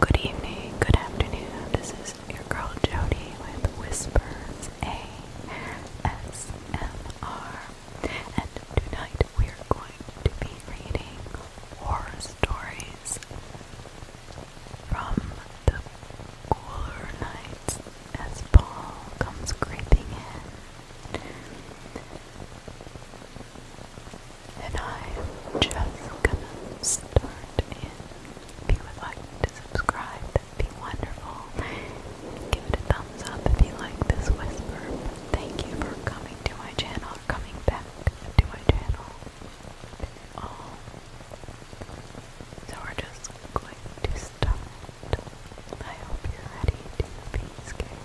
Good evening, good afternoon. This is your girl Jody with Whispers ASMR. And tonight we are going to be reading horror stories from the cooler nights as Paul comes creeping in and I'm just gonna start If you would like to subscribe, be wonderful. Give it a thumbs up if you like this whisper. Thank you for coming to my channel, or coming back to my channel. Um, so we're just going to start. I hope you're ready to be scared.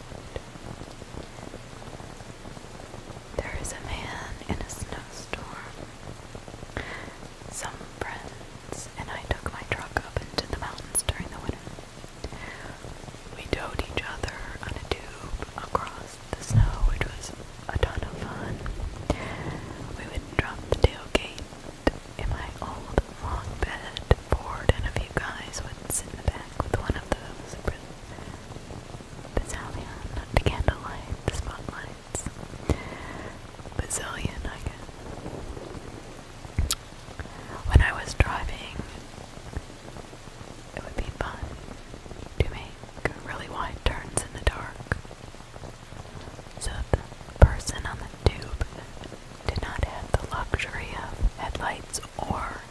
There is a man in a snowstorm. Some friends and I took my truck up into the mountains during the winter. We towed each other on a tube across the snow, which was a ton of fun. We would drop the tailgate in my old long bed board, and a few guys would sit in the back with one of those Bazillion, the candlelight, the spotlights. Bazillion, I guess. When I was driving, it would be fun to make really wide turns in the dark. So the person on the tube did not have the luxury of headlights or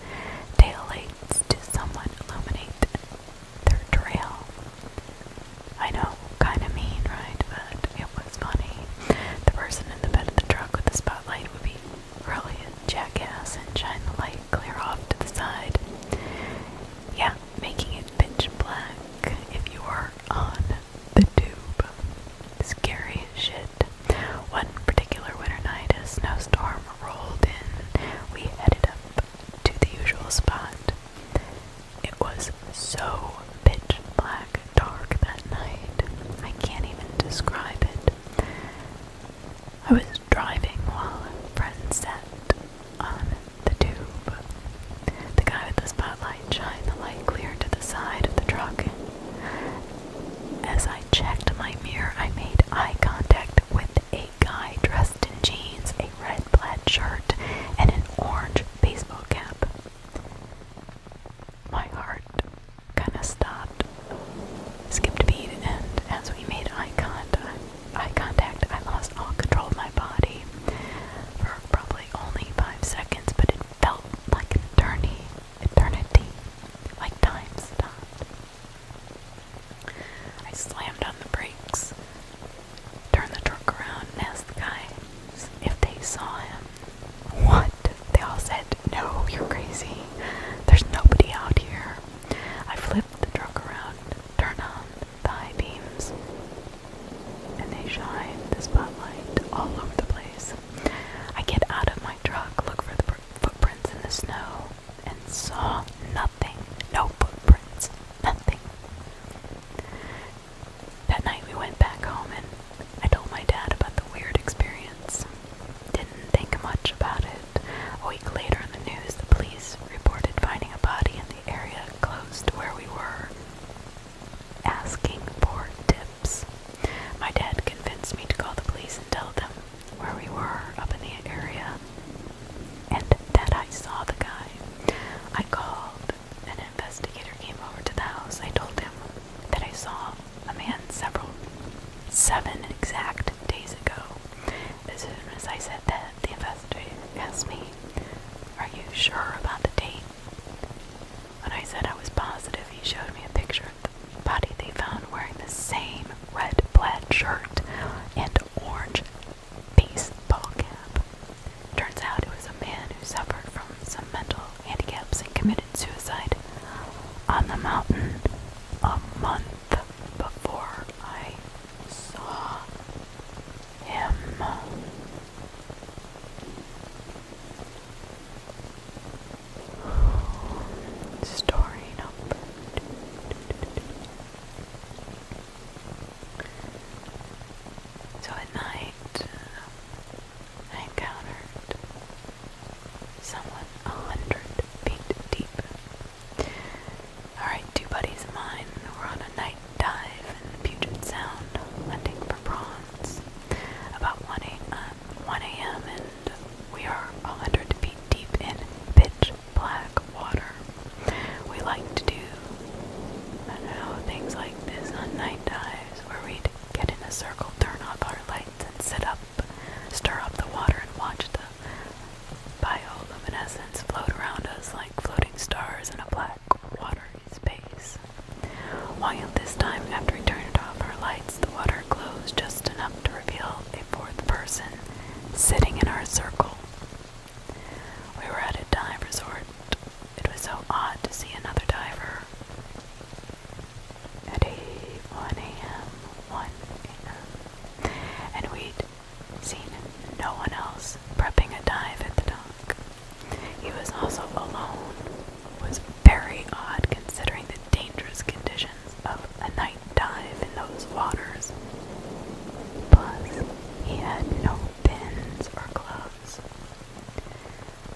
tail lights to somewhat illuminate their trail. I know, kind of mean, right? But it was funny. The person in the bed of the truck with the spotlight would be really a jackass and shine the light clear off to the side. Yeah, making it pitch black if you were on the tube. Scary as shit. One particular winter night, a snowstorm rolled in. We headed up to the usual spot. It was so pitch black dark that night, I can't even describe it. I was driving while a friend sat on the tube. The guy with the spotlight shined the light clear to the side of the truck. As I checked my mirror, I made eye contact with a guy dressed in jeans, a red plaid shirt, and an orange baseball cap. My heart kind of stopped, skipped beat, and as we made eye contact, I lost all control of my body for probably only five seconds, but it felt like eternity, eternity, like time stopped. I slammed on the brakes, turned the truck around, and asked the guys if they saw him. What? They all said, No, you're crazy. There's nobody out here. I flipped the truck around, turned on the high beams, and they shine the spotlight all over the place. I get out of my truck, look for the footprints in the snow and saw nothing. No footprints. Nothing. That night we went back home and I told my dad about the weird experience. Didn't think much about it. A week later in the news, the police reported finding a body in the area close to where we were, asking for tips. My dad convinced me to call the police and tell them where we were up in the area and that I saw the guy. I called. An investigator came over to the house. I told him that I saw a man several, seven exact days ago. As soon as I said that, the investigator asked me, Are you sure about the date? When I said I was positive, he showed me a picture of the body they found wearing the same red plaid shirt and orange baseball cap. Turns out it was a man who suffered from some mental handicaps and committed suicide on the mountain a month before I saw him. Story number two. So at night, uh, I encountered someone a hundred feet deep. Alright, two buddies of mine were on a night dive in Puget Sound hunting for prawns about 1 a.m. Uh, and we are a hundred feet deep in pitch black water. We like to do I know, things like this on night dives where we'd get in a circle, turn off our lights, and sit up, stir up the water, and watch the bioluminescence float around us like floating stars in a black watery space. While this time, after we turned off our lights, the water glows just enough to reveal a fourth person sitting in our circle. We were at a dive resort. It was so odd to see another diver. At 1 a.m., 1 a.m., and we'd seen no one else prepping a dive at the dock. He was also alone. It was very odd considering the dangerous conditions of a night dive in those waters. Plus, he had no pins or gloves.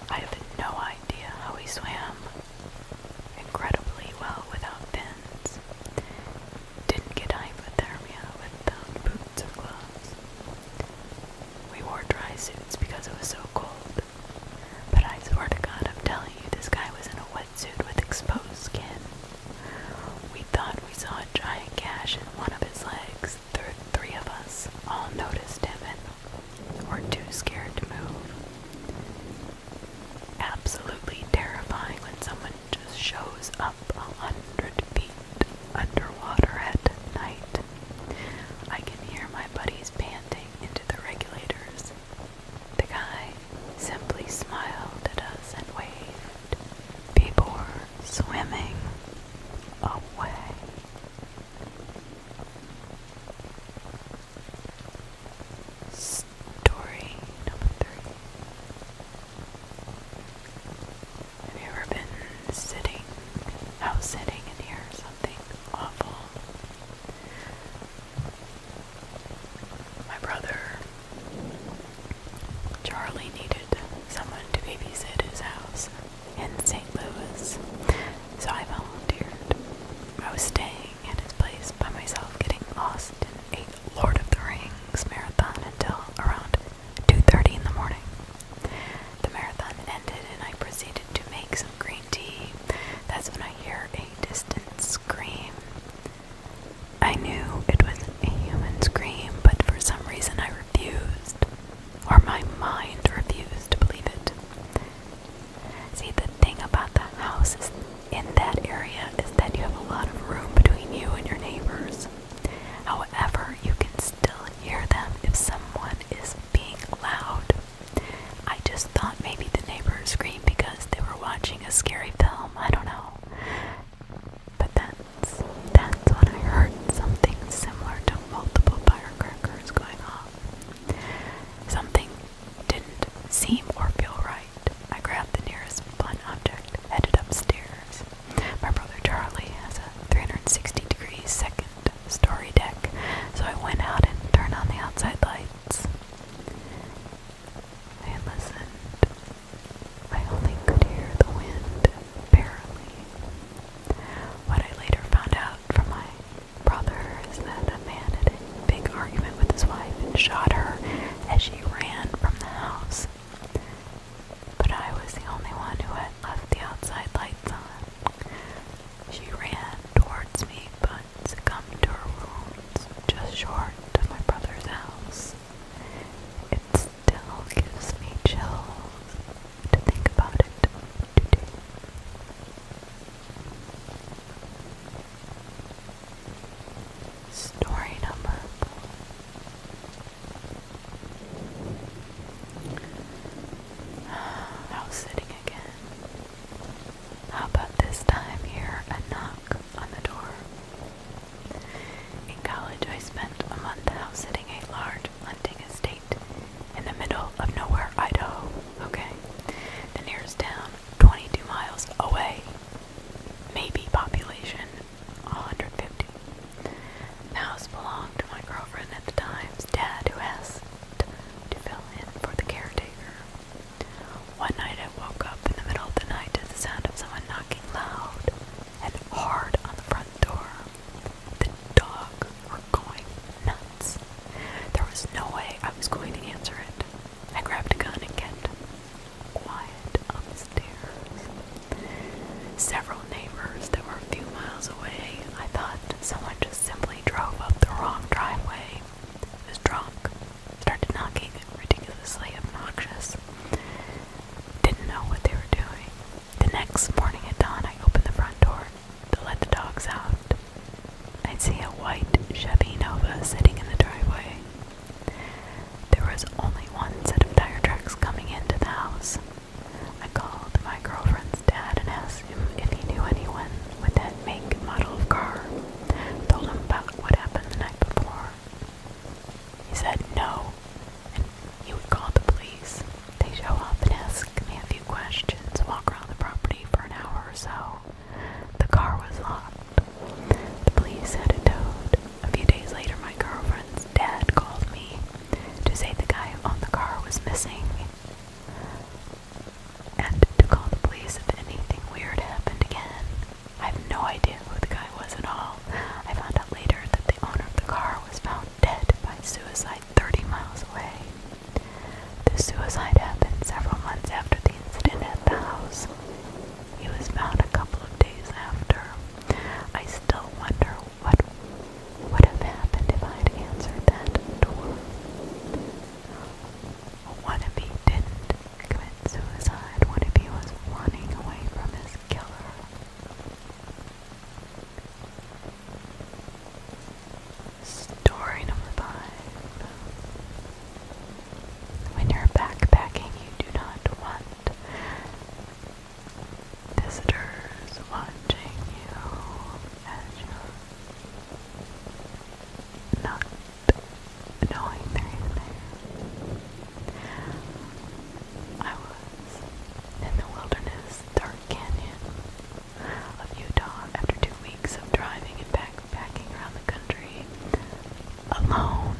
I have no idea how he swam incredibly well without fins. Didn't get hypothermia without boots or gloves. We wore dry suits because it was so cold. But I swear to God, I'm telling you, this guy was in a wetsuit with exposed skin. We thought we saw a giant gash in one of his legs. The three of us all noticed him and were too scared to move. Absolutely terrifying when someone just shows up a hundred feet underwater at night. I can hear my buddies panting into the regulators. The guy simply smiled at us and waved people were swimming away. Story number three. Have you ever been sitting, out sitting, and hear something awful? My brother Charlie needed someone to babysit his house in St. Louis, so I volunteered. I was staying at his place by myself, getting lost in a Lord of the Rings marathon until around 2.30 in the morning. The marathon ended and I proceeded to make some green tea. That's when I hear a distant scream. I knew it was a human scream, but for some reason I refused, or my mind refused to believe it. See, the thing about the houses in that area is that you have a lot of room between you and your neighbors. However, you can still hear them if someone is being loud. I just thought maybe the neighbors screamed because they were watching a scary film. I don't know. But that's that's when I heard something similar to multiple firecrackers going off. Something didn't seem or feel right. I grabbed the nearest blunt object, headed upstairs. My brother Charlie has a 360 degree second story deck, so I went out and turned on the outside lights. I listened I only could hear the wind barely. What I later found out from my brother is that a man had a big argument with his wife and shot her as she ran from the house. But I was the only one who had left the outside lights on. She ran towards me but succumbed to her wounds just short of my brother's house. It's still gives me chills to think about it Story number I was sitting again. How about this time here a knock on the door. In college, I spent a month house-sitting a large hunting estate in the middle of nowhere, Idaho. Okay, the nearest town, 22 miles away. Maybe population 150. house belonged to my girlfriend at the time's dad, who asked to fill in for the caretaker. One night I woke up in the middle of the night to the sound of someone knocking loud and hard on the front door. The dog were going nuts. There was no way I was going to answer it. I grabbed a gun and kept quiet on the stairs. Several neighbors that were a few miles away, I thought someone just simply drove up the wrong driveway. Was drunk, started knocking ridiculously obnoxious. Didn't know what they were doing. The next morning at dawn, I opened the front door to let the dogs out. I'd see a white Chevy Nova sitting in the driveway. There was only one set of tire tracks coming into the house. I called my girlfriend's dad and asked him if he knew anyone with that make and model of car. Told him about what happened the night before he said no, and he would call the police. They show up and ask me a few questions, walk around the property for an hour or so. The car was locked. The police said it towed. A few days later, my girlfriend's dad called me to say the guy on the car was missing and to call the police if anything weird happened again. I have no idea who the guy was at all. I found out later that the owner of the car was found dead by suicide 30 miles away. The suicide happened several months after the incident at the house. He was found a couple of days after. I still wonder what would have happened if I had answered that door. What if he didn't commit suicide? What if he was running away from his killer? Story number five. When you're backpacking, you do not want visitors watching you as you're not knowing they're there. I was in the wilderness, Dark Canyon of Utah, after two weeks of driving and backpacking around the country alone.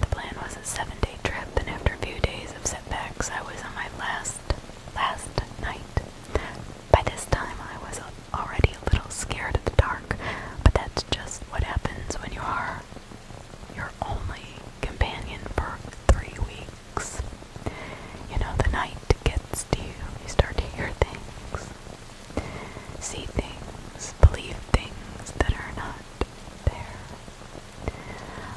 The plan was a seven-day trip, and after a few days of setbacks, I was on my last, last night. By this time, I was already a little scared of the dark, but that's just what happens when you are your only companion for three weeks. You know, the night gets to you start to hear things, see things, believe things that are not there.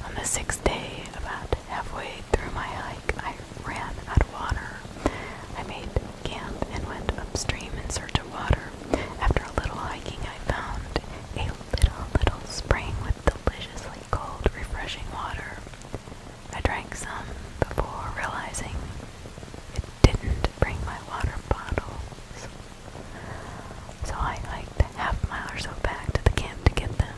On the sixth day, about halfway through my hike, I ran out of water. I made camp and went upstream in search of after a little hiking, I found a little, little spring with deliciously cold, refreshing water. I drank some before realizing it didn't bring my water bottles. So I hiked half a mile or so back to the camp to get them.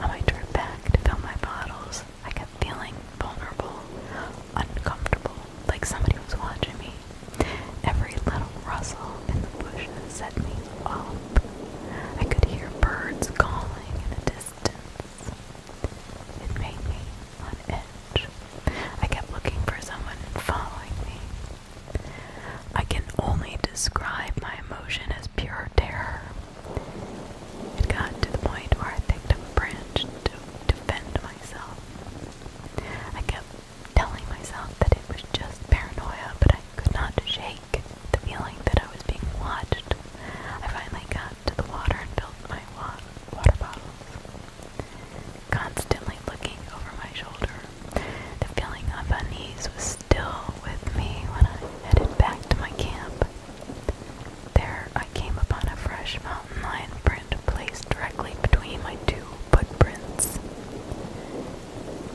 On my trip back to fill my bottles, I kept feeling vulnerable, uncomfortable, like somebody was watching me. Every little rustle in the bushes set me up. I could hear birds calling in the distance. It made me on edge. I kept looking for someone following me. I can only describe my emotion as pure terror. It got to the point where I picked up a branch to defend myself. I kept telling myself that it was just paranoia, but I could not shake the feeling that I was being watched. I finally got to the water and filled my wa water bottles. Constantly looking over my shoulder, the feeling of unease was still with me when I headed back to my camp. There I came upon a fresh mountain lion print placed directly between my two footprints.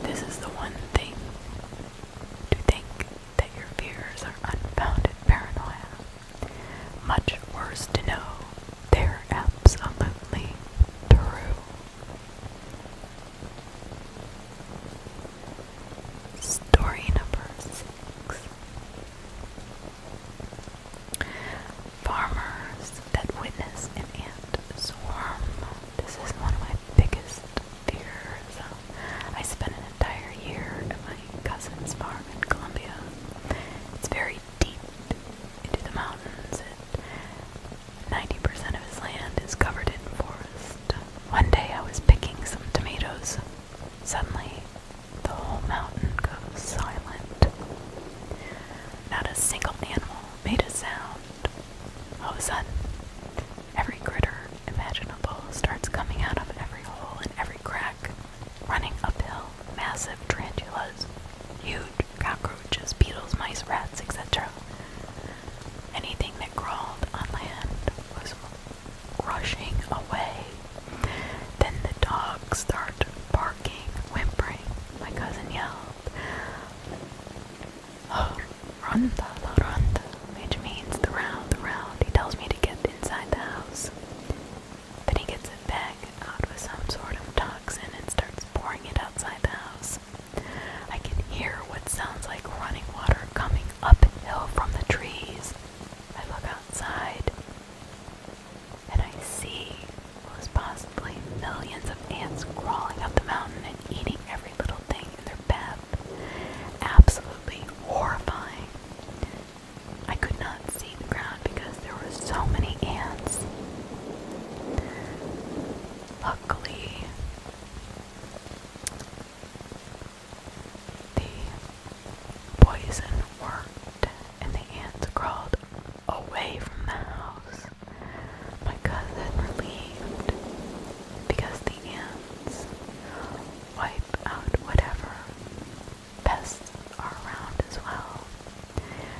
This is the one thing to think that your fears are unfounded paranoia. Much worse to know they're absolutely true. Story number six. Farmers that witness an ant swarm. This is one of my biggest fears. I spent an entire year at my cousin's farm in Colombia. It's very deep into the mountains, and 90% of his land is covered in forest. One day I was picking some tomatoes. Suddenly, the whole mountain goes silent. Not a single animal made a sound. All of a sudden, every critter imaginable starts coming out of every hole and every crack, running uphill. Massive tarantulas, huge cockroaches, beetles, mice, rats, etc. Anything that crawled on land was rushing away. Then the dogs start barking, whimpering. My cousin yelled, Ronda, la ronda, which means the round, the round. He tells me to get inside the house. Then he gets a bag out with some sort of toxin and starts pouring it outside the house. I can hear what sounds like running water coming uphill from the trees. I look outside and I see it was possibly millions of ants crawling up the mountain and eating every little thing in their path. Absolutely horrifying. I could not see the ground because there were so many ants. Luckily, the poison worked and the ants crawled away from the house my cousin relieved because the ants wipe out whatever pests are around as well.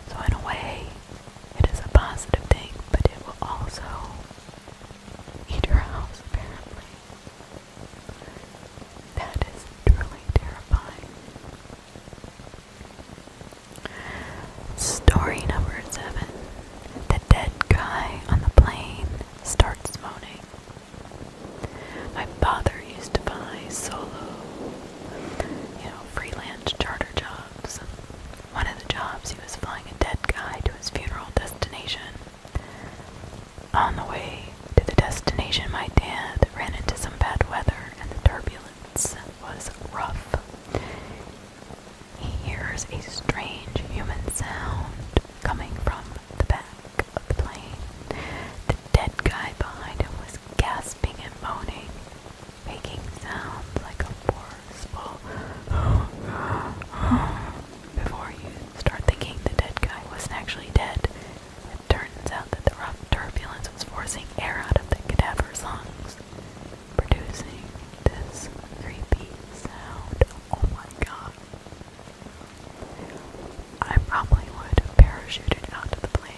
So, in a way, it is a positive thing, but it will also eat your house, apparently. That is truly terrifying. Story number seven. The dead guy on the plane starts moaning. My father used to buy solo, you know, freelance charter jobs. One of the jobs, he was flying a dead guy to his funeral destination. On the way to the destination, my dad ran into some bad weather and the turbulence was rough. He hears a strange human sound coming from the back of the plane. The dead guy behind him was gasping and moaning, making sounds like a forceful before you start thinking the dead guy wasn't actually dead. It turns out that the rough turbulence was forcing air out of the cadaver's lungs producing this creepy sound. Oh my god. I probably would have out of the plane.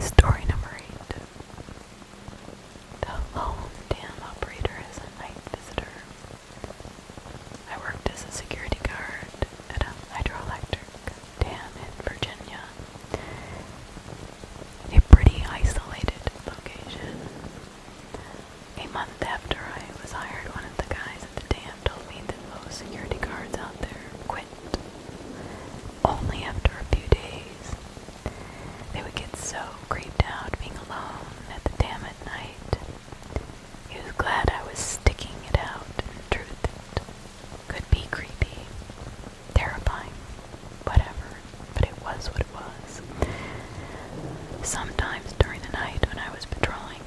Story number eight. The lone dam operator is a night visitor. I worked as a security guard at a hydroelectric dam in Virginia. A pretty isolated location. A month after I was hired, one of the guys at the dam told me that most security guards out there quit. Only after a few days. They would get so creeped out being alone at the dam at night he was glad I was sticking it out truth Could be creepy, terrifying, whatever, but it was what it was. Sometimes during the night when I was patrolling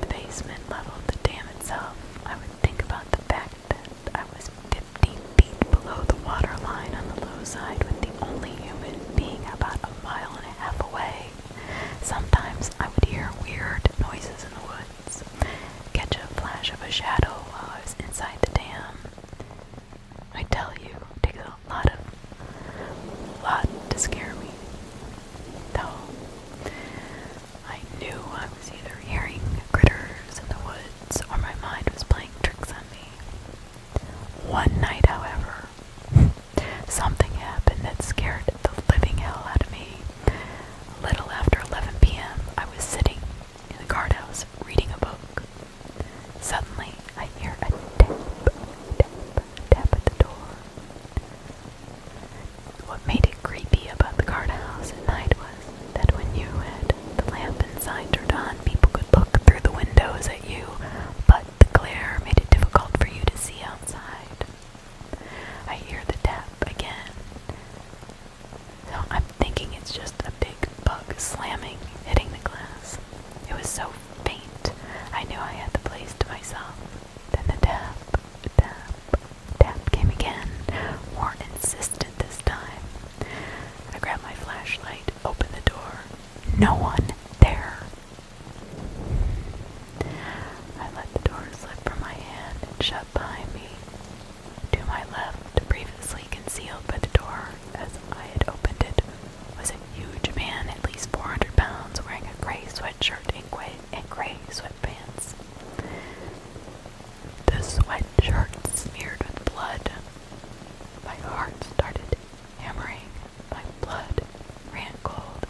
the basement level of the dam itself, I would think about the fact that I was 50 feet below the water line on the low side with the only human being about a mile and a half away. Sometimes I would hear weird noises in the woods, catch a flash of a shadow while I was inside the dam. I tell you, it takes a lot of lot to scare me. Though I knew I was either hearing critters in the woods or my mind was playing tricks on me. One night, however, Something happened that scared the living hell out of me. A little after 11 p.m., I was sitting in the guardhouse reading a book. Suddenly, I hear a tap, tap, tap at the door. What made it creepy about the guardhouse at night was that when you had the lamp inside turned on, people could look through the windows at you, but the glare made it difficult for you to see outside. I hear the tap again. I'm thinking it's just a big bug slamming, hitting the glass. It was so faint, I knew I had the place to myself. Then the tap, tap, tap came again, more insistent this time. I grab my flashlight, open the door. No one there. I let the door slip from my hand and shut behind me. To my left, previously concealed by the door as I had opened it, was a huge man, at least 400 pounds, wearing a gray sweatshirt and gray, sweatpants. The sweatshirt smeared with blood. My heart started hammering. My blood ran cold.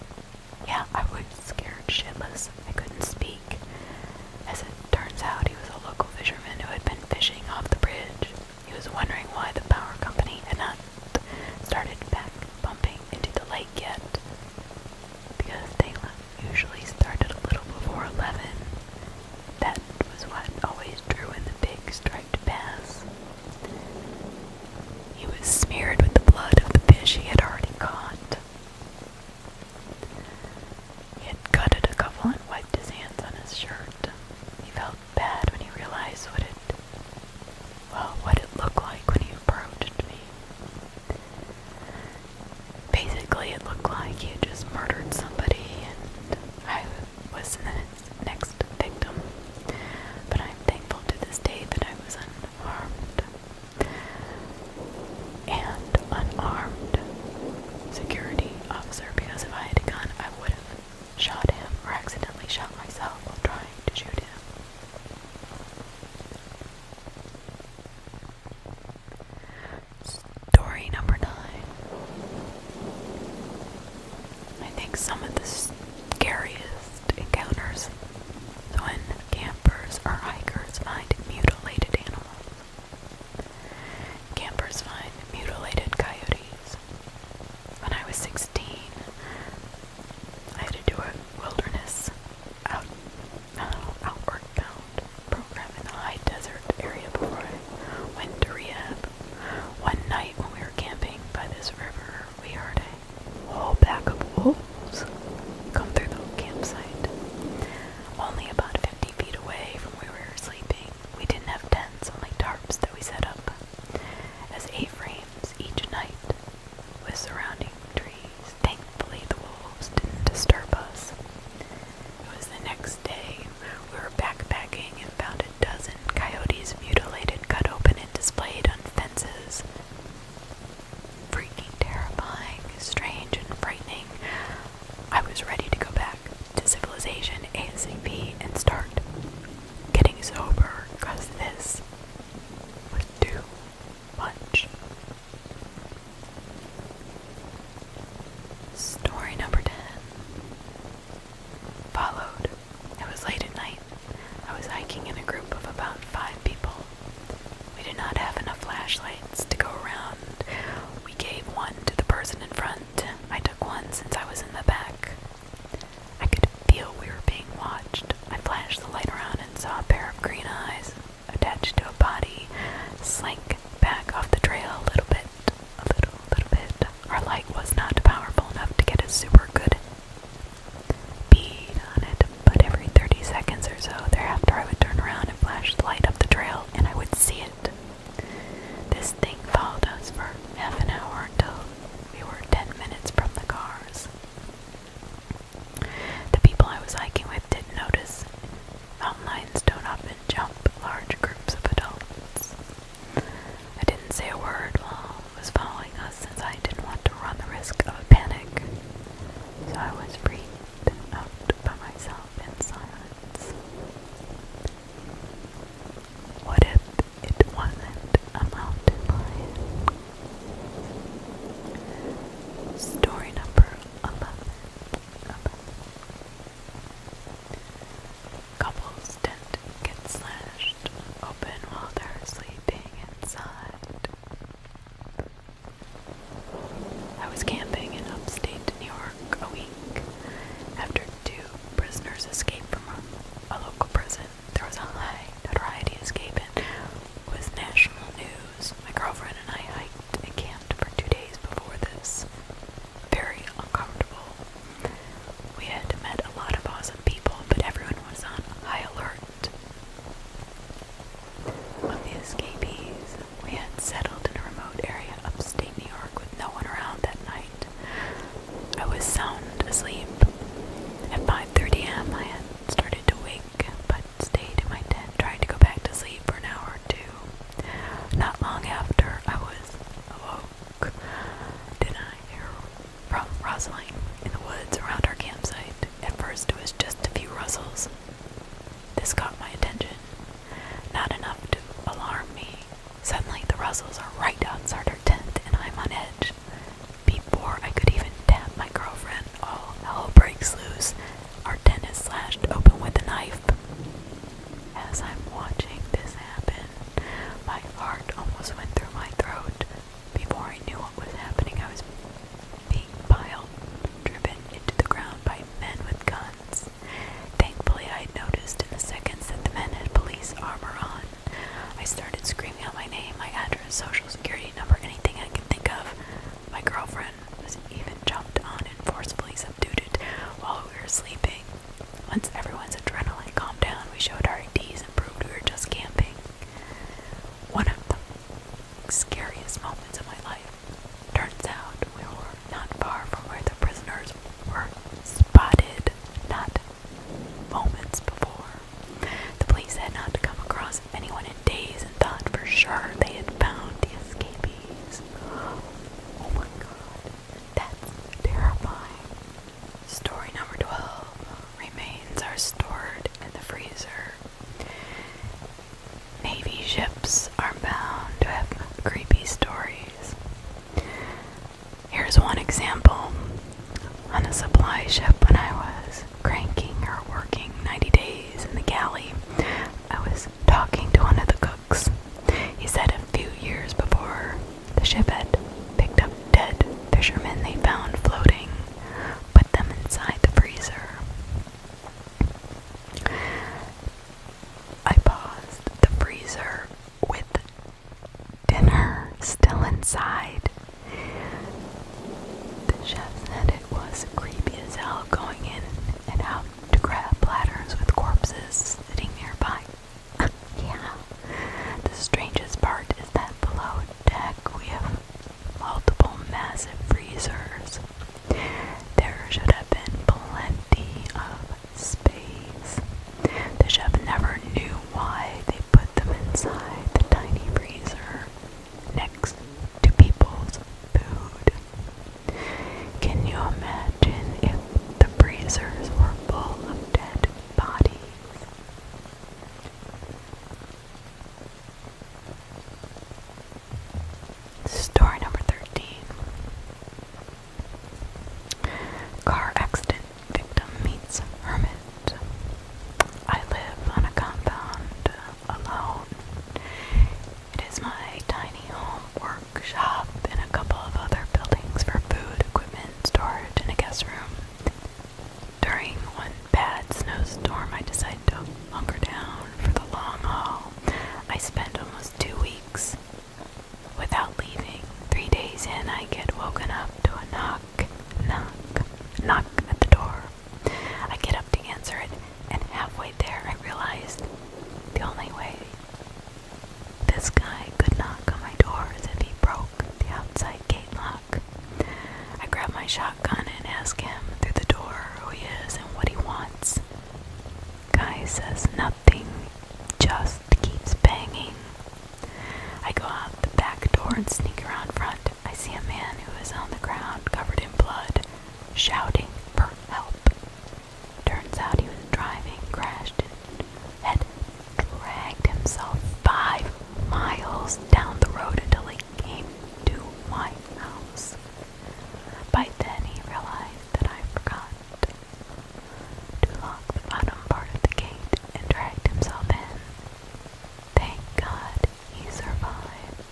Yeah, I was scared shitless. I couldn't speak. As it turns out, he was a local fisherman who had been fishing off the bridge. He was wondering why the power company had not started back pumping into the lake yet. Because they usually started a little before 11. That was what always drew in the big striped bass. He was smeared with the blood of the fish he had already caught. He had gutted a couple and wiped his hands on his shirt. He felt bad when he realized what it well, what it looked like when he approached me. Basically, it looked like he had just murdered somebody and I was his next victim. But I'm thankful to this day that I was unharmed and unarmed security officer because if I had a gun, I would have shot him or accidentally shot myself while trying to shoot him. Story number nine. I think some of the scariest encounters when campers or hikers find mutilated animals. Campers find mutilated coyotes. When I was 16, I had to do a wilderness out, uh, program in the high desert area before I went to rehab. One night when we were camping by this river, we heard a a whole pack of wolves come through the campsite. Only about 50 feet away from where we were sleeping, we didn't have tents, only tarps that we set up as eight frames each night with surrounding trees. Thankfully, the wolves didn't disturb us. It was the next day. We were backpacking and found a dozen coyotes mutilated, cut open, and displayed on fences freaking terrifying, strange, and frightening. I was ready to go back to civilization ASAP and start getting sober because this was too much. Story number 10 followed. It was late at night, I was hiking in a group of about five people. We did not have enough flashlights to go around. We gave one to the person in front. I took one since I was in the back. I could feel we were being watched. I flashed the light around and saw a pair of green eyes attached to a body slink back off the trail a little bit. A little, little bit. Our light was not powerful enough to get a super good bead on it, but every 30 seconds or so thereafter I would turn around and flash the light up the trail and I would see it. This thing followed us for half an hour until we were 10 minutes from the cars. The people I was hiking with didn't notice. Mountain lions don't often jump large groups of adults. I didn't say a word while I was following us. Uh, since I didn't want to run the risk of a panic, so I was freaked out by myself in silence. What if it wasn't a mountain lion? Story number 11. Couples tent gets slashed open while they're sleeping inside. I was camping in upstate New York a week after two prisoners escaped from a, local prison. There was a high notoriety escape and was national news. My girlfriend and I hiked and camped for two days before this. Very uncomfortable. We had met a lot of awesome people, but everyone was on high alert of the escapees, we had settled in a remote area upstate New York with no one around that night. I was sound asleep. At 5:30 a.m., I had started to wake, but stayed in my tent, trying to go back to sleep for an hour or two. Not long after, I was awoke. Did I hear from in the woods around our campsite? At first, it was just a few rustles. This caught my attention, not enough to alarm me. Suddenly, the rustles are right outside our tent, and I'm on edge. Before I could even tap my girlfriend, all hell breaks loose. Our tent is slashed open with a knife. As I'm watching this happen, my heart almost went through my throat. Before I knew what was happening, I was being piled, driven into the ground by men with guns. Thankfully, I would noticed in the seconds that the men had police armor on. I started screaming out my name, my address, social security number, anything I could think of. My girlfriend was even jumped on and forcibly subdued it while we were sleeping. Once everyone's adrenaline calmed down, we showed our IDs and proved we were just camping. One of them, scariest moments of my life. Turns out we were not far from where the prisoners were spotted not moments before. The police had not come across anyone in days and thought for sure they had found the escapees. Oh my god, that's terrifying. Story number 12 Remains are stored in the freezer. Navy ships are bound to have creepy stories. Here's one example. On a supply ship, when I was cranking or working 90 days in the galley, I was talking to one of the cooks. He said a few years before the ship had picked up dead fishermen they found floating, put them inside the freezer, I paused the freezer with dinner still inside. The chef said it was creepy as hell going in and out to grab platters with corpses sitting nearby. yeah. The strangest part is that below deck we have multiple massive freezers. There should have been plenty of space. The chef never knew why they put them inside the tiny freezer next to people's food. Can you imagine if the freezers were full of dead bodies? Story number 13 Car accident victim meets hermit. I live on a compound alone. It is my tiny home, workshop, and a couple of other buildings for food, equipment, storage, and a guest room. During one bad snowstorm, I decided to hunker down for the long haul. I spent almost two weeks without leaving. Three days in, I get woken up to a knock, knock, knock at the door. I get up to answer it, and halfway there, I realized the only way this guy could knock on my door is if he broke the outside gate lock. I grab my shotgun and ask him through the door who he is and what he wants. Guy says nothing, just keeps banging. I go out the back door and sneak around front. I see a man who is on the ground, covered in blood, shouting for help. Turns out he was driving, crashed, and had dragged himself five miles down the road until he came to my house. By then he realized that I forgot to lock the bottom part of the gate and dragged himself in. Thank God he survived.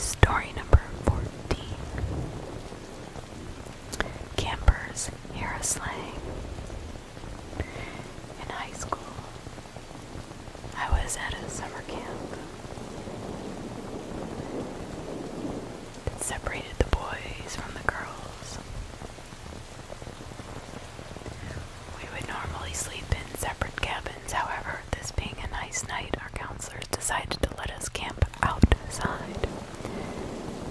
Story number 14 Campers hear a slang. In high school, I was at a summer camp that separated the boys from the girls. We would normally sleep in separate cabins, however, this being a nice night, our counselors decided to let us camp outside.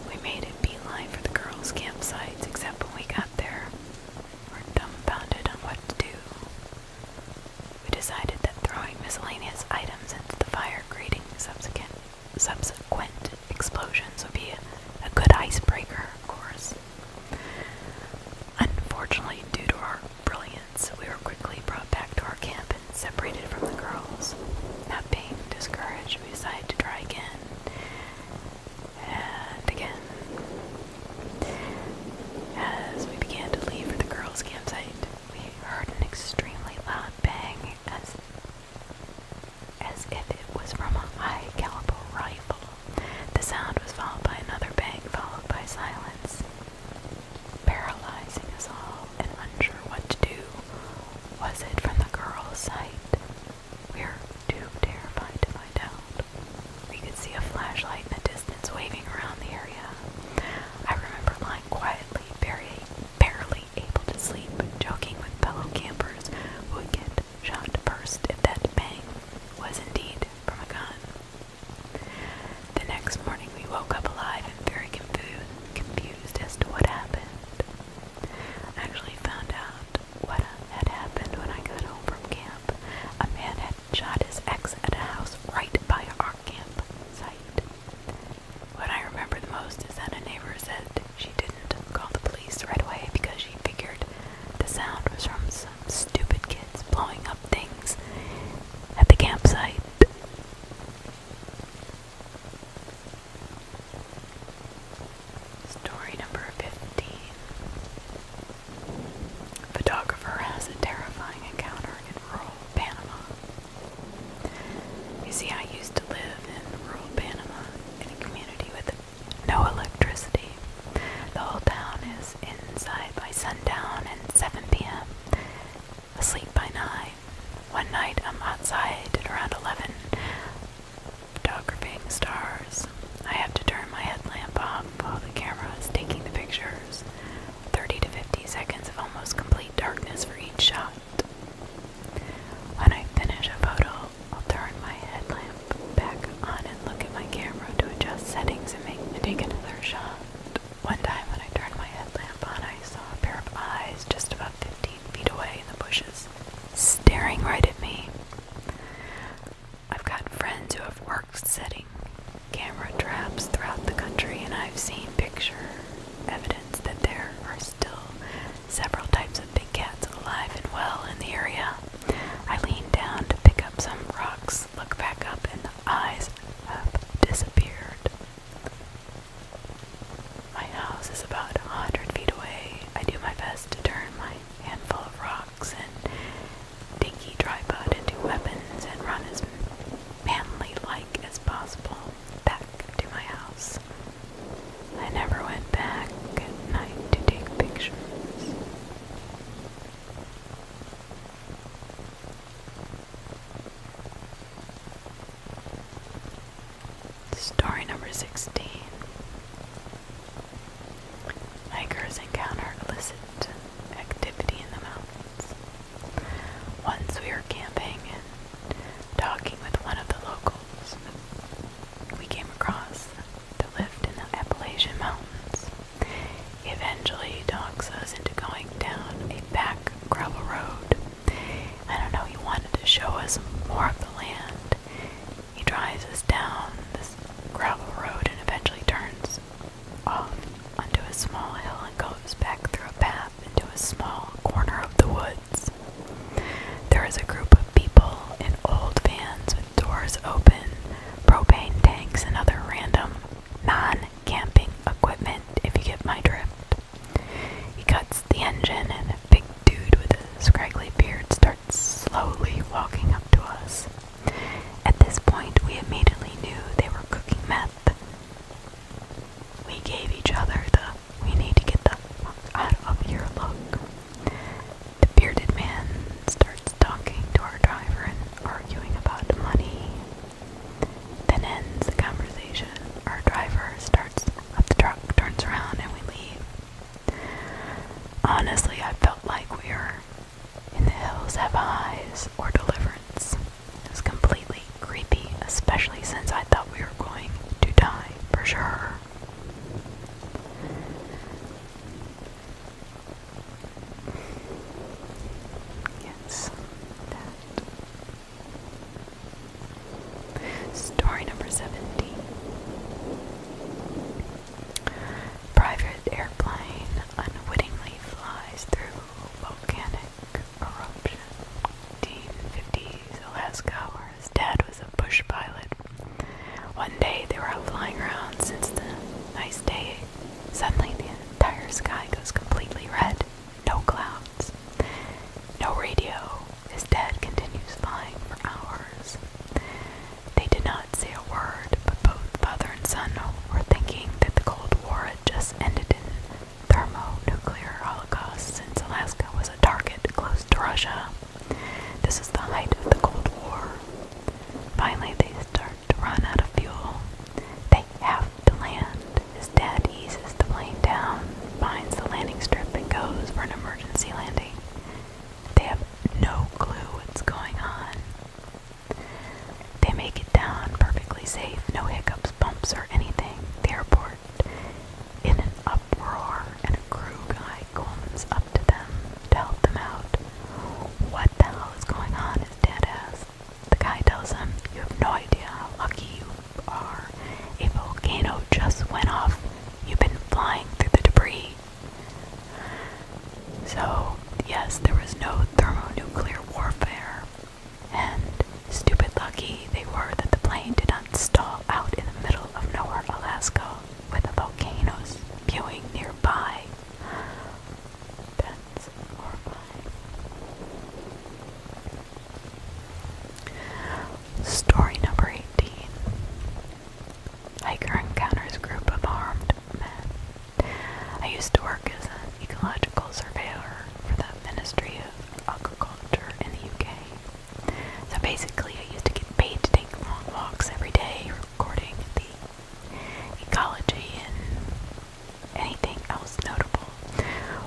We made a bee line for the girls' campsites, except when we got there, were dumbfounded on what to do. We decided that throwing miscellaneous items into the fire creating subsequent subsequent explosions would be a good icebreaker, of course. Unfortunately, due to our brilliance, we were quickly brought back to our camp and separated from the girls. Not being discouraged, we decided to try again and again. As we began to leave for the girls' campsite, we heard an extremely loud bang as as if it was from a high caliber rifle. The sound was followed by another bang, followed by silence, paralyzing us all and unsure what to do. Was it from the girls' site? We're too terrified to find out. We could see a flashlight in the distance waving around the area. I remember lying quietly, barely able to sleep, joking with fellow campers who would get shot first if that bang was indeed from a gun. The next morning we woke up alive and very confused, confused as to what happened. I actually found out what had happened when I got home from camp. A man had shot his ex at a house right by our campsite. What I remember the most is that a neighbor said she didn't call the police right away because she figured the sound was from some stupid kids blowing up things at the campsite. Story number 15 Photographer has a terrifying encounter in rural Panama. You see, I used to live in rural Panama in a community with no electricity. The whole town is inside by sundown and 7 p.m., asleep by 9. One night I'm outside at around 11, photographing stars. I have to turn my headlamp off while the camera is taking the pictures. 30 to 50 seconds of almost complete darkness for each shot. When I finish a photo, I'll turn my headlamp back on and look at my camera to adjust settings and make take another shot. One time when I turned my headlamp on, I saw a pair of eyes just about 15 feet away in the bushes, staring right at me. I've got friends who have worked setting camera traps throughout the country, and I've seen picture evidence that there are still several types of big cats alive and well in the area. I leaned down to pick up some rocks, look back up, and the eyes have disappeared. My house is about a hundred feet away. I do my best to turn my handful of rocks and Dinky Tripod into weapons and run as manly like as possible back to my house. I never went back at night to take pictures. Story number 16 Hikers encounter illicit activity in the mountains. Once we were camping and talking with one of the locals, we came across the lift in the Appalachian Mountains. He eventually talks us into going down a back gravel road. I don't know, he wanted to show us more of the land. He drives us down this gravel road and eventually turns off onto a small hill and goes back through a path into a small corner of the woods. There is a group of people in old vans with doors open, propane tanks, and other random non camping equipment, if you get my drift. He cuts the engine, and a big dude with a scraggly beard starts slowly walking up to us. At this point, we immediately knew they were cooking meth. We gave each other the we need to get the out of here look. The bearded man starts talking to our driver and arguing about money. Then ends the conversation. Our driver starts up the truck, turns around, and we leave. Honestly, I felt like we were in the Hills Have Eyes or Deliverance. It was completely creepy, especially since I thought we were going to die for sure. Yes, that. Story number 17. Private airplane unwittingly flies through volcanic eruption. deep 50s Alaska, where his dad was a bush pilot. One day they were flying around since the nice day. Suddenly the entire sky goes completely red. No clouds. No radio. His dad continues flying for hours. They did not say a word, but both father and son were thinking that the Cold War had just ended in thermonuclear holocaust since Alaska was a target close to Russia. This is the height of the Cold War. Finally, they start to run out of fuel. They have to land. His dad eases the plane down, finds the landing strip, and goes for an emergency landing. They have no clue what's going on. They make it down perfectly safe, no hiccups, bumps, or anything. The airport in an uproar, and a crew guy comes up to them to help them out. What the hell is going on? His dad asks. The guy tells him, You have no idea how lucky you are. A volcano just went off. You've been flying through the debris. So, yes, there was no thermonuclear warfare, and stupid lucky they were that the plane did not stall out in the middle of nowhere, Alaska, with the volcanoes spewing nearby. Story number 18 Hiker encounters group of armed men. I used to work as an ecological surveyor for the Ministry of Agriculture in the UK. So basically, I used to get paid to take long walks every day, recording the ecology and anything else notable.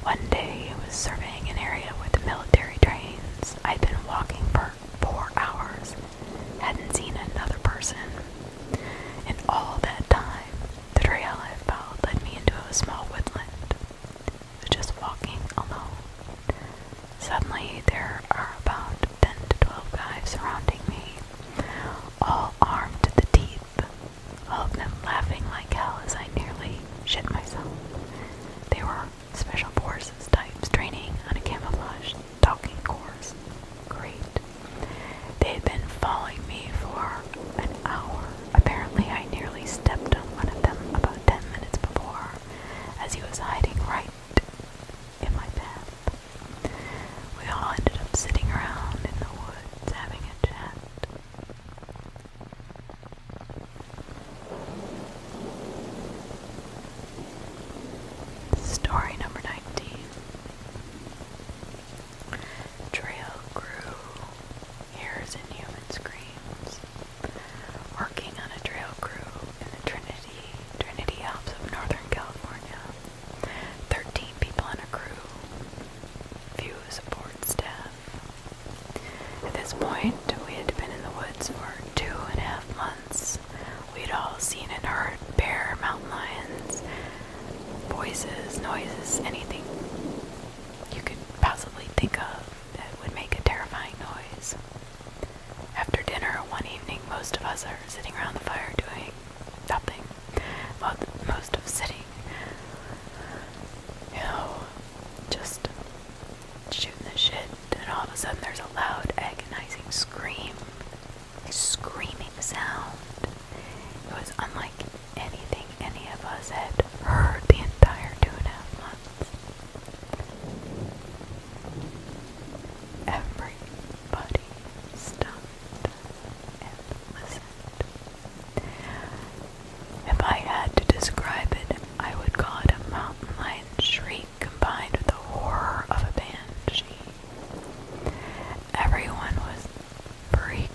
One day, I was surveying an area with the military trains. I'd been walking for four hours hadn't seen another person. In all that time, the trail I followed led me into a small woodland. Just walking alone. Suddenly, there are about 10 to 12 guys surrounding me, all armed to the teeth, all of them laughing like hell as I nearly shit myself. They were special forces types training on a camouflage talking course. Great. They had been following me for an hour. Apparently, I nearly stepped on one of them about ten minutes before, as he was hiding right in my path. We all ended up sitting around in the woods having a chat. Story number 19 Trail grew years in human screams. Working on a trail crew in the Trinity, Trinity Alps of Northern California. Thirteen people on a crew. Few support staff. At this point, we had been in the woods for two and a half months We'd all seen and heard bear, mountain lions, voices, noises, anything you could possibly think of that would make a terrifying noise. After dinner one evening, most of us are sitting around the fire doing nothing. Most of sitting, you know, just shooting the shit, and all of a sudden there's a loud, agonizing scream screaming sound. It was unlike anything any of us had heard the entire two and a half months. Everybody stopped and listened. If I had to describe it, I would call it a mountain lion shriek combined with the horror of a banshee. Everyone was freaked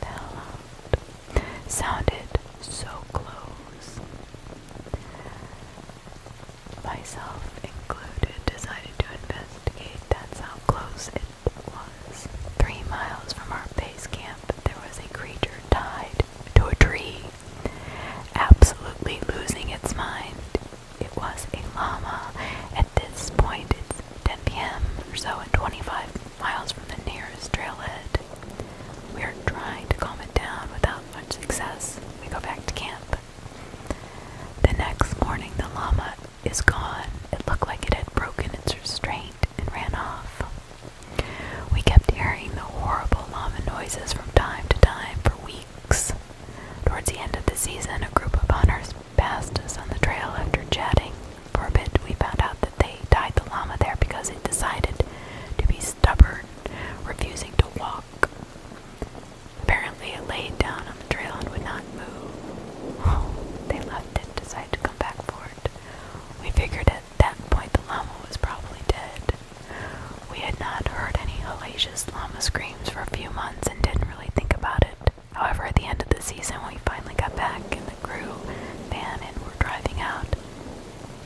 the hell out. Sounded so close. Myself included decided to investigate. That's how close it was. Three miles from our base camp, there was a creature tied to a tree, absolutely losing its mind it was a llama. At this point, it's 10 p.m. or so, and 25 miles from the nearest trailhead. We are trying to calm it down without much success. We go back to camp. The next morning, the llama is gone. It looked like it had broken its restraint and ran off. We kept hearing the horrible llama noises from time to time for weeks. Towards the end of the season, a group of hunters passed us on the trail after chatting. For a bit, we found out that they tied the llama there because it decided to be stubborn, refusing to walk. Apparently, it laid down on the trail and would not move. they left it, decided to come back for it. We figured at that point the llama was probably dead. We had not heard any hellacious llama screams for a few months and didn't really think about it. However, at the end of the season, when we finally got back in the crew van and were driving out.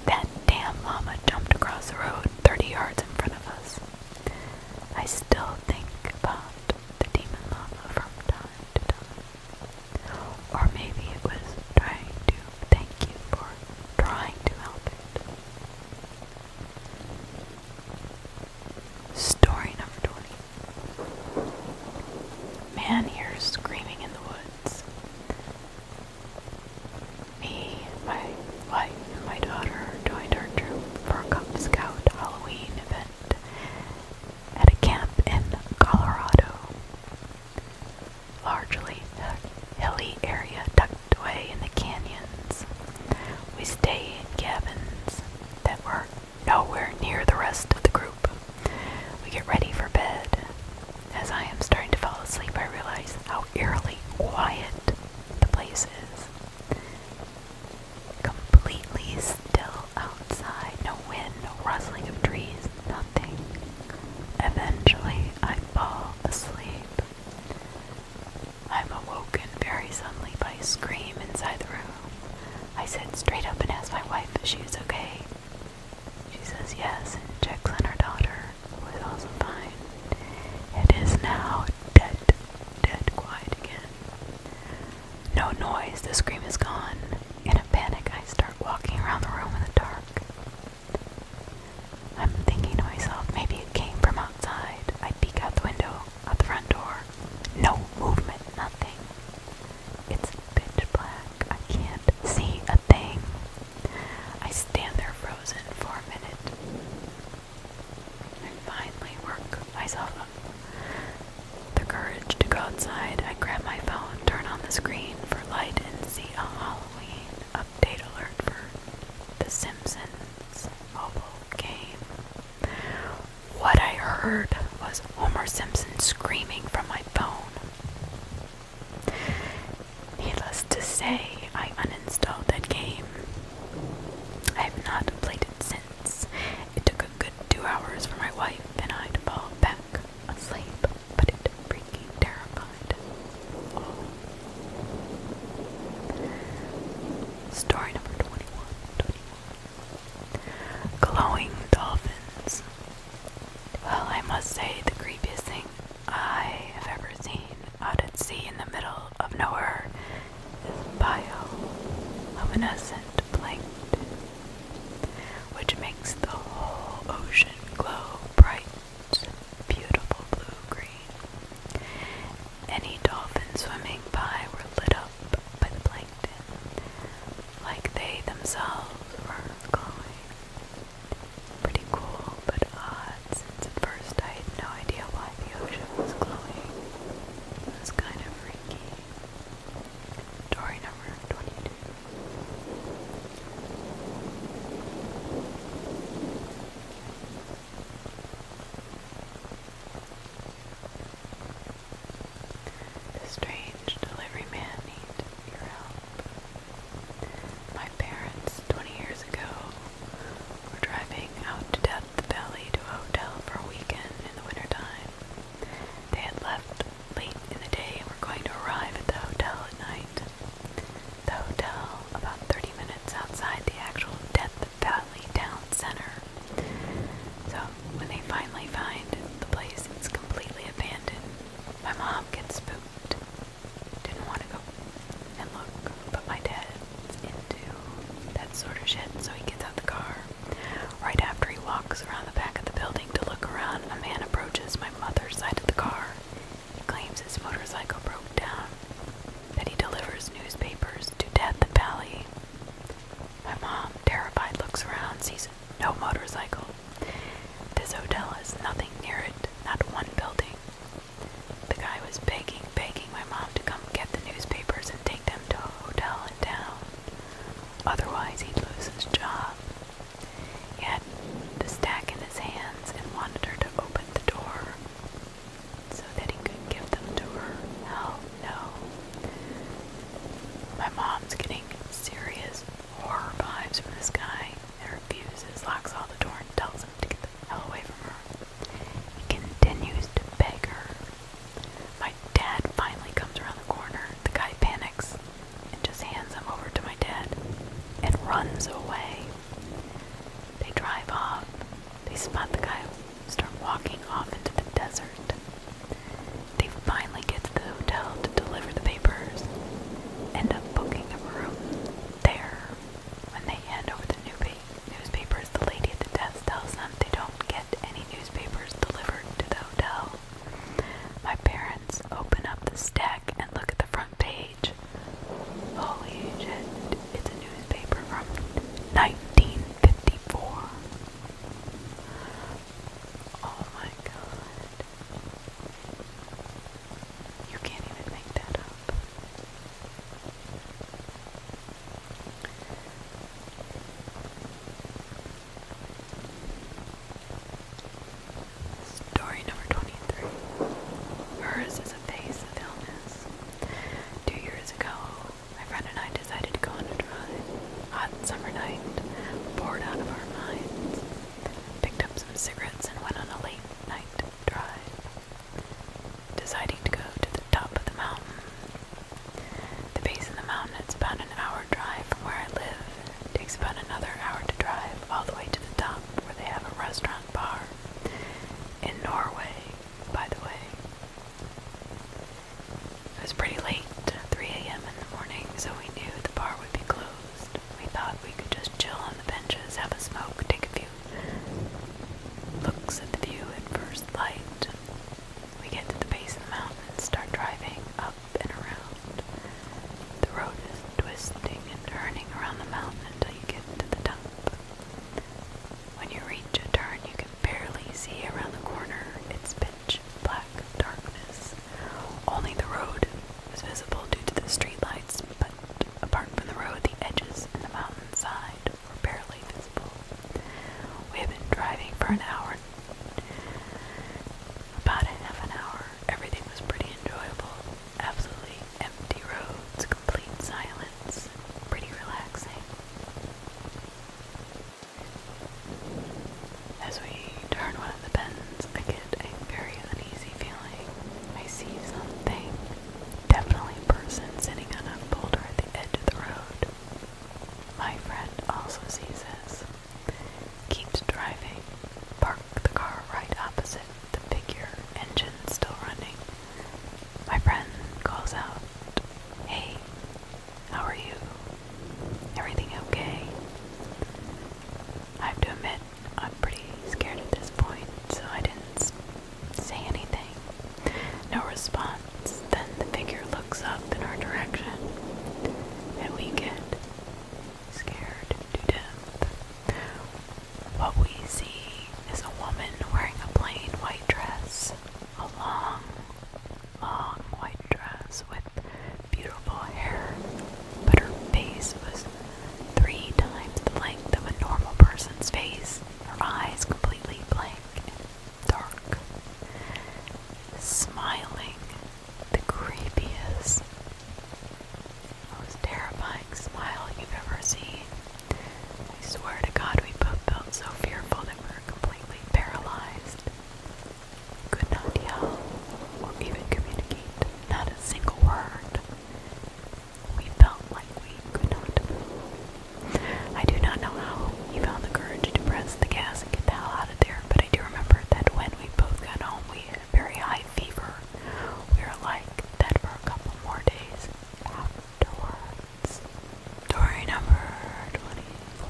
That damn llama jumped across the road 30 yards in front of us. I still think about the demon llama from time to time. Or maybe it was trying to thank you for trying to help it. Story number 20. Man hears screaming in the woods. Me, my wife, and my daughter joined our troop for a Cub Scout Halloween event at a camp in Colorado. Largely a hilly area tucked away in the canyons. We stay in cabins that were nowhere near the rest of the group. We get ready for bed. As I am starting to fall asleep, I realize how eerily quiet the place is. Completely still outside, no wind, no rustling of trees, nothing. Eventually, I fall asleep. I'm awoken very suddenly by a scream inside the room. I sit straight up and ask my wife if she is okay. She says yes and checks on her daughter, who is also fine. It is now dead, dead quiet again. No noise, the scream is gone. In a panic, I start walking around the room in the dark. I'm thinking to myself, maybe it came from outside. I peek out the window at the front door. No movement, nothing. It's pitch black. I can't see a thing. I stand there frozen for a minute. I finally work myself up. The courage to go outside, I grab my phone, turn on the screen for light, and see a Halloween update alert for The Simpsons mobile game. What I heard was Homer Simpson screaming from my phone. Needless to say, I uninstalled that game. I have not played it since. It took a good two hours for my wife and I to fall back asleep, but it freaking terrified. Oh. Story number 21. Glowing dolphins. Well, I must say, the creepiest thing I have ever seen out at sea in the middle of nowhere is a bio bioluminescent plankton, which makes the whole ocean glow bright, beautiful blue green. Any dolphins swimming by were lit up by the plankton, like they themselves were glowing. Pretty cool, but odd, at first I had no idea why the ocean was glowing. It was kind of freaky. Story number 22. The strange delivery man needs your help. My parents, 20 years ago, were driving out to Death Valley to a hotel for a weekend in the wintertime. They had left late in the day and were going to arrive at the hotel at night. The hotel, about 30 minutes outside the actual Death Valley the Valley Town Center. So when they finally find the place, it's completely abandoned. My mom gets spooked. Didn't want to go and look, but my dad into that sort of shit, so he gets out the car. Right after he walks around the back of the building to look around, a man approaches my mother's side of the car. He claims his motorcycle broke down, that he delivers newspapers to Death Valley. My mom, terrified, looks around, sees no motorcycle. This hotel has nothing near it, not one building. The guy was begging, begging my mom to come get the newspapers and take them to a hotel in town. Otherwise, he'd lose his job. He had the stack in his hands and wanted her to open the door so that he could give them to her. Help no. My mom's getting serious horror vibes from this guy and refuses, locks all the door, and tells him to get the hell away from her. He continues to beg her. My dad finally comes around the corner. The guy panics and just hands him over to my dad and runs away. They drive off. They spot the guy start walking off into the desert. They finally get to the hotel to deliver the papers, end up booking a room there. When they hand over the new newspapers, the lady at the desk tells them they don't get any newspapers delivered to the hotel. My parents open up the stack and look at the front page. Holy shit, it's a newspaper from 1954. Oh my god. You can't even make that up. Story number 23. Hers is a face of illness. Two years ago, my friend and I decided to go on a drive. Hot summer night, bored out of our minds. Picked up some cigarettes and went on a late night drive. Deciding to go to the top of the mountain. The base of the mountain is about an hour drive from where I live. takes about another hour to drive all the way to the top where they have a restaurant bar. In Norway, by the way. It was pretty late, 3 a.m. in the morning, so we knew the bar would be closed. We thought we could just chill on the benches, have a smoke, take a few looks at the view at first light. We get to the base of the mountain and start driving up and around. The road is twisting and turning around the mountain until you get to the top. When you reach a turn, you can barely see around the corner its pitch black darkness. Only the road was visible due to the streetlights, but apart from the road, the edges and the mountainside were barely visible. We have been driving for an hour, about a half an hour. Everything was pretty enjoyable. Absolutely empty roads, complete silence, pretty relaxing. As we turn one of the bends, I get a very uneasy feeling. I see something, definitely a person sitting on a boulder at the edge of the road. My friend also sees this. Keeps driving, park the car right opposite the figure, engine still running. My friend calls out, Hey, how are you? Everything okay? I have to admit, I'm pretty scared at this point, so I didn't say anything. No response. Then the figure looks up in our direction, and we get scared to death. What we see is a woman wearing a plain white dress, a long long white dress with beautiful hair, but her face was three times the length of a normal person's face, her eyes completely blank and dark. Smiling, the creepiest, most terrifying smile you've ever seen. I swear to God, we both felt so fearful that we were completely paralyzed could not yell or even communicate, not a single word. We felt like we could not move. I do not know how he found the courage to press the gas and get the hell out of there, but I do remember that when we both got home, we had a very high fever. We were like that for a couple more days afterwards. Story number 24.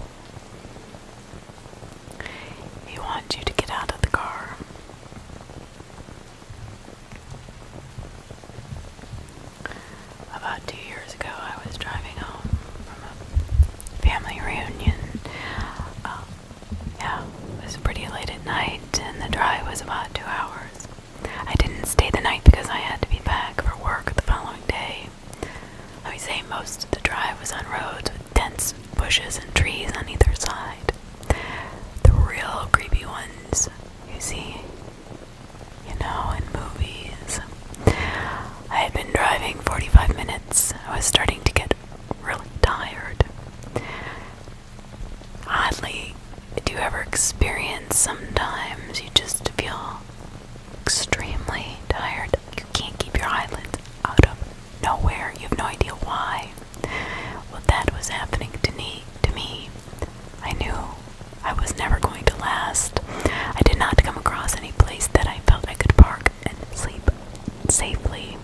He wants you to get out of the car. About two years ago, I was driving home from a family reunion. Um, yeah, it was pretty late at night, and the drive was about two hours. I didn't stay the night because I had to be back for work the following day. I would say most of the drive was on roads with dense bushes and trees on either side. The real creepy ones you see, you know, in movies. I had been driving 45 minutes. I was starting to get really tired. Oddly, do you ever experience sometimes you just feel extremely tired. You can't keep your eyelids out of nowhere. You have no idea why. Well, that was happening to me. To me, I knew I was never going to last. I did not come across any place that I felt I could park and sleep safely.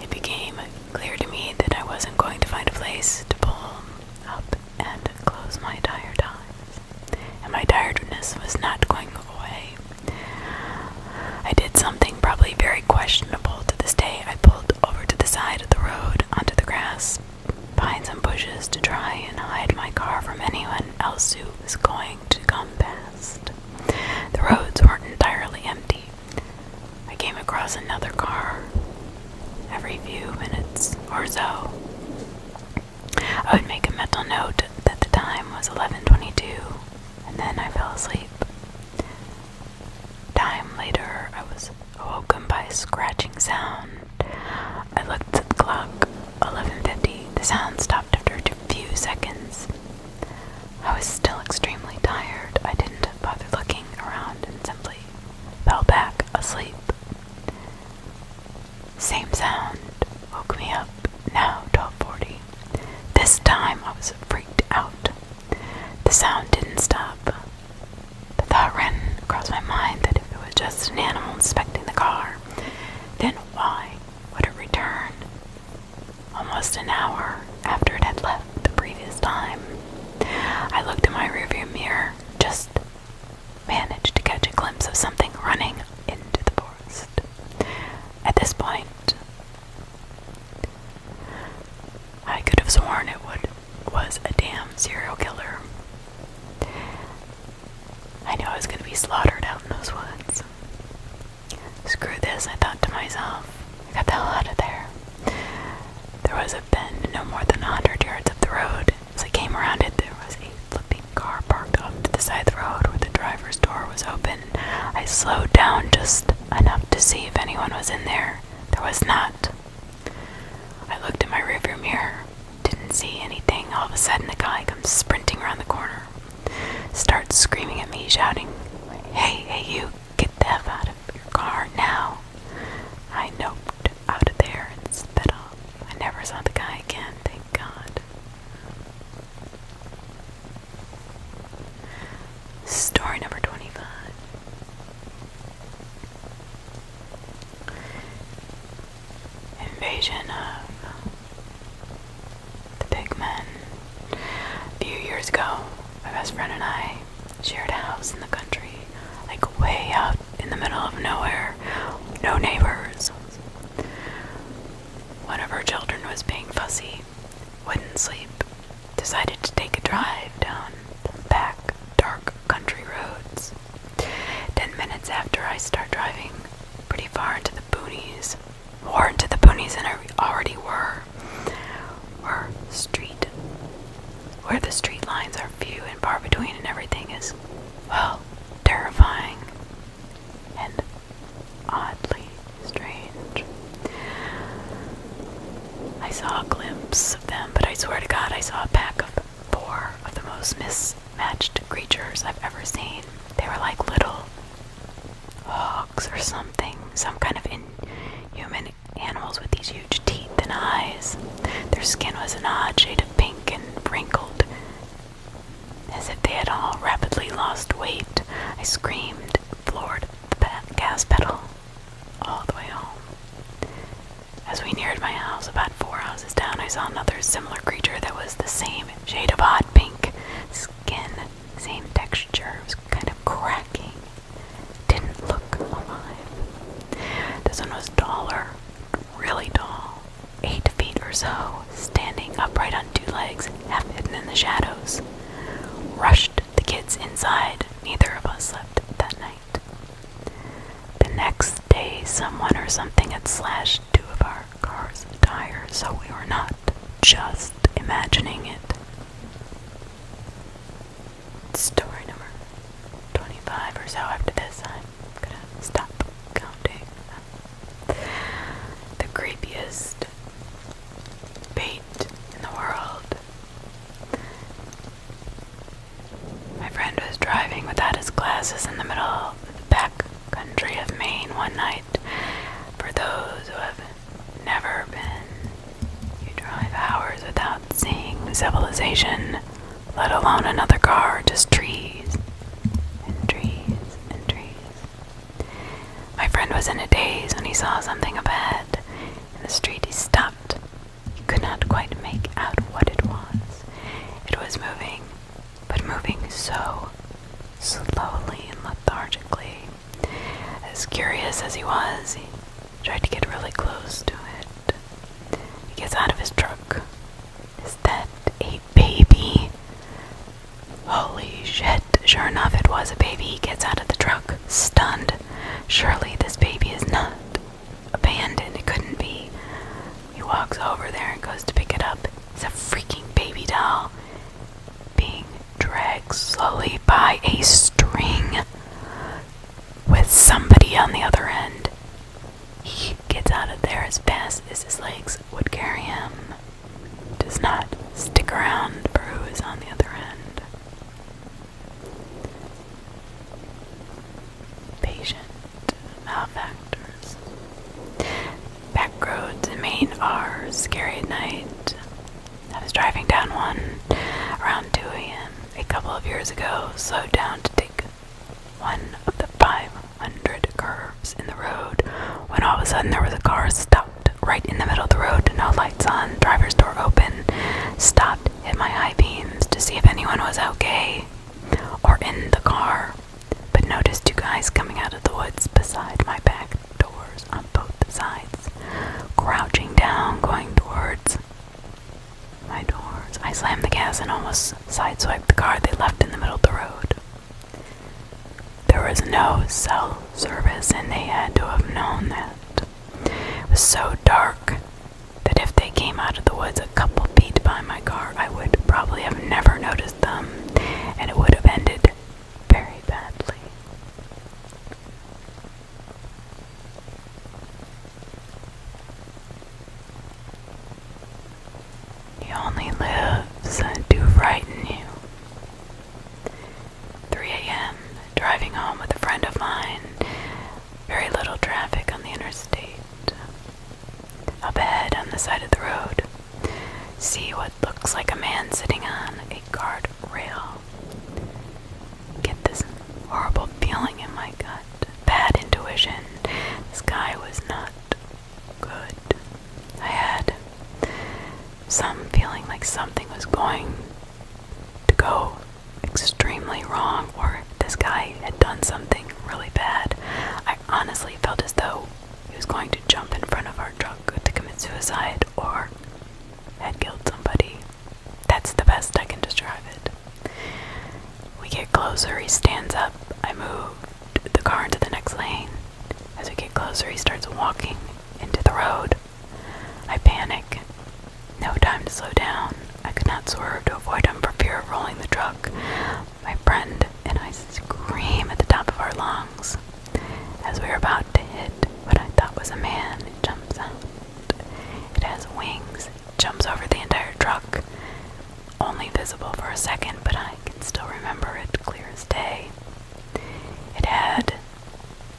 It became clear to me that I wasn't going to find a place to pull up and close my entire time and my tiredness was not going away. I did something probably very questionable to this day. I pulled over to the side of the road onto the grass behind some bushes to try and hide my car from anyone else who was going to come past. The roads weren't entirely empty. I came across another car every few minutes or so. I would make a mental note that the time was 11:22, and then I fell asleep. Time later, I was awoken by a scratching sound. I looked at the clock. 11:50. The sound stopped after a few seconds. I was still extremely tired. I didn't bother looking around and simply fell back asleep. Same sound woke me up, now 12:40. This time I was freaked out. The sound didn't stop. The thought ran across my mind that if it was just an animal inspecting the car, then why would it return almost an hour after it had left the previous time? I looked in my rearview mirror just managed to catch a glimpse of something running into the forest. At this point, I could have sworn it was a damn serial killer. I knew I was going to be slaughtered out in those woods. Screw this, I thought to myself. I got the hell out of there. There was a bend no more than a hundred yards up the road, as I came around it, there was a flipping car parked up to the side of the road where the driver's door was open. I slowed down just enough to see if anyone was in there. There was not. I looked in my rearview mirror, didn't see anything. All of a sudden, a guy comes sprinting around the corner, starts screaming at me, shouting, Hey, hey, you, get the F out of your car now. I noped out of there and sped off. I never saw the guy again, thank God. Story number 25. Invasion of the Pigmen. A few years ago, my best friend and I shared a house in the country, like way out in the middle of nowhere. No neighbors, one of her children was being fussy, wouldn't sleep, decided to take a drive down back dark country roads. Ten minutes after I start driving, pretty far into the boonies, more into the boonies than I already were, were street, where the street lines are few and far between and everything is, well, terrifying and oddly strange. I saw a glimpse of them, but I swear to God, I saw a pack of four of the most mismatched creatures I've ever seen. They were like little hogs or something, some kind of inhuman animals with these huge teeth and eyes. Their skin was an odd shade of pink and wrinkled as if they had all rapidly lost weight, I screamed, floored the gas pedal all the way home. As we neared my house, about four houses down, I saw another similar creature that was the same shade of hot pink skin, same texture. was kind of cracking. Didn't look alive. This one was taller, really tall, eight feet or so, standing upright on two legs, half hidden in the shadows. Rushed the kids inside. Neither of us slept that night. The next day, someone or something had slashed two of our car's tires, so we were not just imagining it. Story number 25 or so after this, I I'm gonna stop counting. The creepiest paint in the world. My friend was driving without his glasses in the middle of the back country of Maine one night. For those who have never been, you drive hours without seeing civilization, let alone another car, just trees, my friend was in a daze when he saw something ahead. In the street he stopped. He could not quite make out what it was. It was moving, but moving so slowly and lethargically. As curious as he was, he tried to get really close to it. He gets out of his truck. Is that a baby. Holy shit. Sure enough, it was a baby. He gets out of the truck, stunned. Surely this baby is not abandoned. It couldn't be. He walks over there and goes to pick it up. It's a freaking baby doll being dragged slowly by a string with somebody on the other end. He gets out of there as fast as his legs would carry him. Does not stick around for who is on the other end. Patient malefactors. Backroads in main are scary at night. I was driving down one around 2 a.m. a couple of years ago, slowed down to take one of the 500 curves in the road when all of a sudden there was a car stopped right in the middle of the road, no lights on, driver's door open. Stopped, hit my high beams to see if anyone was okay or in the car, but noticed two guys coming out of the woods beside my back doors on both sides, crouching down, going towards my doors. I slammed the gas and almost sideswiped the car they left in the middle of the road. There was no cell service, and they had to have known that. It was so dark that if they came out of the woods a couple feet by my car, I would probably have never noticed them, and it would have ended very badly. He only lives to frighten you. 3 a.m. Driving home with a friend of mine. Very little traffic on the interstate. Up ahead on the side of the road. See what looks like a man sitting on a guard rail. Get this horrible feeling in my gut. Bad intuition. This guy was not good. I had some feeling like something was going to go extremely wrong, or this guy had done something really bad. I honestly felt as though he was going to jump in front of our truck to commit suicide or had killed somebody. That's the best I can describe it. We get closer, he stands up. I move the car into the next lane. As we get closer, he starts walking into the road. I panic. No time to slow down. I could not swerve to avoid him for fear of rolling the truck. My friend and I scream at the top of our lungs. As we are about to hit what I thought was a man, it jumps out. It has wings, it jumps over the entire truck only visible for a second, but I can still remember it clear as day. It had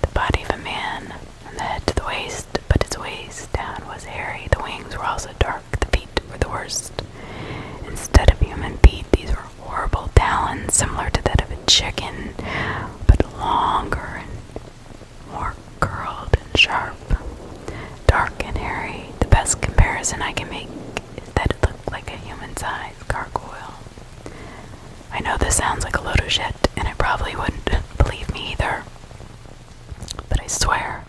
the body of a man and the head to the waist, but its waist down was hairy. The wings were also dark, the feet were the worst. Instead of human feet, these were horrible talons similar to that of a chicken, but longer and more curled and sharp. Dark and hairy. The best comparison I can make is that it looked like a human-sized gargoyle. I know this sounds like a load of shit, and it probably wouldn't believe me either. But I swear,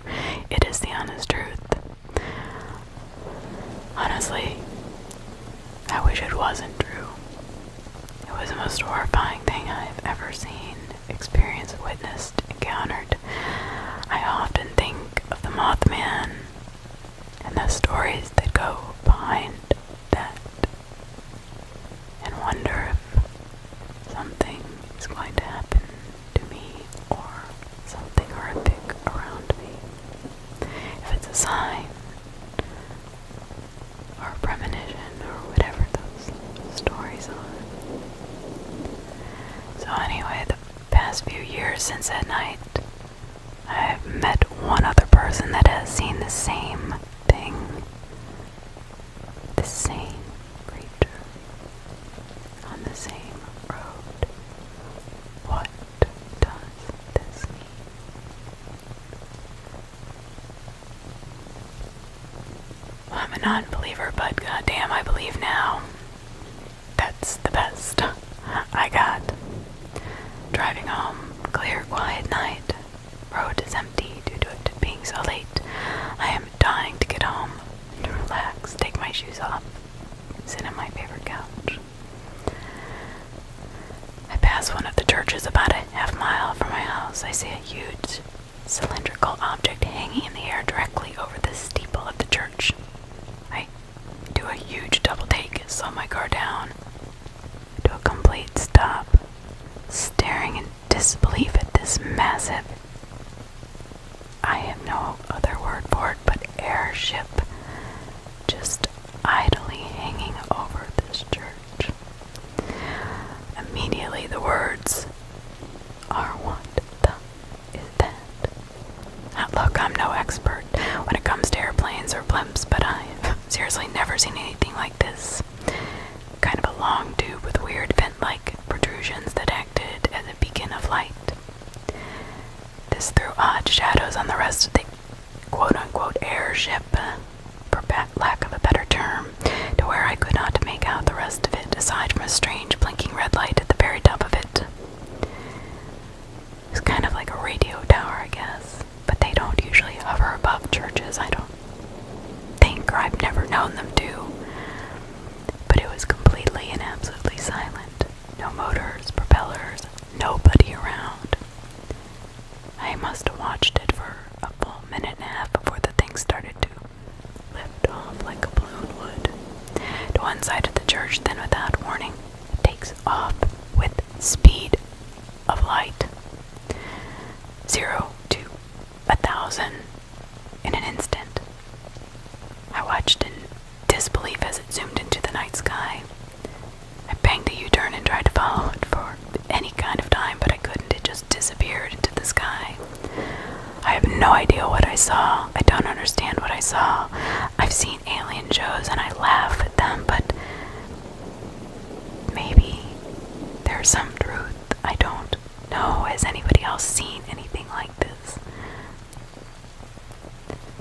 it is the honest truth. Honestly, I wish it wasn't true. It was the most horrifying thing I've ever seen, experienced, witnessed, encountered. I often think of the Mothman and the stories that go behind that, and wonder if something is going to happen to me or something horrific around me. If it's a sign or premonition or whatever those stories are. So, anyway, the past few years since that night, I've met one other person that has seen the same thing. The same creature on the same road. What does this mean? I'm a non believer, but goddamn, I believe now. That's the best I got. Driving home, clear, quiet night. Road is empty due to it being so late. I am dying to get home, to relax, take my shoes off, sit on my favorite couch. I pass one of the churches about a half mile from my house. I see a huge cylindrical object hanging in the air directly over the steeple of the church. I do a huge double take, slow my car down to a complete stop, staring in disbelief at this massive. I have no other word for it but airship just idly hanging over this church. Immediately the words are what the Look, I'm no expert when it comes to airplanes or blimps, but I've seriously never seen anything like this. Kind of a long tube with weird vent like protrusions that acted as a beacon of light. This threw odd shadows on the rest of the quote unquote airship, uh, for lack of a better term, to where I could not make out the rest of it aside from a strange blinking red light at the very top of it. It's kind of like a radio tower, I guess. But they don't usually hover above churches, I don't think, or I've never known them to. But it was completely and absolutely silent. No motors, propellers, nobody around. I must have watched it for a full minute and a half before the thing started to lift off like a balloon would. To one side of the church, then without warning, it takes up with speed of light. Zero to a thousand in an instant. I watched in disbelief as it zoomed into the night sky. I banged a U turn and tried to follow it for any kind of time, but I couldn't. It just disappeared into the sky. I have no idea what I saw. I don't understand what I saw. I've seen aliens and I laugh at them, but maybe there's some truth. I don't know. Has anybody else seen anything like this?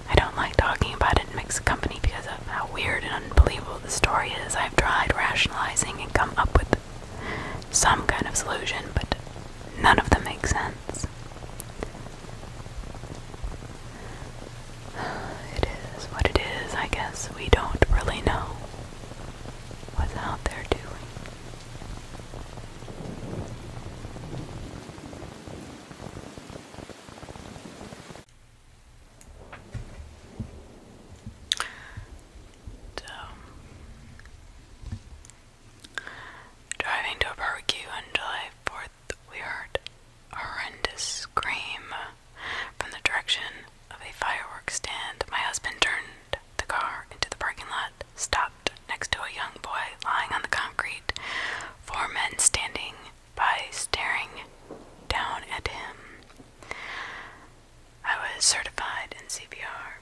I don't like talking about it in mixed company because of how weird and unbelievable the story is. I've tried rationalizing and come up with some kind of solution, but none of them make sense. It is what it is, I guess. We don't really know what's out there doing. So, driving to a barbecue on July 4 we heard a horrendous scream from the direction of a fireworks stand. My husband turned the car into the parking lot, stopped next to a young boy lying on the concrete, four men standing by staring down at him. I was certified in CPR.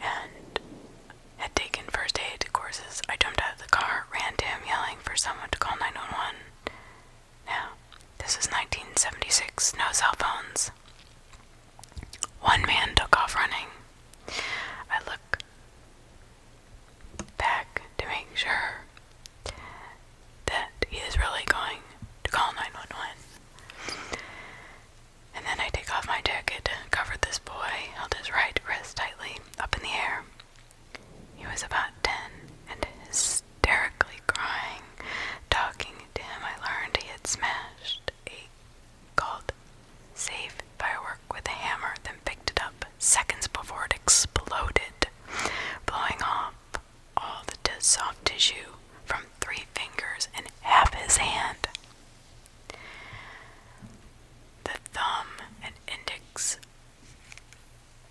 And had taken first aid courses, I jumped out of the car, ran to him, yelling for someone to call 911. Now, this is 1976, no cell phones. One man took off running. I look back to make sure that he is really going to call 911. And then I take off my jacket, covered this boy, held his right wrist tightly up in the air. He was about ten and hysterically crying. Talking to him, I learned he had smashed a called safe firework with a hammer, then picked it up seconds before it exploded, blowing off all the soft tissue from three fingers and half his hand. The thumb and index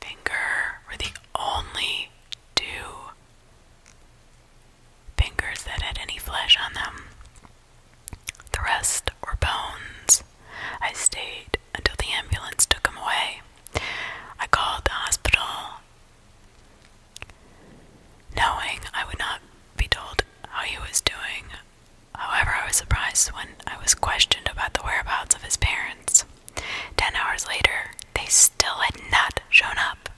finger were the only two fingers that had any flesh on them. The rest were bones. I stayed until the ambulance took him away. I called the hospital, knowing I would not be told how he was doing. However, I was surprised when I was questioned about the whereabouts of his parents. Ten hours later, they still had not shown up.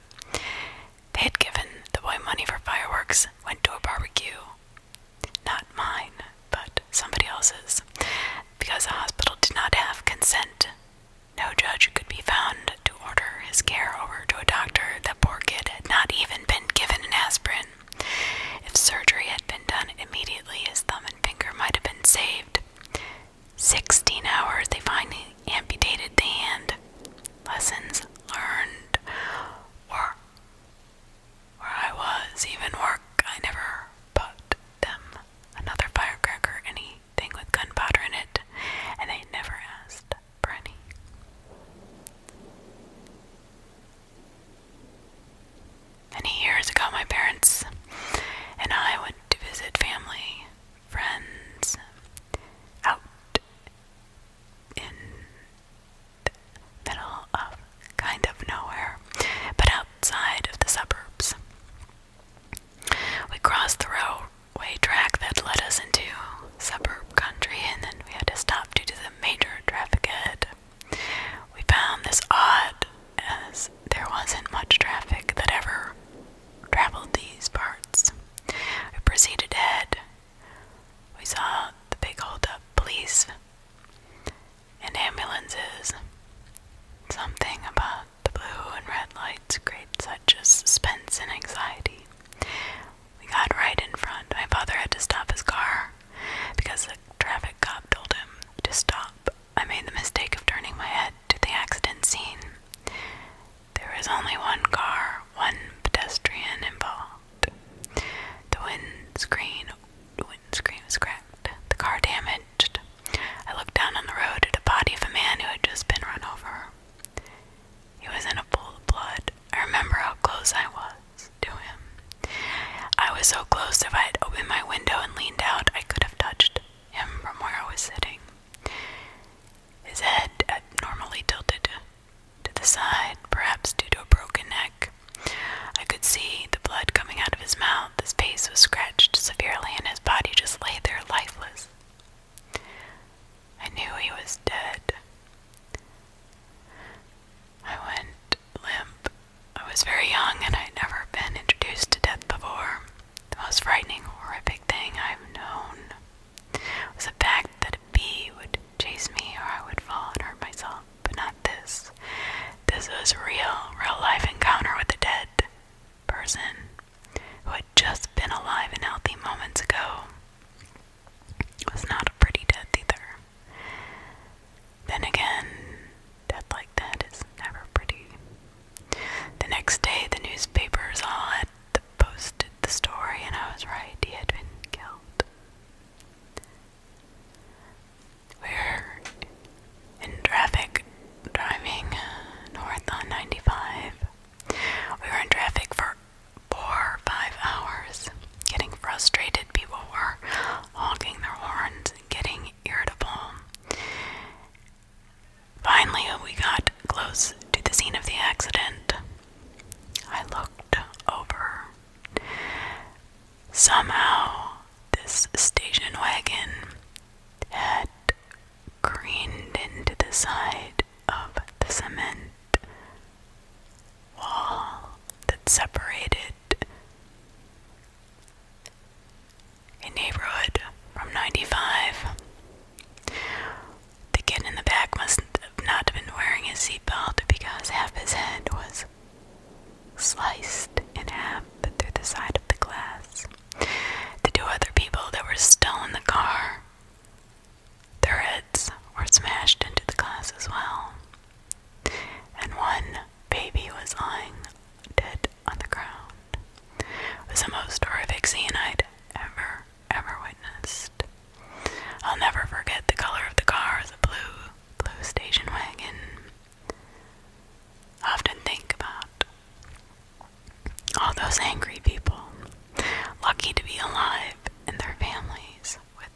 They had given the boy money for fireworks, went to a barbecue. Not mine, but somebody else's. Because the hospital did not have consent, no judge could be found to order his care over to a doctor. The poor kid had not even been given an aspirin. If surgery had been done immediately, his thumb and finger might have been saved. Sixteen hours, they finally amputated the hand. Lessons learned, work. where I was, even work, I never bought them another firecracker, anything with gunpowder in it, and they never asked. Many years ago, my parents and I went to visit family, friends, out in the middle of kind of nowhere, but outside of the suburbs. We crossed the railway track that led us into suburb country, and then we had to stop due to the major traffic ahead. We found this odd as there wasn't much traffic that ever traveled these parts. We proceeded ahead. We saw the big old police and ambulances. Something about the blue and red lights created such a suspense and anxiety. We got right in front. My father had to stop his car because the traffic cop told him to stop. I made the mistake of turning my head to the accident scene. There was only one car, one pedestrian involved. The windscreen, the windscreen was cracked, the car damaged. I looked down on the road at the body of a man who had just been run over. He was in a pool of blood. I remember how close I was to him. I was so close if I had opened my window and leaned out, I could have touched him from where I was sitting. His head abnormally tilted to the side, perhaps due to a broken neck. I could see the blood coming out of his mouth, his face was scratched severely, and his body just lay there lifeless. I knew he was dead. I went limp. I was very young and I'd never been introduced to death before. The most frightening, horrific thing I've known was the fact that a bee would chase me or I would fall and hurt myself, but not this. This was real, real life encounter with a dead person who had just been alive and healthy moments ago was not a pretty death either. Then again, death like that is never pretty. The next day, the newspapers all had posted the story, and I was right, he had been killed. We're in traffic driving north on 95. We were in traffic for four or five hours, getting frustrated. People were honking their horns, getting irritable. Finally, we got close to the scene of the accident. I looked over. Somehow, this station wagon had careened into the side of the cement wall that separated a neighborhood from 95. The kid in the back must not have been wearing his seatbelt because half his head was sliced in half through the side of the glass. The two other people that were still in the car their heads were smashed into the glass as well, and one baby was lying dead on the ground. It was the most horrific scene I'd ever, ever witnessed. I'll never forget the color of the car the blue, blue station wagon. I often think about all those angry people, lucky to be alive and their families with.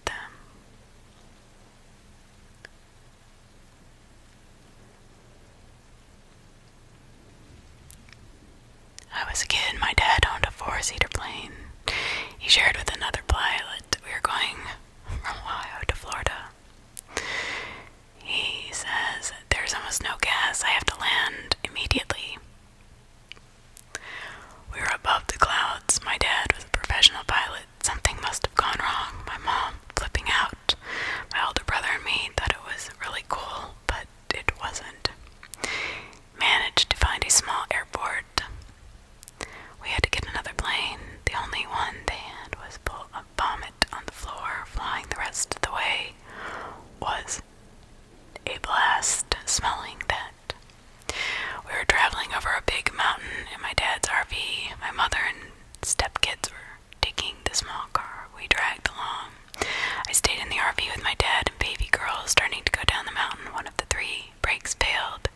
I was a kid, my dad owned a four seater plane. He shared with another pilot. We were going from Ohio to Florida. He says, There's almost no gas. I have to land immediately. We were above the clouds. My dad was a professional pilot. Something must have gone wrong. My mom flipping out. My older brother and me thought it was really cool, but it wasn't. Managed to find a small airport. We had to get another plane. The only one they had was full of vomit on the floor. Flying the rest of the way was a blast. Smelling that we were traveling over a big mountain in my dad's RV. My mother and stepkids were taking the small car we dragged along. I stayed in the RV with my dad and baby girls, starting to go down the mountain. One of the three brakes failed.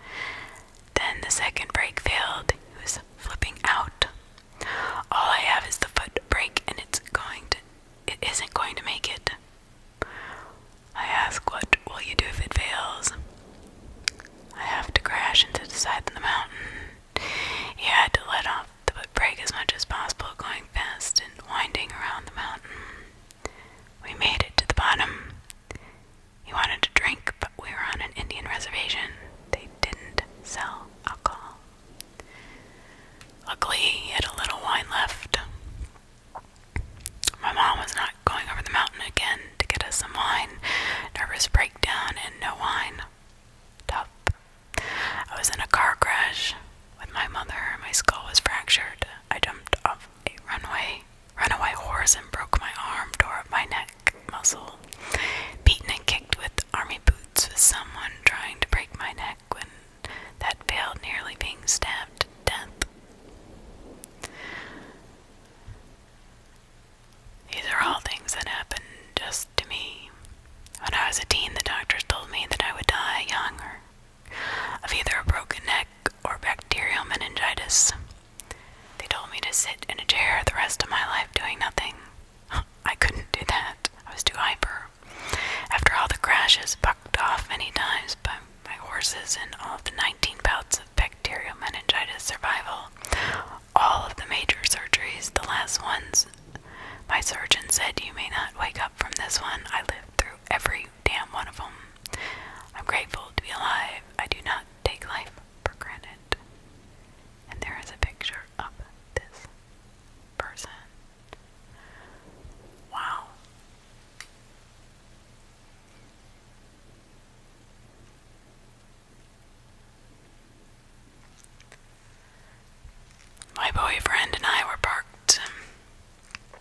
Then the second brake failed. He was flipping out. All I have is the foot brake, and it's going to. It isn't going to make it. I ask, What will you do if it fails? I have to crash into the side of the mountain. He had to let off the brake as much as possible, going fast and winding around the mountain. We made it to the bottom. He wanted to drink, but we were on an Indian reservation. They didn't sell alcohol. Luckily, he had a little wine left. My mom was not going over the mountain again to get us some wine. Nervous breakdown and no wine. Tough. I was in a car crash with my mother. My skull was fractured. I jumped off a runway, runaway horse, and broke my arm, tore up my neck muscle. Beaten and kicked with army boots with someone trying to break my neck when that failed, nearly being stabbed to death. These are all things that happened just to me. When I was a teen, the doctors told me that I would die young of either a broken neck or bacterial meningitis. They told me to sit in a chair the rest of my life doing nothing. I couldn't do that. I was too hyper. After all the crashes, bucked off many times but. My horses and all of the 19 bouts of bacterial meningitis survival. All of the major surgeries, the last ones, my surgeon said, You may not wake up from this one. I lived through every damn one of them. I'm grateful to be alive. I do not take life for granted. And there is a picture of this person. Wow. My boyfriend and I were parked um,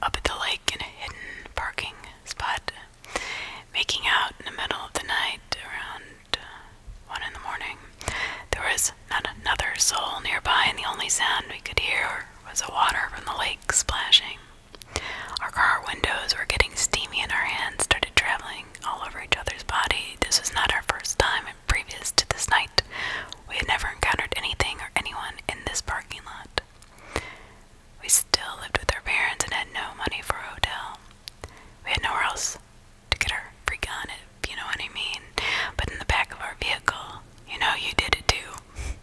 up at the lake in a hidden parking spot, making out in the middle of the night around uh, one in the morning. There was not another soul nearby, and the only sound we could hear was the water from the lake splashing. Our car windows were getting steamy and our hands started traveling all over each other's body. This was not our first time, and previous to this night, we had never encountered anything or anyone in this parking lot. We still lived with our parents and had no money for a hotel. We had nowhere else to get our free gun, if you know what I mean. But in the back of our vehicle, you know you did it too.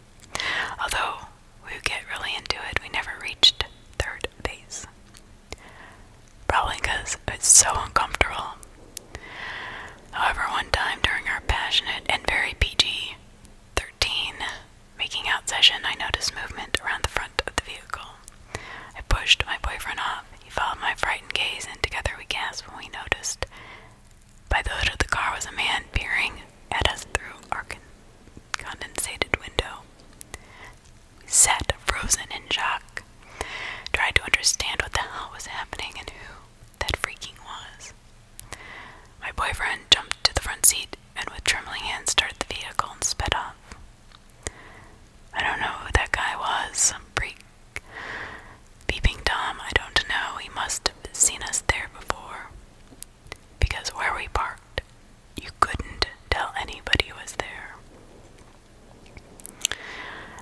Although we get really into it. We never reached third base. Probably because it's so uncomfortable. However, one time during our passionate and very PG 13 making out session, I noticed movement around the front of the vehicle. I pushed my boyfriend off. He followed my frightened gaze, and together we gasped when we noticed by the hood of the car was a man peering at us through our con condensated window. We sat frozen in shock, tried to understand what the hell was happening and who that freaking was. My boyfriend jumped to the front seat and with trembling hands started the vehicle and sped off. I don't know who that guy was, some freak. Beeping Tom, I don't know, he must have seen us there before because where we parked, you couldn't tell anybody was there.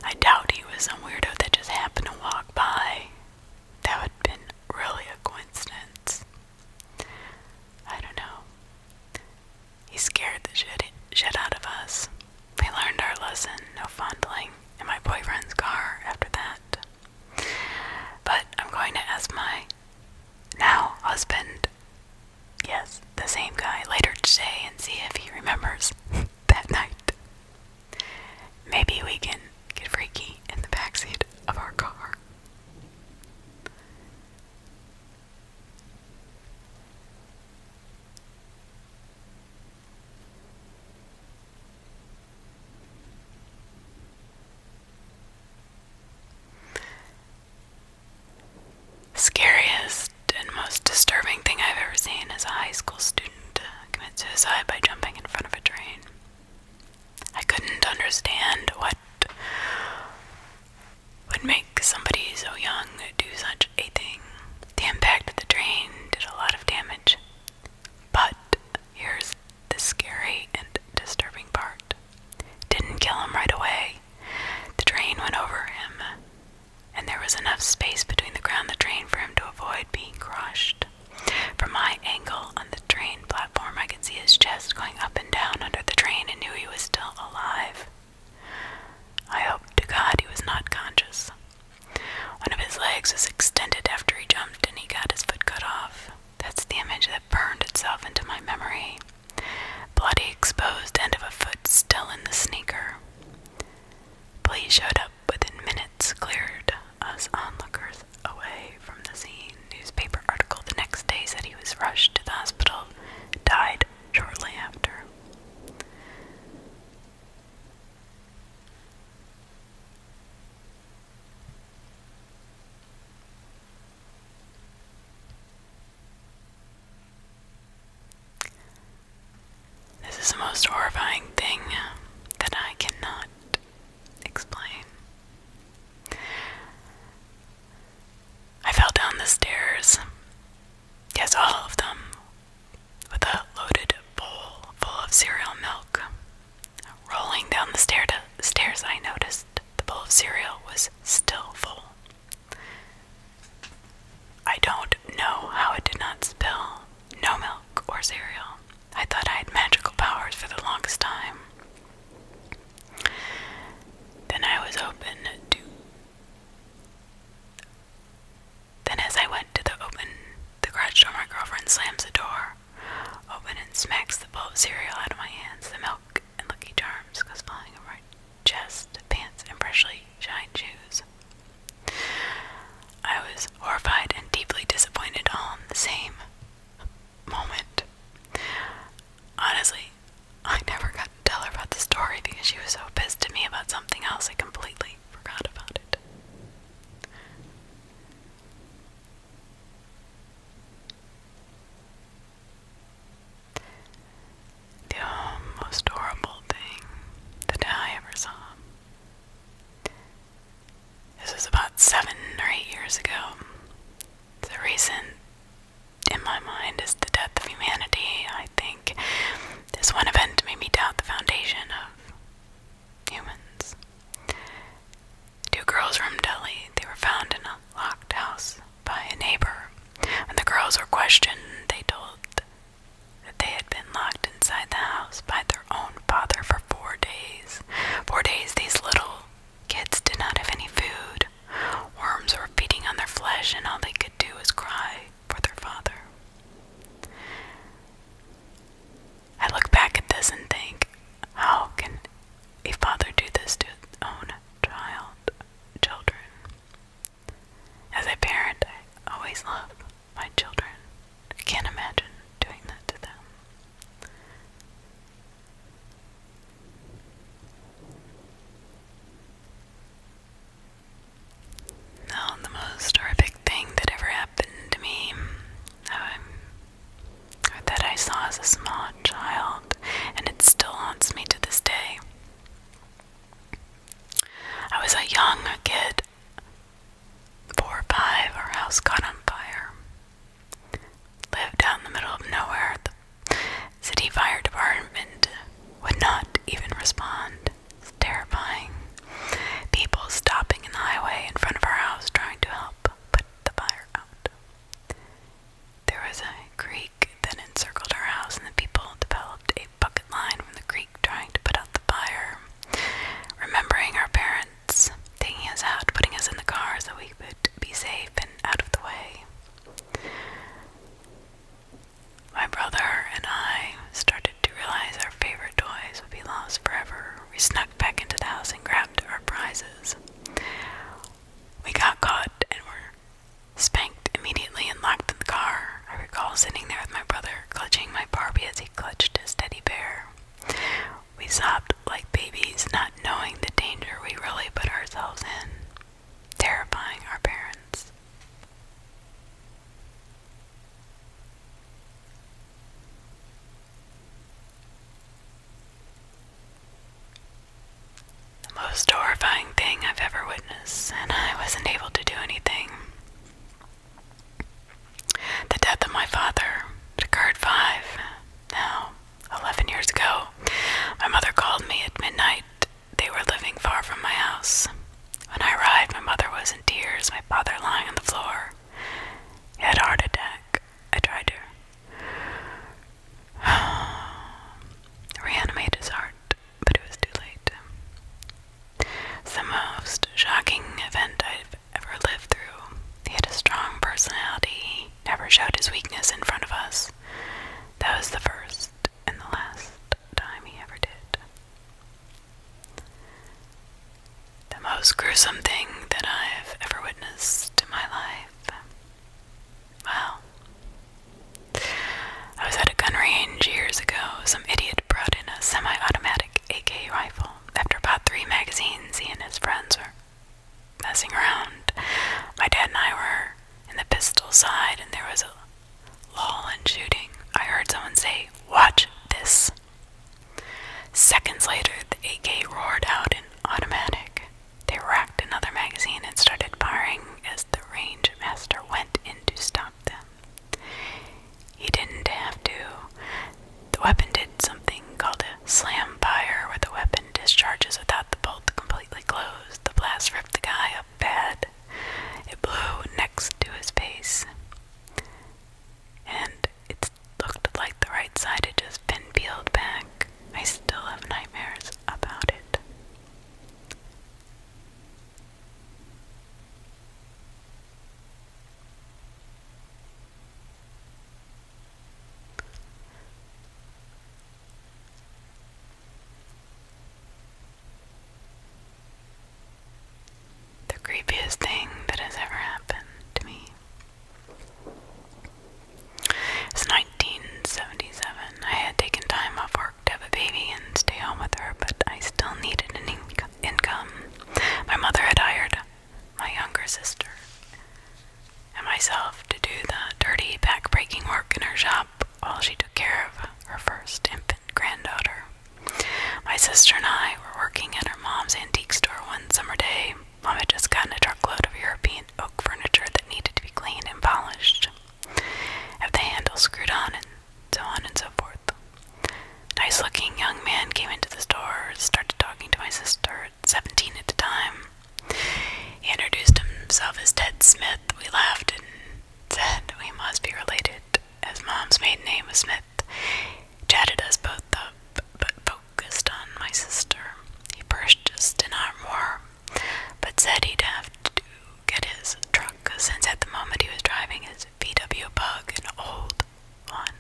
I doubt he was some weirdo that just happened to walk by. That would have been really a coincidence. I don't know. He scared the shit, shit out of us. We learned our lesson no fondling in my boyfriend's car after that. But I'm going to ask my now husband, yes, the same guy, later today and see if he remembers that night. Maybe we can get freaky in the backseat of our car. Scariest and most disturbing thing I've ever seen is a high school student uh, commit suicide by jumping in front of a train. I couldn't understand what would make somebody so young do such a thing. The impact of the train did a lot of damage but here's the scary and disturbing part didn't kill him right away. The train went over him, and there was enough space between the ground and the train for him to avoid being crushed. From my angle on the train platform, I could see his chest going up and down under the train and knew he was still alive. I hope to God he was not conscious. One of his legs was extended after he jumped and he got his foot cut off. That's the image that burned itself into my memory. Bloody exposed end of a foot still in the sneaker. Police showed up within minutes, cleared us onlookers away from the scene. Newspaper article the next day said he was rushed to the hospital, died shortly after. This is the most horrifying thing that I cannot explain. I fell down the stairs, yes, all of them, with a loaded bowl full of cereal milk Rolling down the stairs, I noticed the bowl of cereal was still full. I don't know how it did not spill. No milk or cereal. I thought I had magical powers for the longest time. Then I was open to. Then, as I went to the open the garage door, my girlfriend slams the door open and smacks the bowl of cereal out of my hands. The milk and Lucky Charms goes flying over my chest, pants, and freshly shined shoes. I was horrified and deeply disappointed all in the same moment. Honestly, I never got to tell her about the story because she was so pissed at me about something else I completely forgot about it. The um, most horrible thing that I ever saw. This was about seven or eight years ago. The reason, in my mind, is the death of humanity. I think this one event made me doubt the foundation of humans. Two girls from Delhi, they were found in a locked house by a neighbor. When the girls were questioned, they told that they had been locked inside the house by their own father for four days. Four days these little kids did not have any food. Worms were feeding on their flesh, and all they could do was cry for their father. I look back at this and think, how can a father do this to his own child, children? As a parent, I always love my children. I can't imagine doing that to them. Now, the most horrific thing that ever happened to me, um, that I saw as a small child, and it still haunts me to this day. I was a young kid, four or five, our house caught on fire. Lived out the middle of nowhere. city fire department would not even respond. terrifying. People stopping in the highway in front of our house trying to help put the fire out. There was a creek that encircled our house, and the people developed a bucket line from the creek trying to put out the fire. Remembering our parents taking us out, putting us in the car so we could be safe and out of the way. My brother and I started to realize our favorite toys would be lost forever. We snuck back into the house and grabbed our prizes. We got caught and were spanked immediately and locked in the car. I recall sitting there with my brother, clutching my Barbie as he clutched his teddy bear. We sobbed like babies, not knowing the danger we really put ourselves in, terrifying our parents. The most horrifying thing I've ever witnessed, and I wasn't able to do anything. The death of my father occurred five, now eleven years ago. My mother called me at midnight. They were living far from my house. When I arrived, my mother was in tears, my father lying on the floor. had heart attack. I tried to reanimate his heart, but it was too late. the most shocking event I've ever lived through. He had a strong personality, he never showed his weakness in front of us. That was the first and the last time he ever did. The most gruesome thing that I've ever witnessed in my life Wow. I was at a gun range years ago. Some idiot brought in a semi automatic AK rifle. After about three magazines, he and his friends were messing around. My dad and I were in the pistol side, and there was a lull in shooting. I heard someone say, Watch this. Seconds later, the AK roared out an automatic. They racked another magazine and started firing as the range master went in to stop them. He didn't have to. The weapon did something called a slam fire, where the weapon discharges without the bolt completely closed. The blast ripped the guy up bad. It blew next to his face. And it looked like the right side had just been peeled back. I still have nightmares about it. The creepiest thing that has ever happened to me it's 1977. I had taken time off work to have a baby and stay home with her, but I still needed an income. My mother had hired my younger sister and myself to do the dirty, back-breaking work in her shop while she took care of her first infant granddaughter. My sister and I were working at our mom's antique store one summer day Mom had just gotten a truckload of European oak furniture that needed to be cleaned and polished, have the handle screwed on, and so on and so forth. Nice looking young man came into the store, started talking to my sister, 17 at the time. He introduced himself as Ted Smith. We laughed and said we must be related, as Mom's maiden name was Smith. Chatted us both up, focused on my sister. He purchased an armoire, but said he'd have to get his truck since at the moment he was driving his VW Bug, an old one.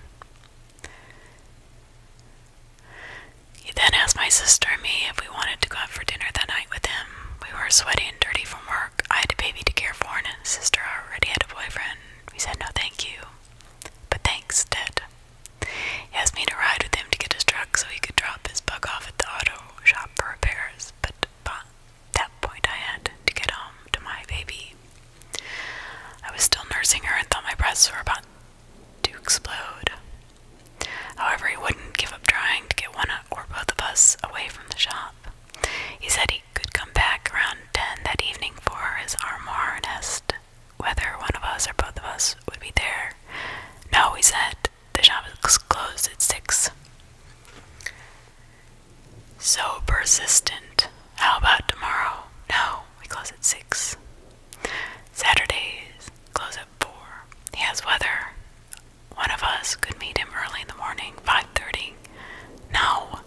He then asked my sister and me if we wanted to go out for dinner that night with him. We were sweaty and dirty from work. I had a baby to care for, and his sister already had a boyfriend. We said no, thank you. But thanks, Ted. He asked me to ride with him to get his truck so he could drop his bug off at the auto shop for repairs, but by that point I had to get home to my baby. I was still nursing her and thought my breasts were about to explode. However, he wouldn't give up trying to get one or both of us away from the shop. He said he could come back around 10 that evening for his armoire nest whether one of us or both of us would be there. No, we said. The shop is closed at six. So persistent. How about tomorrow? No, we close at six. Saturdays close at four. He has weather. One of us could meet him early in the morning, five thirty. No.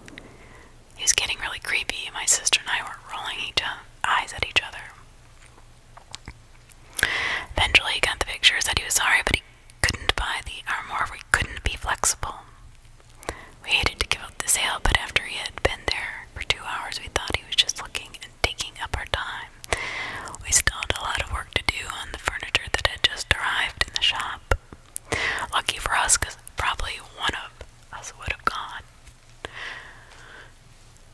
He's getting really creepy. My sister and I were rolling each other eyes at each other. Eventually, he got the picture, said he was sorry, but he couldn't buy the armoire, we couldn't be flexible. We hated to give up the sale, but after he had been there for two hours, we thought he was just looking and taking up our time. We still had a lot of work to do on the furniture that had just arrived in the shop. Lucky for us, because probably one of us would have gone.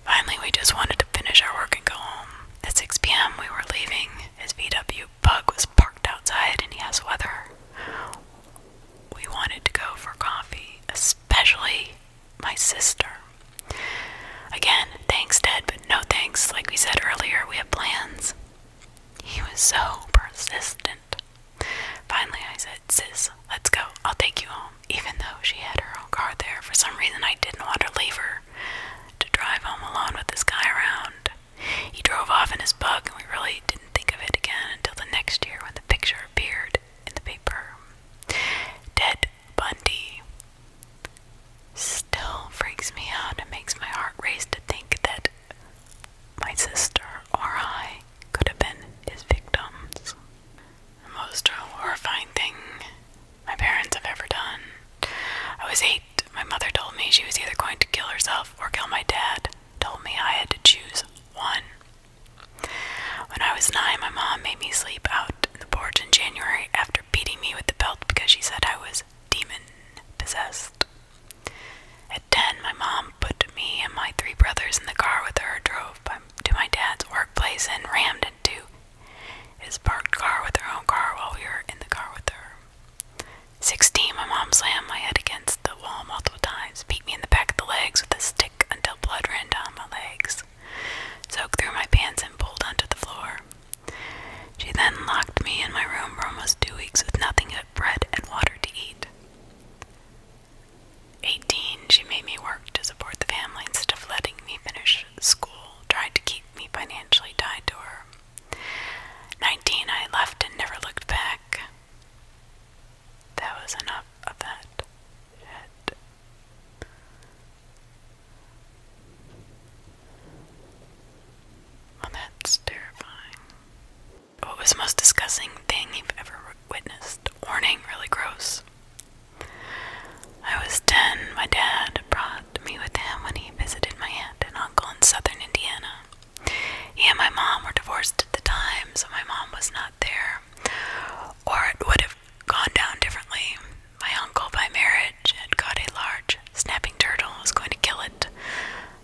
Finally, we just wanted to finish our work and go home. At 6 p.m., we were leaving. His VW bug was parked outside and he has weather. We wanted to go for coffee, especially my sister. Again, thanks, Dad, but no thanks. Like we said earlier, we have plans. He was so persistent. Finally, I said, Sis, let's go. I'll take you home even though she had her own car there. For some reason, I didn't want to leave her to drive home alone with this guy around. He drove off in his bug, and we really didn't think of it again until the next year when the picture appeared in the paper. Ted Bundy still freaks me out and makes my heart race to think that my sister or I could have been his victims most horrifying thing my parents have ever done. I was eight. My mother told me she was either going to kill herself or kill my dad. Told me I had to choose one. When I was nine, my mom made me sleep out in the porch in January after beating me with the belt because she said I was demon possessed. At 10, my mom put me and my three brothers in the car with her, drove to my dad's workplace, and rammed into his parked car with her own car while we were in the car with her. 16. My mom slammed my head against the wall multiple times, beat me in the back of the legs with a stick until blood ran down my legs, soaked through my pants, and pulled onto the floor. She then locked me in my room for almost two weeks with nothing but bread and water to eat. 18, she made me work to support the family instead of letting me finish school, tried to keep me financially tied to her. 19, I left and never looked back. That was enough of that. Shit. Well, that's terrifying. What was most disgusting thing you've ever witnessed? Warning, really gross. I was ten. My dad brought me with him when he visited my aunt and uncle in southern Indiana. He and my mom were divorced at the time, so my mom was not there, or it would have gone down differently. My uncle, by marriage, had got a large snapping turtle was going to kill it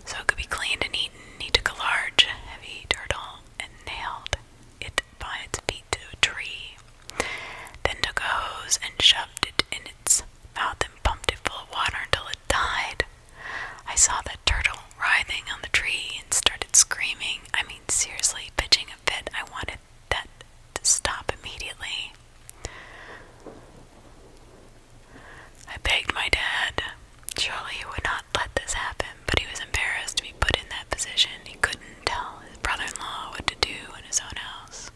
so it could be cleaned and eaten. He took a large, heavy turtle and nailed it by its feet to a tree, then took a hose and shoved it in its mouth and pumped it full of water until it died. I saw the turtle writhing on the tree and started screaming. I mean, seriously, pitching a fit. I wanted that to stop immediately. I begged my dad. Surely he would not let this happen, but he was embarrassed to be put in that position. He could not tell his brother-in-law what to do in his own house.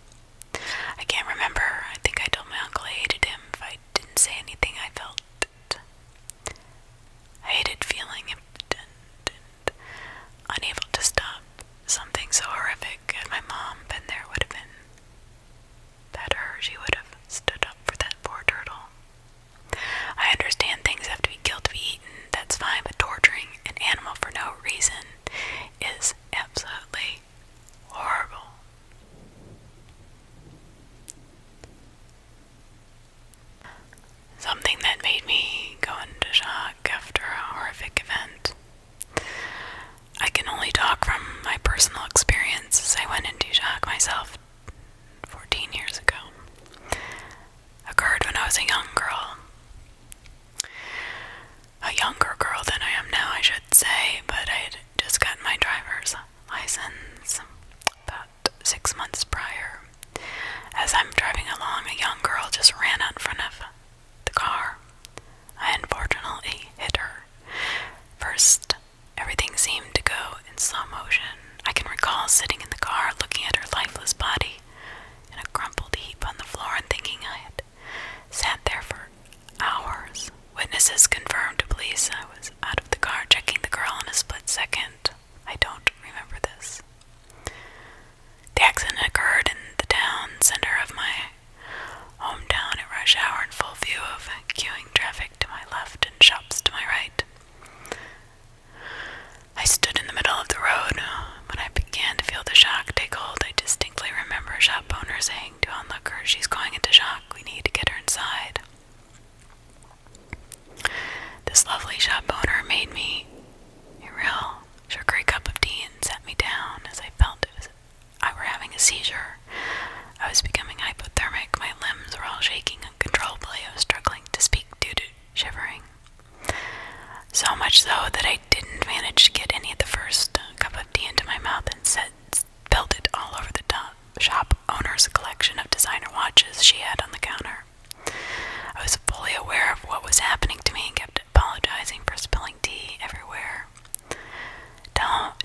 I can't remember. I think I told my uncle I hated him if I didn't say anything I felt. I hated feeling unable to stop. Something so horrific, had my mom been there, would have been better. She would have stood up for that poor turtle. I understand things have to be killed to be eaten, that's fine, but torturing an animal for no reason is absolutely horrible. Something that made me go into shock after a horrific event. I can only talk from my personal experience as I went into shock myself 14 years ago occurred when I was a young girl. A younger girl than I am now, I should say, but I had just gotten my driver's license about six months prior. As I'm driving along, a young girl just ran out in front of the car. I unfortunately hit her. First, everything seemed to go in slow motion. I can recall sitting in the car looking at her lifeless body in a crumpled heap on the floor and thinking I had sat there for hours. Witnesses confirmed to police I was out of the car checking the girl in a split second. I don't remember this. The accident occurred in the town center of my hometown at rush hour in full view of queuing traffic to my left and shops to my right. I stood in the middle of the road. When I began to feel the shock take hold, I distinctly remember a shop owner saying to an onlooker, She's going into shock. We need to get her inside. This lovely shop owner made me a real sugary cup of tea and sat me down as I felt it was I were having a seizure. I was becoming hypothermic. My limbs were all shaking uncontrollably. I was struggling to speak due to shivering. So much so that I didn't manage to get any of the first cup of tea into my mouth and spilled it all over the top shop owner's collection of designer watches she had on the counter. I was fully aware of what was happening to me and kept apologizing for spilling tea everywhere.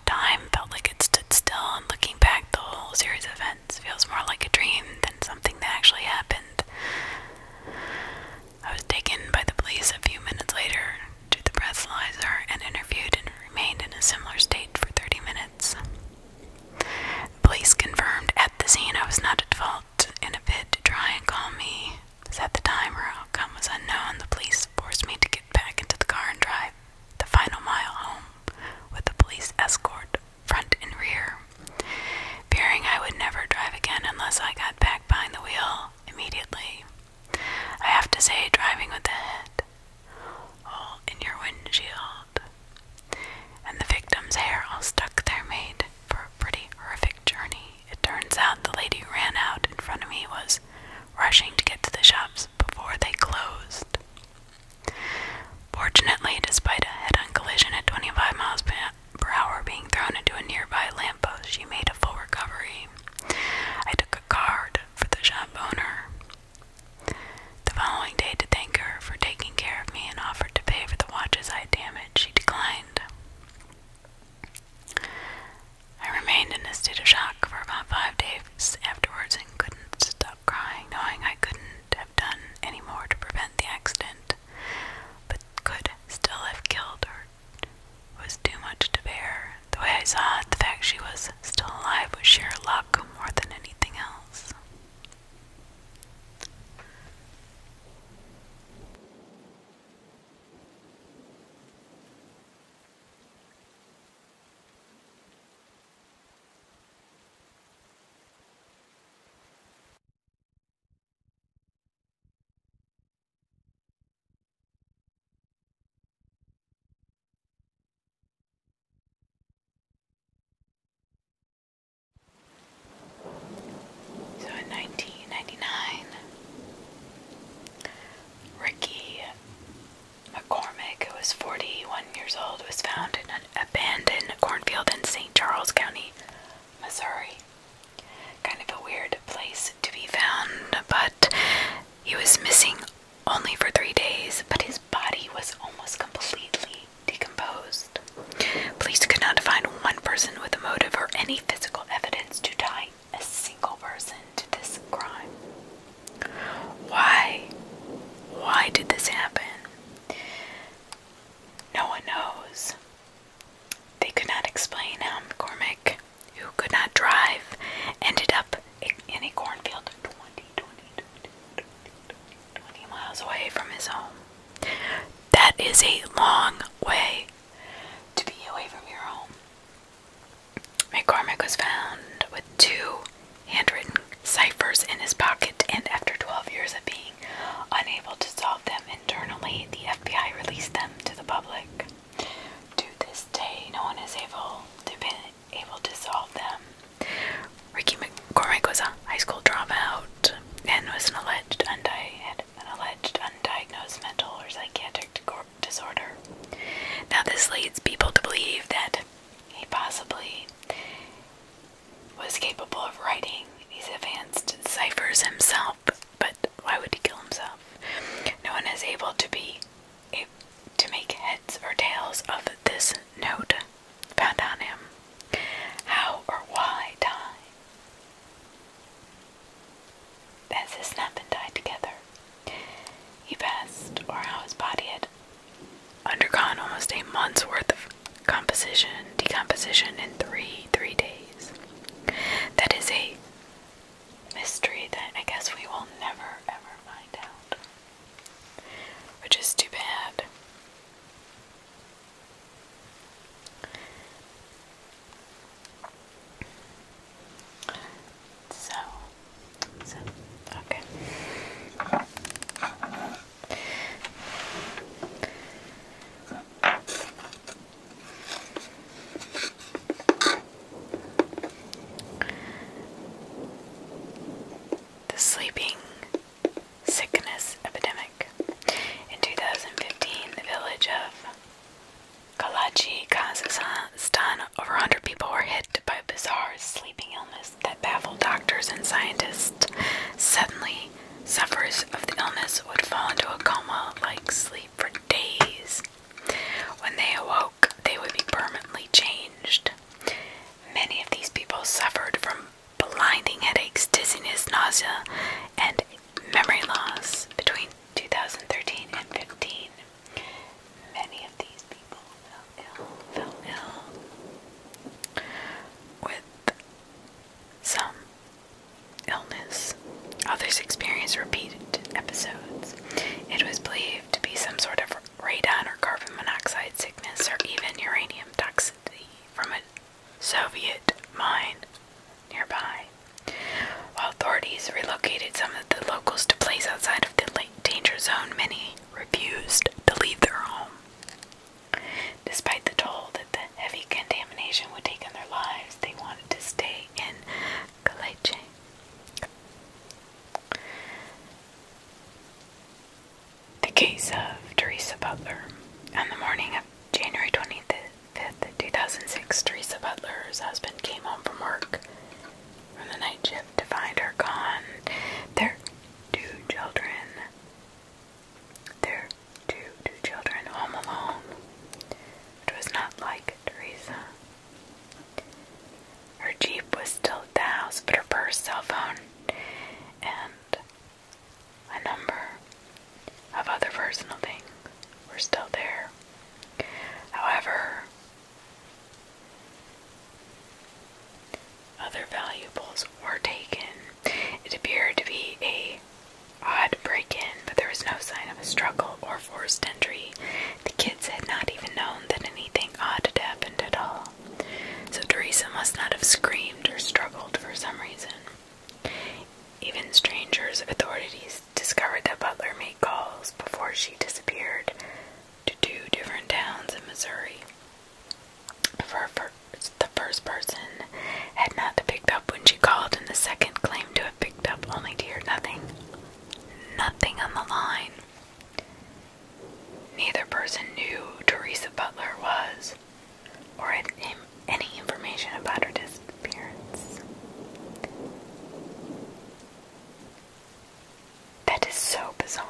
Time felt like it stood still, and looking back, the whole series of events feels more like a dream than something that actually happened. I was taken by the police a few minutes later to the breathalyzer and interviewed and remained in a similar state for 30 minutes. police confirmed at the scene I was not at fault in a bid to try and calm me, as the time her outcome was unknown, the police forced me to get back into the car and drive the final mile home with the police escort, front and rear fearing I would never drive again unless I got back behind the wheel immediately. I have to say, driving with the head in your windshield and the victim's hair all stuck there made for a pretty horrific journey. It turns out the lady who ran out in front of me was rushing to get to the shops before they closed. Fortunately, despite a head on collision at 25 miles per hour. Brower being thrown into a nearby lamppost, she made a full recovery. I took a card for the shop owner the following day to thank her for taking care of me and offered to pay for the watches I had damaged. She declined. I remained in a state of shock for about five days afterwards and couldn't stop crying, knowing I couldn't have done any more to prevent the accident left, but could still have killed her was too much to bear. The way I saw it, the fact she was still alive was sheer luck more than anything else. So in 1999, Ricky McCormick, who was 41 years old, was found in an abandoned cornfield in St. Charles County, Missouri. Kind of a weird place to be found, but he was missing only for three days, but his body was almost completely decomposed. Police could not find one person with a motive or any physical evidence to tie a single person to this crime. Why? Why did this happen? No one knows. They could not explain how McCormick, who could not drive, ended up in a cornfield 20, 20 miles away from his home. That is a long way to be away from your home. McCormick was found with two handwritten ciphers in his pocket, and after 12 years of being unable to solve them Internally, the FBI released them to the public. To this day, no one is able to been able to solve them. Ricky McCormick was a high school dropout and was an alleged undi an alleged undiagnosed mental or psychiatric disorder. Now, this leads people to believe that he possibly was capable of writing these advanced ciphers himself, but why would he kill himself? No one is able to be able to make heads or tails of this note found on him. How or why die? As his snap and died together. He passed, or how his body had undergone almost a month's worth of composition, decomposition in three, three days. That is a mystery that I guess we will never ever find out. Which is too bad. So, so, okay. The sleeping sickness epidemic. In 2015, the village of Kalachi, Kazakhstan, over 100 people were hit by a bizarre sleeping illness that baffled doctors and scientists. Suddenly, sufferers of the illness would fall into a coma like sleep for days. When they awoke, they would be permanently changed. Many of these people suffered from blinding headaches, dizziness, nausea, and memory loss between 2013 and 15. Many of these people fell ill, fell ill with some illness. Others experienced repeated episodes. It was believed to be some sort of radon or carbon monoxide sickness or even uranium toxicity from a Soviet mine nearby. While authorities relocated some of the locals to places outside of the danger zone, many refused to leave their home. Despite the toll that the heavy contamination would take on their lives, they wanted to stay in Caleche. The case of Teresa Butler. On the morning of January 25th, 2006, Teresa Butler's husband came home from work from the night shift to find her gone. Their two children, their to two children home alone. It was not like Teresa. Her Jeep was still at the house, but her purse, cell phone, and a number of other personal things were still there. However, other valuables were taken. It appeared to be a odd break in, but there was no sign of a struggle or forced entry. The kids had not even known that anything odd had happened at all. So Teresa must not have screamed or struggled for some reason. Even strangers, authorities discovered that Butler made calls before she disappeared to two different towns in Missouri. For first, the first person had not picked up when she called, and the second claimed to have picked up only to hear nothing. Nothing on the line. Neither person knew Teresa Butler was or had any information about her disappearance. That is so bizarre.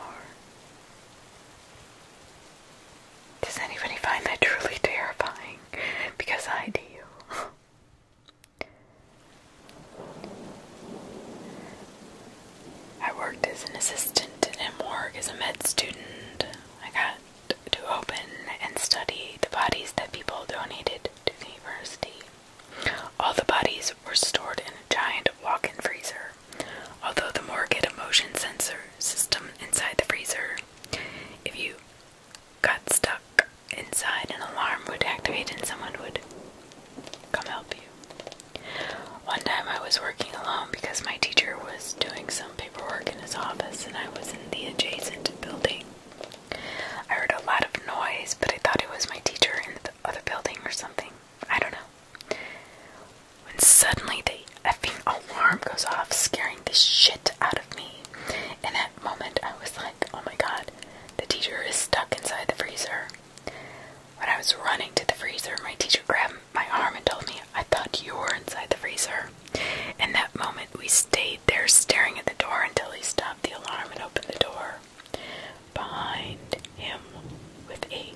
Does anybody find that truly terrifying? Because I do. I worked as an assistant in a morgue as a med student. I got to open and study the bodies that people donated to the university. All the bodies were stored in a giant walk in freezer, although the morgue had a motion sensor system inside the freezer. If you got stuck inside, an alarm would activate and someone would come help you. One time I was working alone because my teacher was doing some paperwork in his office and I was in the adjacent building. I heard a lot of noise, but I thought it was my teacher in the other building or something. I don't know. When suddenly the effing alarm goes off, scaring scaring the shit out of me. In that moment, I was like, oh my god, the teacher is stuck inside the freezer. When I was running to the freezer, my teacher grabbed my arm and told me, I thought you were inside the freezer. In that moment, we stayed there staring at the door until he stopped the alarm and opened the door. Behind him, with a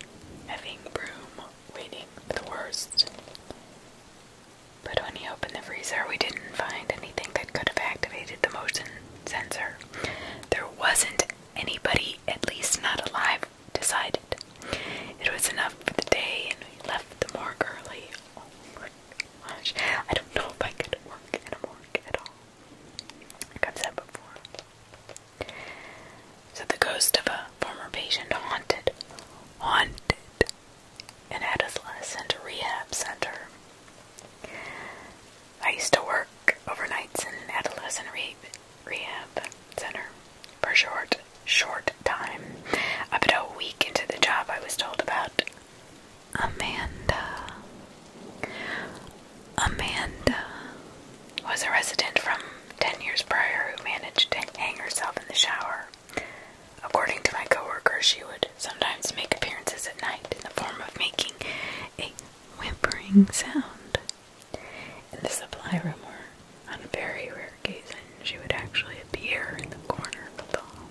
heavy broom, waiting for the worst. But when he opened the freezer, we didn't find anything that could have activated the motion sensor. There wasn't anybody, at least not alive, decided. It was enough for the day, and we left the morgue early. Oh my gosh, I don't know if I could work in a morgue at all. Like i said before. So the ghost of a former patient haunted, haunted an adolescent rehab center. I used to work overnights in an adolescent rehab center for a short, short time. Up to a week into the job, I was told about Amanda. Amanda was a resident from 10 years prior who managed to hang herself in the shower. According to my coworker, she would sometimes make appearances at night in the form of making a whimpering sound. In the supply room, or on a very rare occasion, she would actually appear in the corner of the hall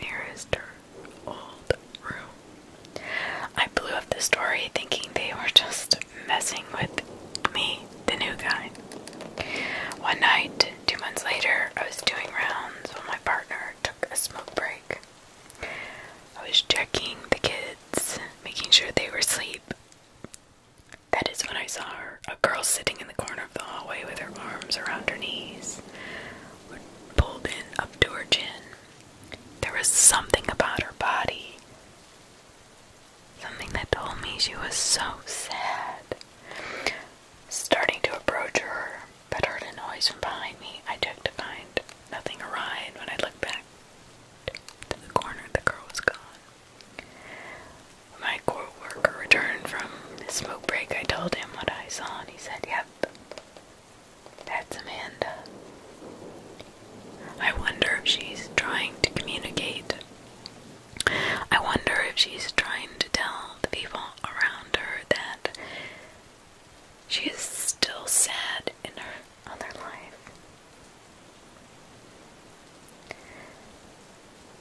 nearest her old room. I blew up the story thinking they were just messing with me, the new guy. One night, Two months later, I was doing rounds when my partner took a smoke break. I was checking the kids, making sure they were asleep. That is when I saw her, a girl sitting in the corner of the hallway with her arms around her knees, pulled in up to her chin. There was something about her body, something that told me she was so sad. Starting to approach her, but heard a noise from behind me. I checked to find nothing around when I looked back to the corner, the girl was gone. My coworker returned from his smoke break. I told him what I saw, and he said, "Yep, that's Amanda." I wonder if she's trying to communicate. I wonder if she's trying to tell the people around her that she is still sad in her other life.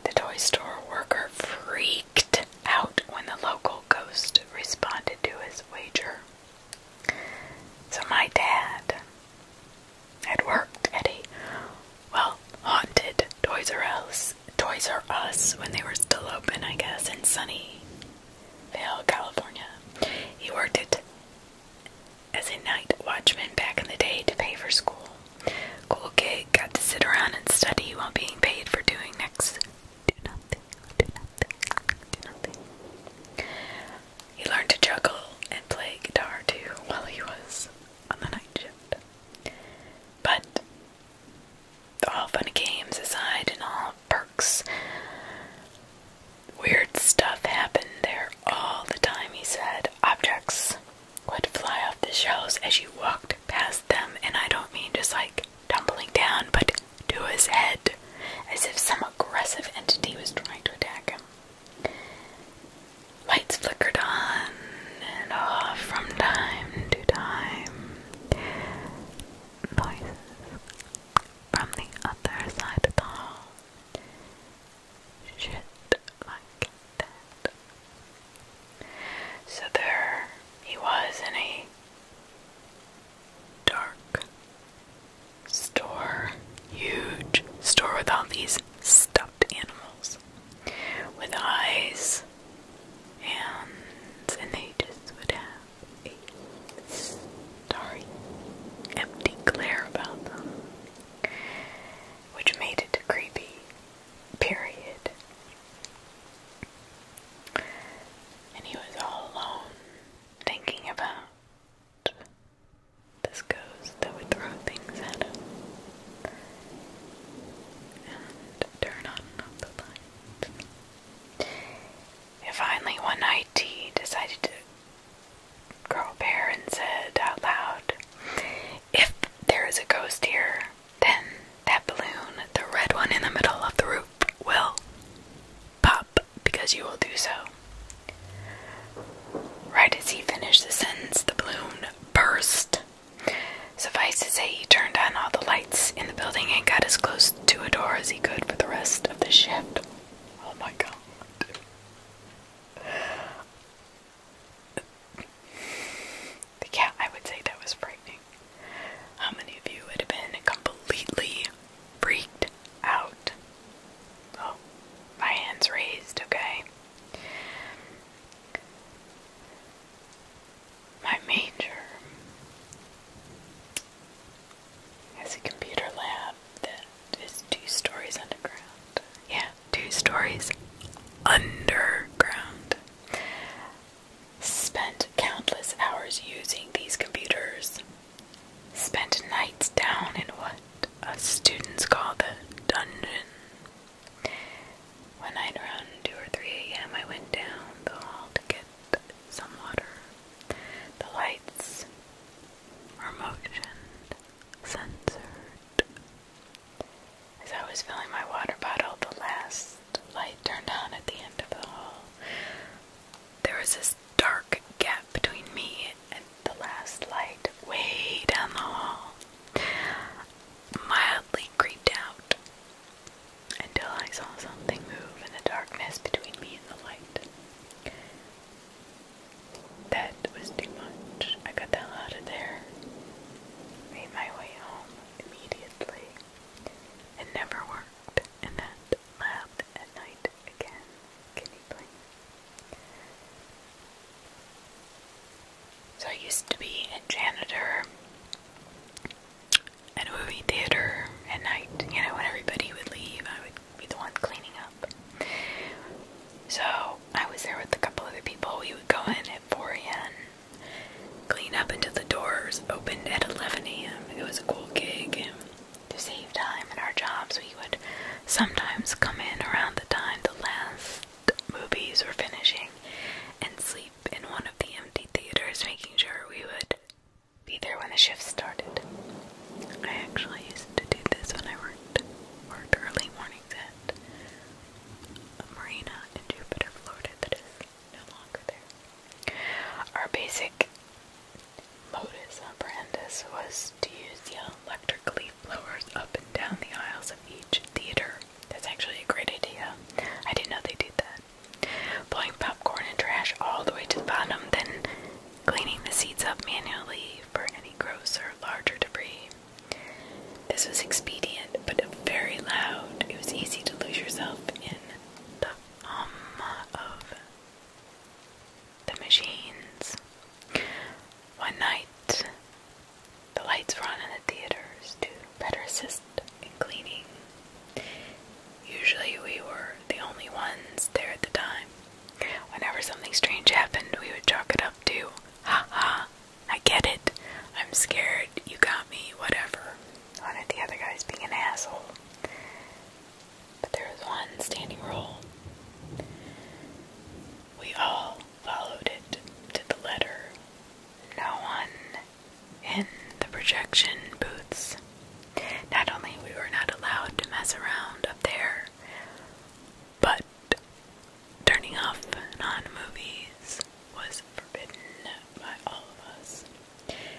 The toy store worker freaked out when the local ghost responded to his wager. So, my dad had worked at a well haunted toy R Us Toys R Us when they were still open, I guess, in Sunnyvale, California. He worked at as a night watchman back in the day to pay for school. Cool gig, got to sit around and study while being paid for doing next He learned to juggle and play guitar too while he was on the night shift. But all fun games aside and all perks. Weird stuff happened there all the time, he said. Objects would fly off the shelves as you walked past them, and I don't mean just like tumbling down, but to his head, as if some aggressive entity was trying to attack him. Lights flickered on and off from time to time noises from the other side of the hall. Shit like that. So there he was in a dark store, huge store with all these stuffed animals with eyes and an aegis would have a starry, empty glare about them, which made it creepy period. And he was all alone thinking about this ghost that would throw things at him and turn on the light finally, one night, he decided to grow a pair and said out loud, If there is a ghost here, then that balloon, the red one in the middle of the roof, will pop because you will do so. Right as he finished the sentence, the balloon burst Suffice to say, he turned on all the lights in the building and got as close to a door as he could for the rest of the shift. Oh my god. Yeah, I would say that was frightening. How many of you would been completely freaked out? Oh, my hand's raised, okay. My major has a computer lab that is two stories underground. Yeah, two stories underground. Spent countless hours using these computers. Spent nights down in what us students call the dungeon. One night around 2 or 3 a.m., I went down the hall to get some water. The lights were motioned, censored. As I was filling my water bottle, the last light turned on at the end of the hall. There was this dark gap between me and the last light, way down the hall. Mildly creeped out until I saw something move in the darkness between me and the light. That was too much. I got the hell out of there, made my way home immediately. It never worked, and that lab at night again. So I used to be a janitor at a movie theater at night, you know, when everybody would leave, I would be the one cleaning up. So I was there with a couple other people. We would go in at 4 a.m., clean up until the doors opened at 11 a.m. It was a cool gig. And to save time in our jobs, we would sometimes come in around the time the last movies were finishing and sleep in one of the empty theaters, making sure we would be there when the shift started. I actually used to do this when I worked worked early mornings at a marina in Jupiter, Florida that is no longer there. Our basic modus operandus was to use the electric leaf blowers up and down the aisles of each theater. That's actually a great idea. I didn't know they did that blowing popcorn and trash all the way to the bottom, then cleaning the seats up manually for any gross or larger debris. This was expedient, but very loud. It was easy to lose yourself in the hum of the machines. One night, the lights were on in the theaters to better assist and cleaning. Usually, we were the only ones there at the time. Whenever something strange happened, we would chalk it up to, ha ha, I get it, I'm scared, you got me, whatever. One the other guys being an asshole. But there was one standing rule. We all followed it to the letter. No one in the projection booths. Not only we were not allowed to mess around up there, but turning off non movies was forbidden by all of us.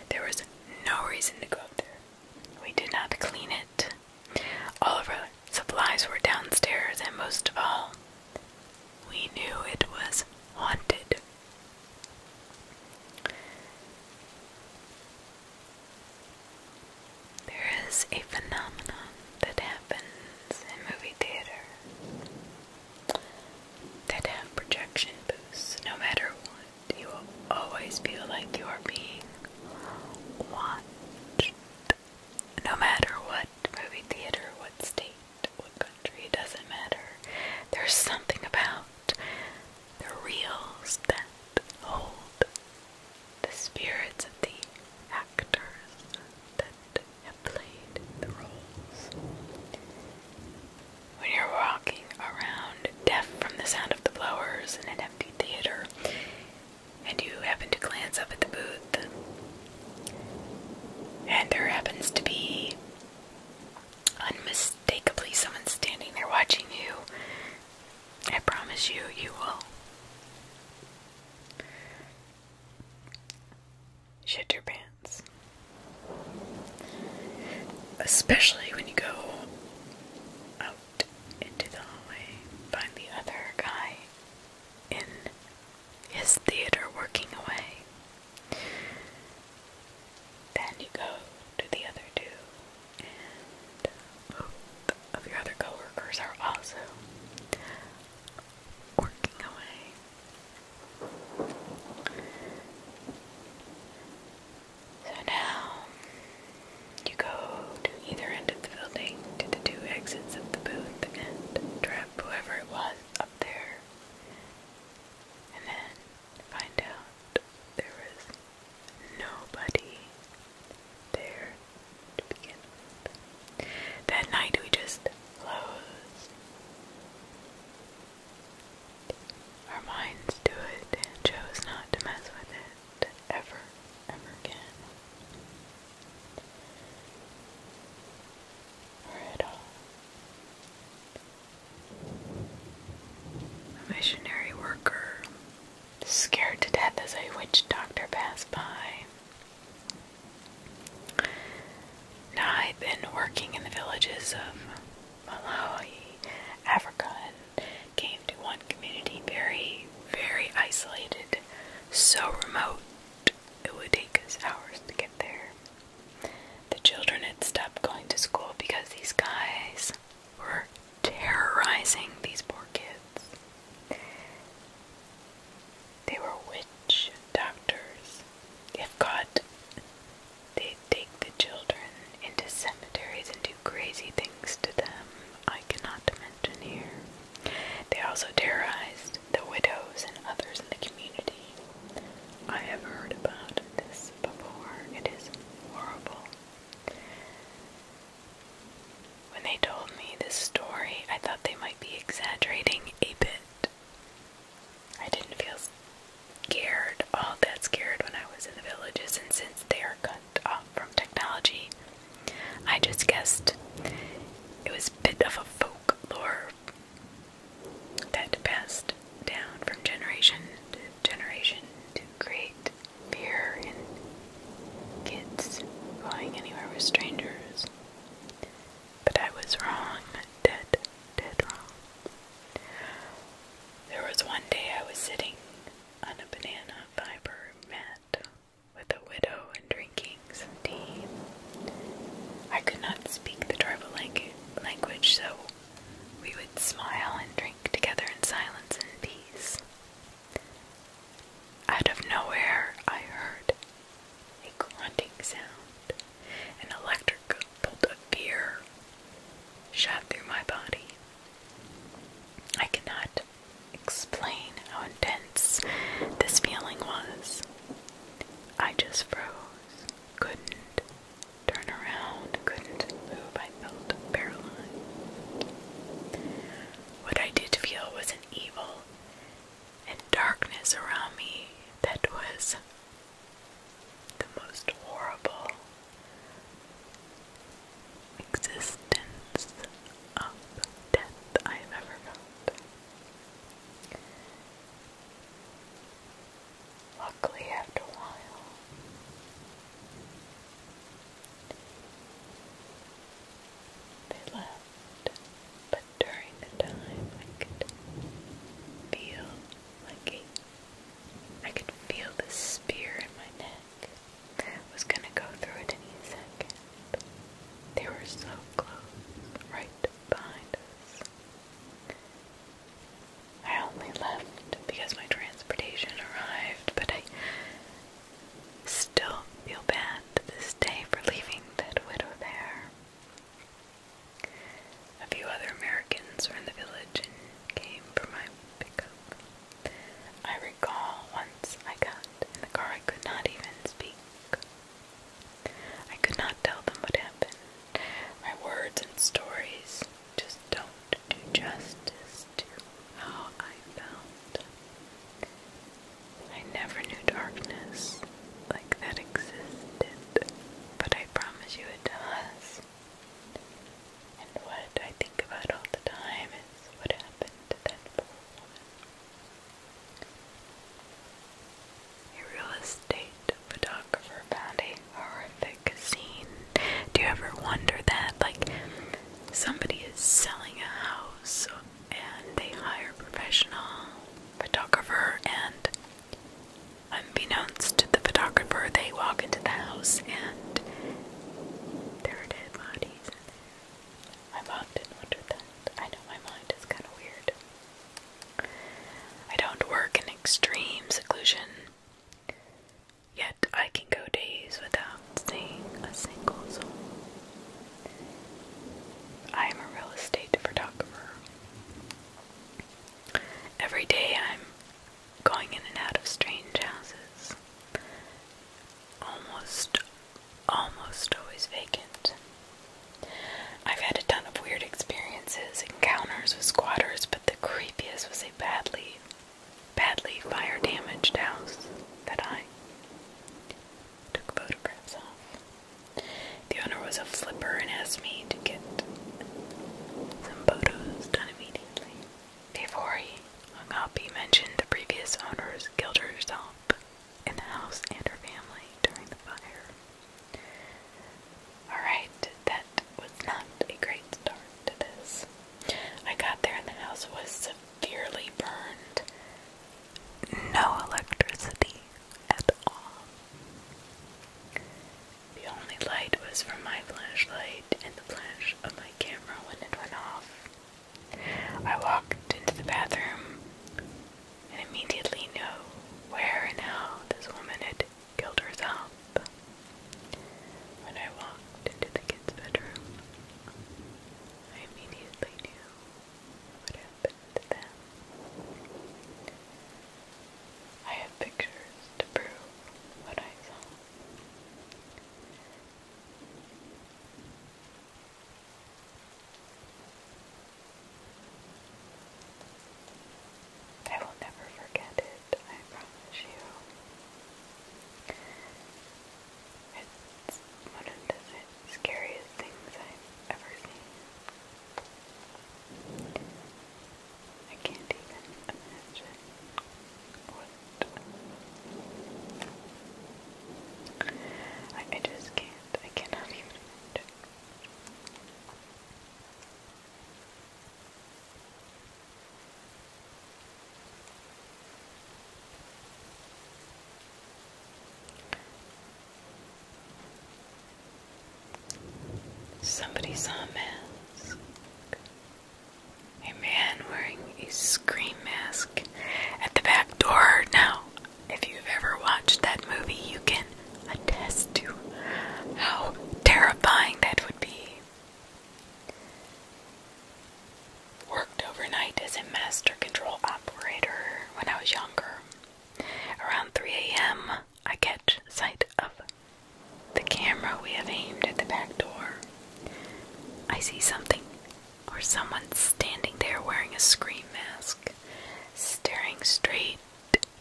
There was no reason to go up there. We did not clean it. All of our supplies were downstairs, and most of all, we knew it was haunted. There is a phenomenon that happens in movie theater that have projection booths. No matter what, you will always feel like you are being watched. No matter what movie theater, what state what country, doesn't matter. There's something about the reels that hold the spirits of the actors that have played the roles. When you're walking around deaf from the sound of the blowers in an empty theater, and you happen to glance up at the booth, and there happens to be unmistakably someone's standing there watching you. I promise you, you will. Shit your pants. Especially when you go out into the hallway, find the other guy in his theater working away. Then you go to the other two, and uh, both of your other coworkers are also working away. So now you go to either end of the building to the two exits of the booth and trap whoever it was up there. And then find out there was nobody there to begin with. That night we just closed our minds to it and chose not to mess with it ever, ever again. Or at all. A missionary worker, scared to death as a witch doctor passed by. Now I've been working in the villages of Malawi, Africa, and came to one community very, very isolated, so remote it would take us hours to get there. The children had stopped going to school because these guys were terrorizing these poor kids. They were witch doctors. If God, they'd take the children into cemeteries and do crazy things to them I cannot mention here. They also terrorized the widows and others in the community. I have heard about this before. It is horrible. When they told me this story, I thought they might be exaggerating a bit. I didn't feel scared, all that scared when I was in the villages, and since they are cut off from technology, I just guessed it was a bit of a folklore that passed down from generation to generation to create fear in kids going anywhere with strangers. But I was wrong, dead, dead wrong. There was one day I was sitting on a banana fiber mat with a widow and drinking some tea. I could not speak the tribal language, so we would smile and drink together in silence and peace. Out of nowhere, I heard a grunting sound. An electric bolt of fear shot through my body. I cannot explain how intense this feeling was. I just froze, couldn't turn around, couldn't move. I felt paralyzed. What I did feel was an evil and darkness around me that was the most horrible existence of death I've ever felt. Luckily, after a while, they left. But during the time, I could feel like a, I could feel the spear in my neck. was gonna go through it any second. They were so close, right behind us. I only left because my transportation arrived, but I still feel bad this day for leaving that widow there. A few other Americans were in the village and came for my pickup. I recall once I got in the car, I could not even speak. I could not tell them what happened. My words and stories just don't do justice to how I felt. I never knew darkness like that existed, but I promise you it does. And what I think about all the time is what happened that poor woman. Your real estate great photographer found a horrific scene. Do you ever wonder that? Like, somebody is selling a house and they hire a professional photographer, and unbeknownst to the photographer, they walk into the house and there are dead bodies in there. I've often wonder that. I know my mind is kind of weird. I don't work in extreme seclusion. Yet I can go days without seeing a single soul. I am a real estate photographer. Every day I'm going in and out of strange houses. Almost, almost always vacant. I've had a ton of weird experiences, encounters with squatters, the creepiest was a badly, badly fire damaged house that I took photographs of. The owner was a flipper and asked me to get some photos done immediately. Before he hung up, he mentioned the previous owners killed herself in the house and her family during the fire. Alright, that was not a great start to this. I got there and the house was severely burned. No electricity at all. The only light was from my flashlight and the flash of my camera when it went off. I walked into the bathroom and immediately knew where and how this woman had Gilders up. When I walked into the kids' bedroom, I immediately knew what happened to them. I have pictures to prove what I saw. I will never forget it, I promise you. It's one of the scariest things I've ever seen. I can't even imagine what. I, just can't. I cannot even imagine. Somebody saw a mask. A man wearing a scream mask at the back door. Now, if you've ever watched that movie, you can attest to how terrifying that would be. Worked overnight as a master control operator when I was younger. Around 3 a.m., I catch sight of the camera we have aimed at the back door. I see something or someone standing there wearing a screen mask, staring straight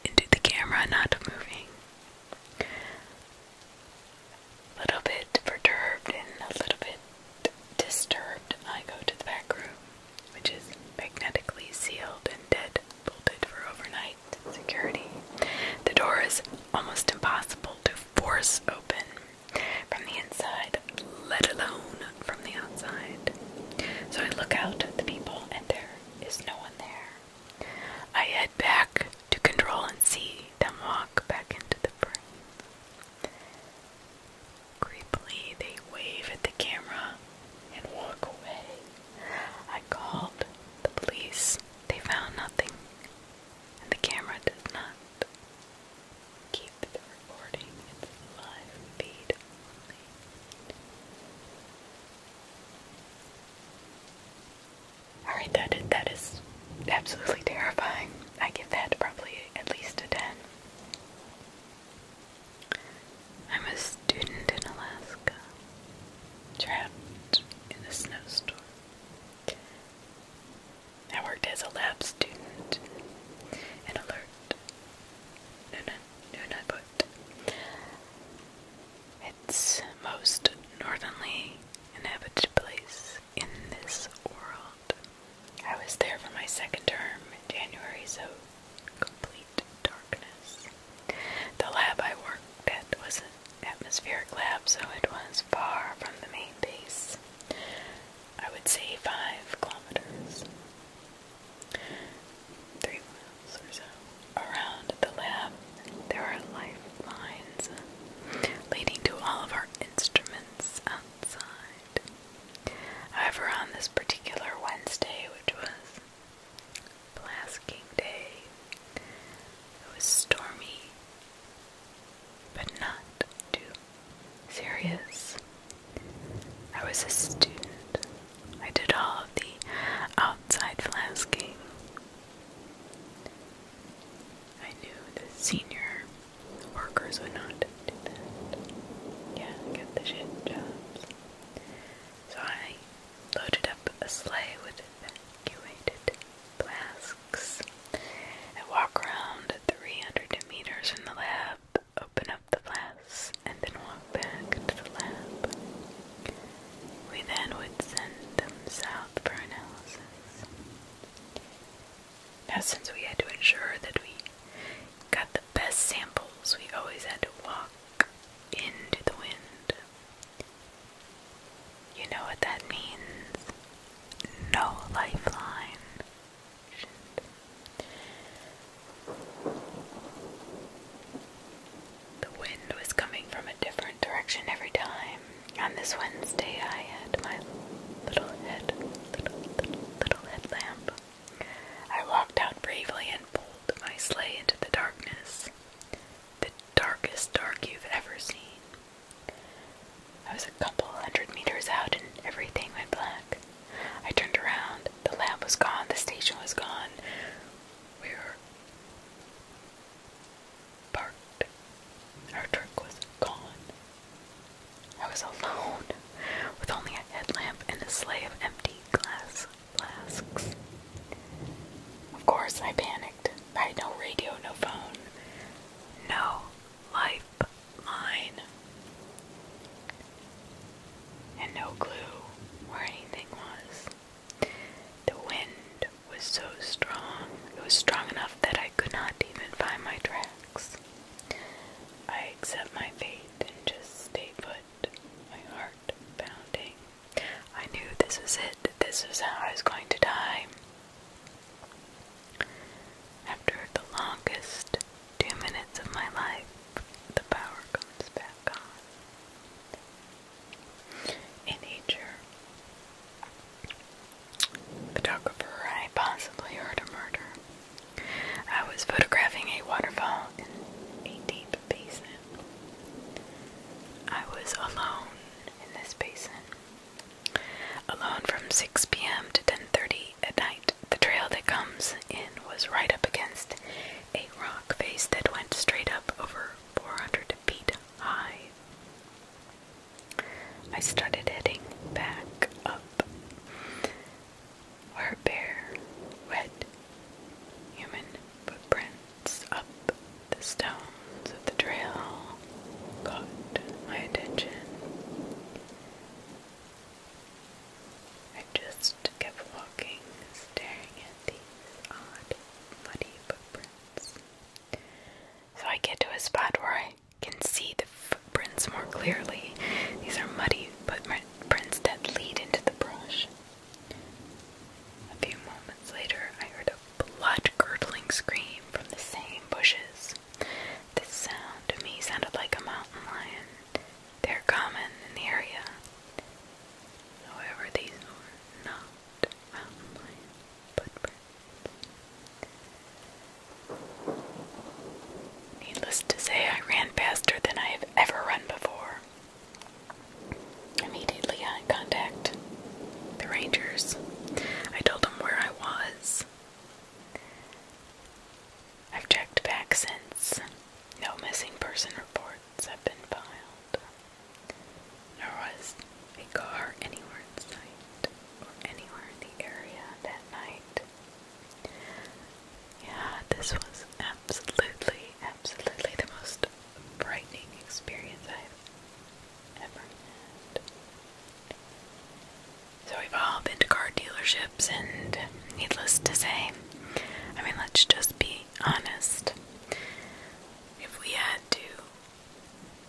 into the camera, not moving a little bit perturbed and a little bit disturbed, I go to the back room, which is magnetically sealed and dead bolted for overnight security. The door is almost impossible to force open from the inside, let alone from the outside. So I look out at the people, and there is no one there. I head back to control and see them walk back into the frame. Creepily, they wave at the camera and walk away. I called the police. They found nothing, the camera does not keep the recording. It's live feed Alright, that is, that is absolutely terrifying. I give that probably at least a 10. I'm a student in Alaska, trapped in a snowstorm. I worked as a lab student and alert. No, no, no, no, but it's most northerly inhabited place in this world. I was there for my second term in January, so complete darkness. The lab I worked at was an atmospheric lab, so it was far from the main base. I would say five kilometers, three miles or so. Around the lab, there are life lines leading to all of our instruments outside. However, on this particular Wednesday, which was Blasking Day, it was stormy, but not too serious. I was a student. I did all of the outside flasking I knew the senior workers would not do that. get the shit jobs. So I loaded up a sleigh with evacuated flasks and walk around 300 meters from the lab, open up the flasks, and then walk back to the lab. We then would send them south now, since we had to ensure that we got the best samples, we always had to walk into the wind. You know what that means? No lifeline. The wind was coming from a different direction every time. On this Wednesday, I had my little head, little, little, little headlamp. I walked out bravely and pulled my sleigh into the darkness, the darkest dark you've ever seen. I was a couple hundred meters out and everything went black. I turned around, the lamp was gone, the station was gone. We barked. Our truck was gone. I was alone, with only a headlamp and a sleigh of empty glass flasks. Of course, I panicked. I had no radio, no phone, no lifeline, and no clue where anything was. The wind was so strong, it was strong enough that I could not even find my tracks. I accept my fate and just stay put, my heart pounding. I knew this was it, this was how I was going to die. After the longest two minutes of my life, the power comes back on in nature. Photographer, I possibly heard a murder. I was photographing a waterfall in a deep basin. I was alone in this basin. Alone from 6 p.m. to 10:30 at night. The trail that comes in was right up against a rock face that went straight up over 400 feet high. I started heading back up. Our bare, wet human footprints up the stones of the trail caught my attention. I just kept walking, staring at these odd, muddy footprints. So I get to a spot where I can see the footprints more clearly. These are muddy footprints that lead into the brush. A few moments later, I heard a blood curdling scream from the same bushes. This sound to me sounded like a mountain lion. They're common in the area. However, these are not mountain lion footprints. Needless to say, I ran faster than I have ever run before. Immediately, I contacted the Rangers. I told them where I was. I've checked back since. No missing person reports have been filed. There was a car anywhere in sight or anywhere in the area that night. Yeah, this was absolutely, absolutely the most frightening experience I've ever had. So we've all been to car dealerships, and needless to say, I mean, let's just be honest. If we had to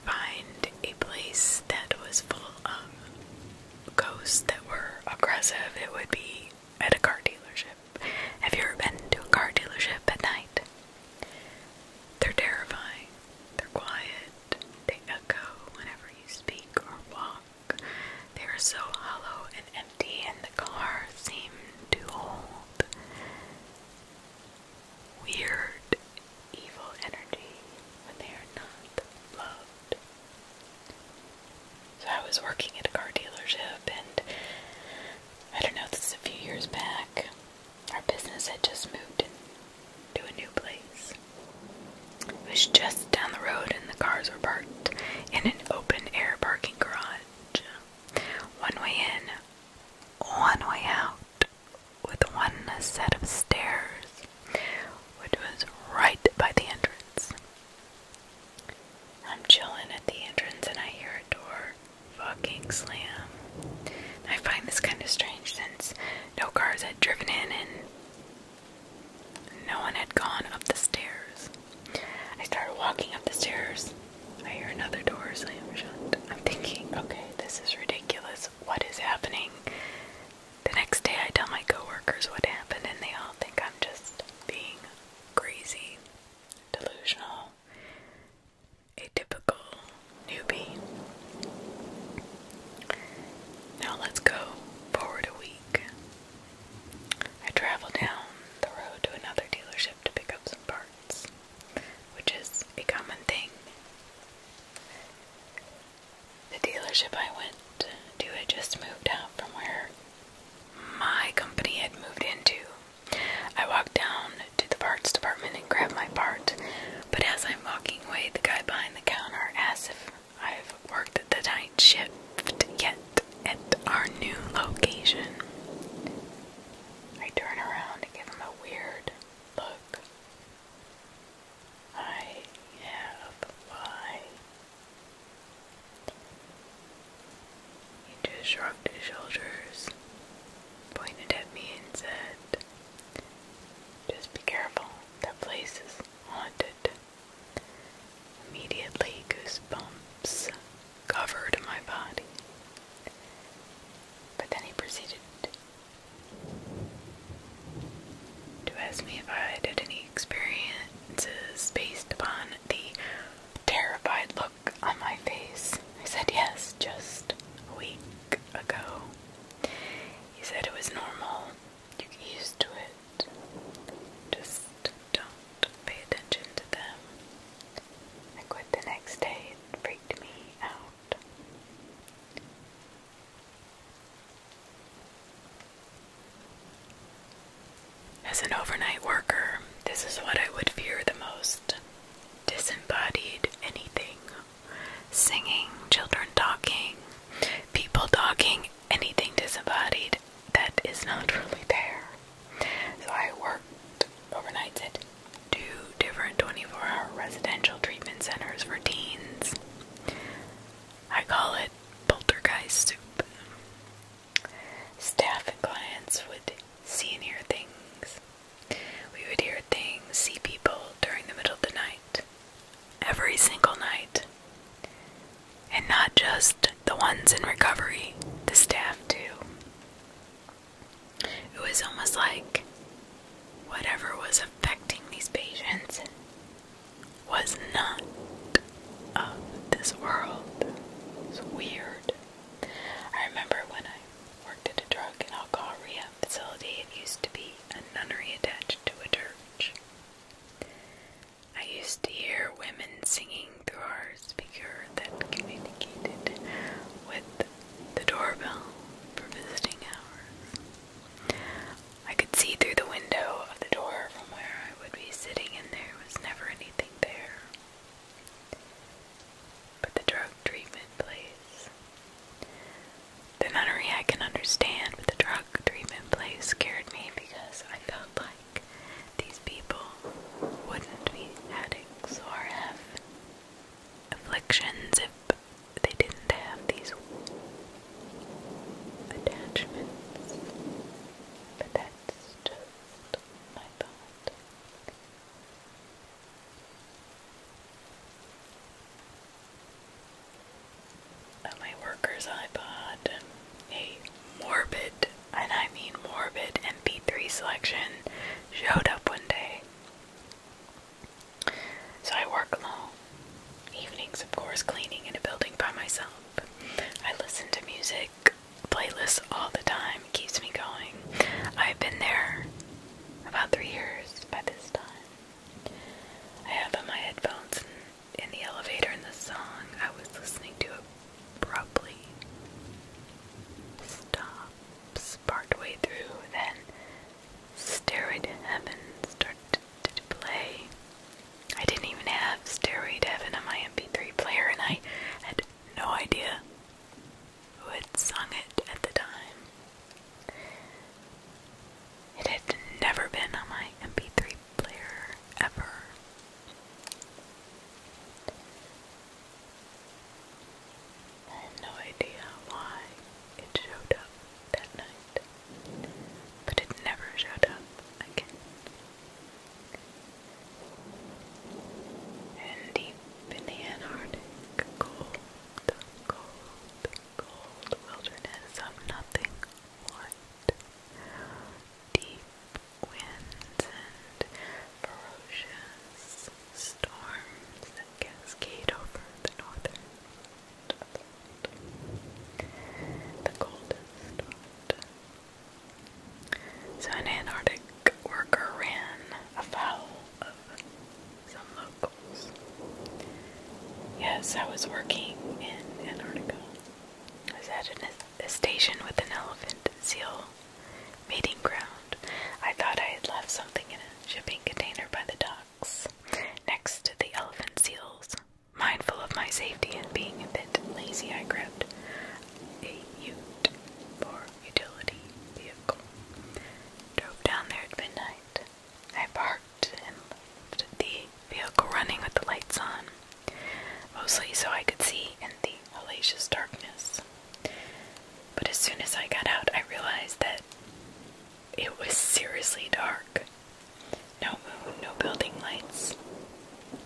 find a place that was full of ghosts that were aggressive, it would be at a car dealership. Have you ever been to a car dealership at night? They're terrifying. They're quiet. They echo whenever you speak or walk. They are so hollow and empty, and the car seemed to hold weird evil energy when they are not loved. So I was working at a car dealership and I don't know, this is a few years back. Our business had just moved to a new place. It was just down the road and the cars were parked in an open air parking garage. One way in, one way out with one set of stairs, which was right by the entrance. I'm chilling at the entrance and I hear a door fucking slam. I find this kind of strange since no cars had driven in and no one had gone up the stairs. I started walking up the stairs. I hear another door slam shut. I'm thinking, okay, this is ridiculous what is happening. The next day, I tell my coworkers what happened, and they all think I'm just being crazy, delusional, atypical, newbie. Now, let's go forward a week. I travel down the road to another dealership to pick up some parts which is a common thing. The dealership I went to had just moved out from where my company had moved into. I walked down to the parts department and grabbed my part, but as I'm walking away, the guy behind the counter asks if I've worked at the night shift yet at our new location. I turn around and give him a weird look. I have why. He just shrugged his shoulders, pointed at me, and said, Just be careful, that place is haunted. Immediately, goosebumps covered my body. But then he proceeded to ask me if I had any experiences based upon the terrified look on my face. I said yes, just a week ago. He said it was normal. You get used to it. Just don't pay attention to them. I quit the next day. It freaked me out. As an overnight worker, this is what I would fear the most disembodied anything. Singing, children talking, people talking, anything disembodied that is not really there. So I worked overnight two different 24 hour residential treatment centers for teens. I call it poltergeist soup. Staff and clients would see and hear things. We would hear things, see people during the middle of the night, every single night. And not just the ones in recovery, the staff too. It was almost like whatever was affecting these patients was not of this world. It's weird. I remember when I worked at a drug and alcohol rehab facility, it used to be a nunnery attached to a church. I used to hear women singing through our speaker that communicated with the doorbell for visiting hours. I could see through the window of the door from where I would be sitting, and there was never anything there. But the drug treatment place. The nunnery I can understand, but the drug treatment place scared me because I felt like these people wouldn't be addicts or have afflictions if they didn't have these attachments, but that's just my thought. Oh, my worker's iPod, a morbid, and I mean morbid, MP3 selection showed up one day. So I work long evenings, of course, cleaning in a building by myself. I listen to music playlists all the time, it keeps me going. I've been there about three years by this time. I have my headphones in, the elevator, and the song I was listening to abruptly stops part through, then Steroid Heaven started to play. I didn't even have Steroid Heaven on my MP3 player, and I had no idea who had sung it at the time. It had never been on my MP3 player ever. I had no idea why it showed up that night, but it never showed up again. And deep in the Antarctic, cold, cold, cold wilderness of nothing what, deep winds and ferocious storms cascade over the northern the coldest part. So an Antarctic worker ran afoul of some locals. Yes, I was working in Antarctica. I was at a station with an elephant seal mating ground. I thought I had left something in a shipping container by the dock next to the elephant seals. Mindful of my safety and being a bit lazy, I grabbed a ute or utility vehicle. Drove down there at midnight. I parked and left the vehicle running with the lights on, mostly so I could see in the hellacious darkness. But as soon as I got out, I realized that it was seriously dark. No moon, no building lights.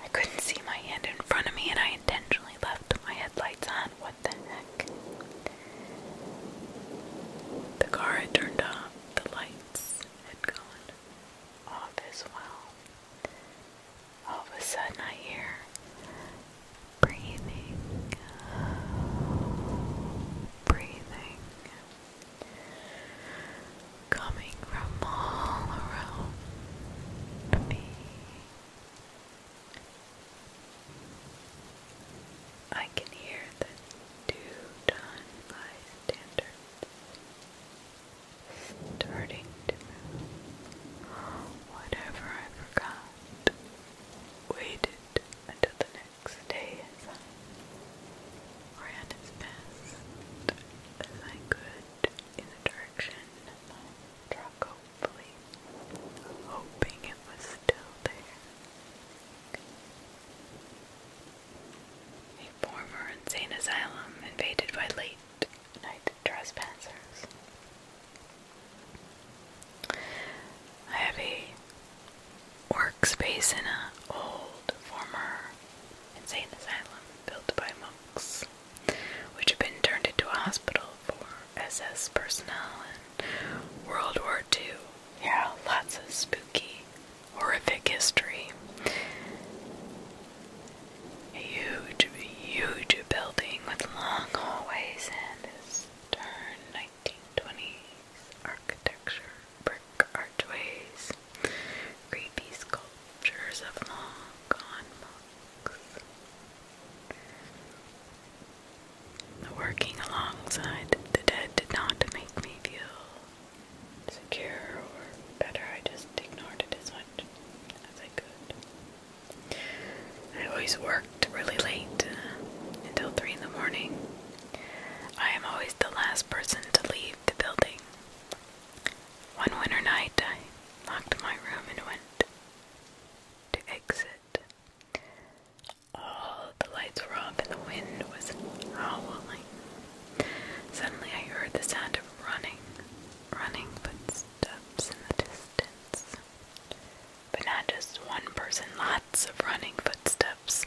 I couldn't see my hand in front of me, and I intentionally left my headlights on. What the heck? The car had turned off, the lights had gone off as well. All of a sudden, I hear breathing breathing coming from all around me. I can hear the dew done by standards starting to Whatever I forgot waited until the next day as I ran as fast as I could in the direction of my truck, hopefully, hoping it was still there. A former insane asylum invaded by late night trespassers. I have a workspace in an old former insane asylum built by monks, which had been turned into a hospital for SS personnel in World War II. Yeah, lots of spooky, horrific history. huge, huge building with long hallways and is turn 1920s architecture, brick archways, creepy sculptures of long gone monks. Working alongside the dead did not make me feel secure or better. I just ignored it as much as I could. I always worked really late uh, until 3 in the morning. I am always the last person to leave the building. One winter night, I locked my room and went to exit. All the lights were off and the wind was howling. Suddenly, I heard the sound of running, running footsteps in the distance but not just one person, lots of running footsteps.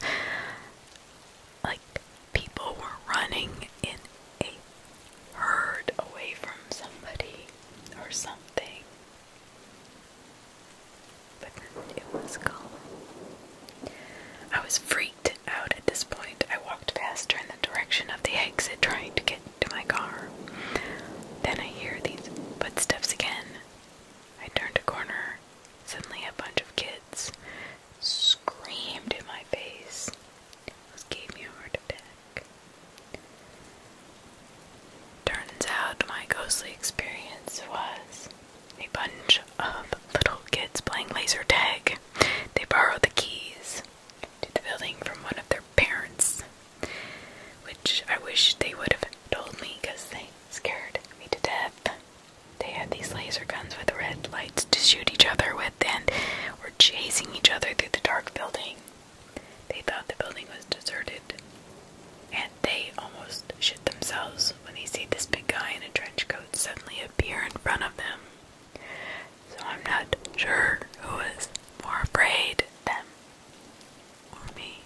Like people were running in a herd away from somebody or something. But it was calm. I was freaked out at this point. I walked faster in the direction of the exit, trying to get to my car. Then I hear these footsteps again. I turned a corner Suddenly, a bunch of kids screamed in my face. This gave me a heart attack. Turns out my ghostly experience was a bunch of little kids playing laser tag. They borrowed the keys to the building from one of their parents, which I wish they would have told me because they scared me to death. They had these laser guns with red lights to shoot each other with and were chasing each other through the dark building. They thought the building was deserted. And they almost shit themselves when they see this big guy in a trench coat suddenly appear in front of them. So I'm not sure who is more afraid, them or me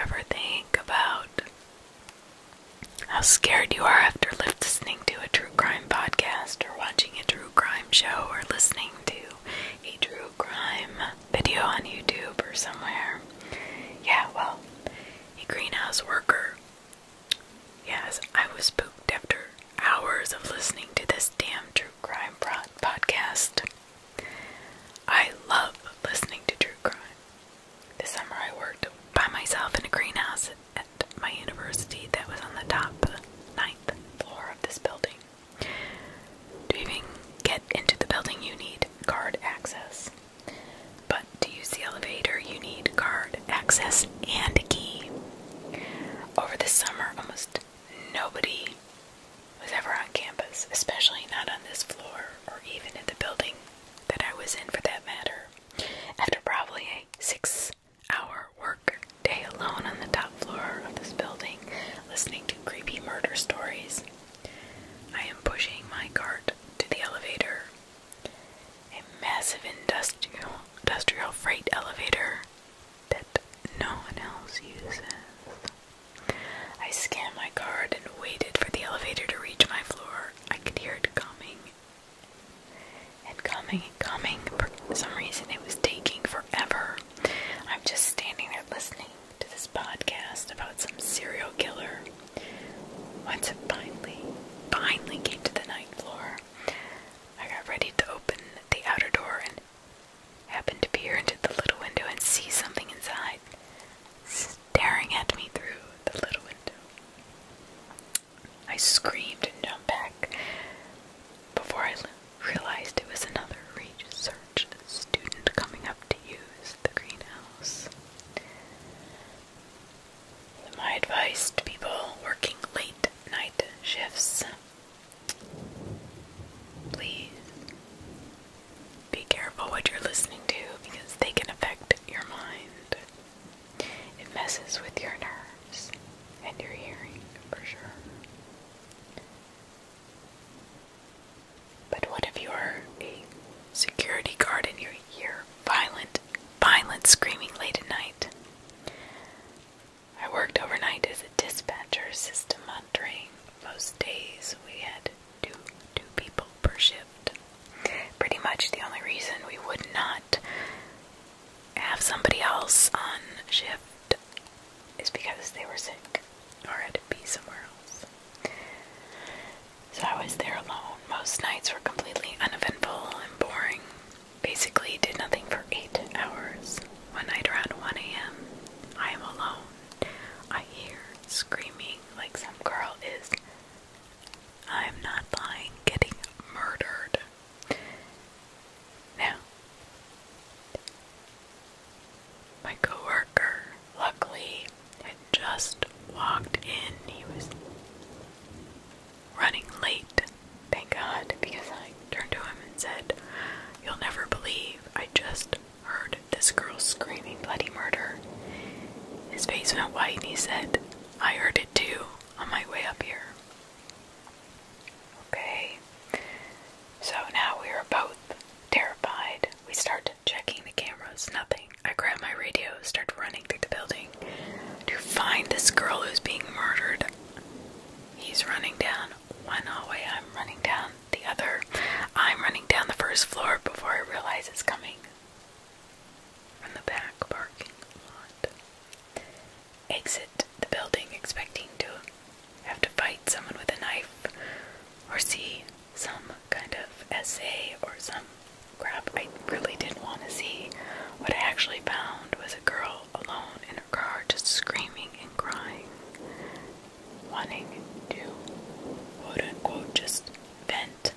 ever think about how scared you are after listening to a true crime podcast or watching a true crime show or listening to a true crime video on YouTube or somewhere. Yeah, well, a greenhouse worker. Yes, I was spooked after hours of listening to this damn true crime podcast. I love listening to true crime. This summer I worked by myself in a greenhouse at my university that was on the top ninth floor of this building. To even get into the building, you need card access. But to use the elevator, you need card access and a key. Over the summer, almost nobody was ever on campus, especially not on this floor or even in the building that I was in for that matter. After probably a six hour work day alone on the top floor of this building, listening to creepy murder stories, I am pushing my cart to the elevator. A massive industrial, industrial freight elevator that no one else uses. I scanned my card and waited for the elevator to reach my floor. I could hear it coming and coming and coming. For some reason, it was taking forever. I'm just standing there listening to this podcast about some serial killer. Once it finally, finally came to the ninth floor, I got ready to open the outer door and happened to peer into the little window and see something inside, staring at me through the little window. I screamed and jumped back before I realized it was another research student coming up to use the greenhouse. My advice to people working late night shifts please be careful what you're listening to because they can affect your mind. It messes with your nerves and your hearing for sure. But what if you're a security guard and you hear violent, violent screaming late at night? I worked overnight as a dispatcher system monitoring. Most days we had two, two people per shift. Pretty much the only reason we would not have somebody else on shift is because they were sick or had to be somewhere else. So I was there alone. Most nights were completely uneventful and boring. Basically, did nothing for eight hours. One night around 1 a.m., I am alone. I hear screaming like some girl is, I'm not lying, getting murdered. Now, my coworker, luckily, had just walked in. He was running late, thank God, because I turned to him and said, You'll never believe, I just heard this girl screaming bloody murder. His face went white and he said, I heard it too on my way up here. Okay, so now we are both terrified we start checking the cameras, nothing. I grab my radio, start running through the building to find this girl who's being murdered. He's running down one hallway, I'm running down the other. I'm running down the first floor before I realize it's coming from the back parking lot. Exit the building expecting to have to fight someone with a knife or see some kind of essay or some crap I really didn't want to see. What I actually found was a girl alone in her car just screaming and crying, wanting to quote unquote just vent.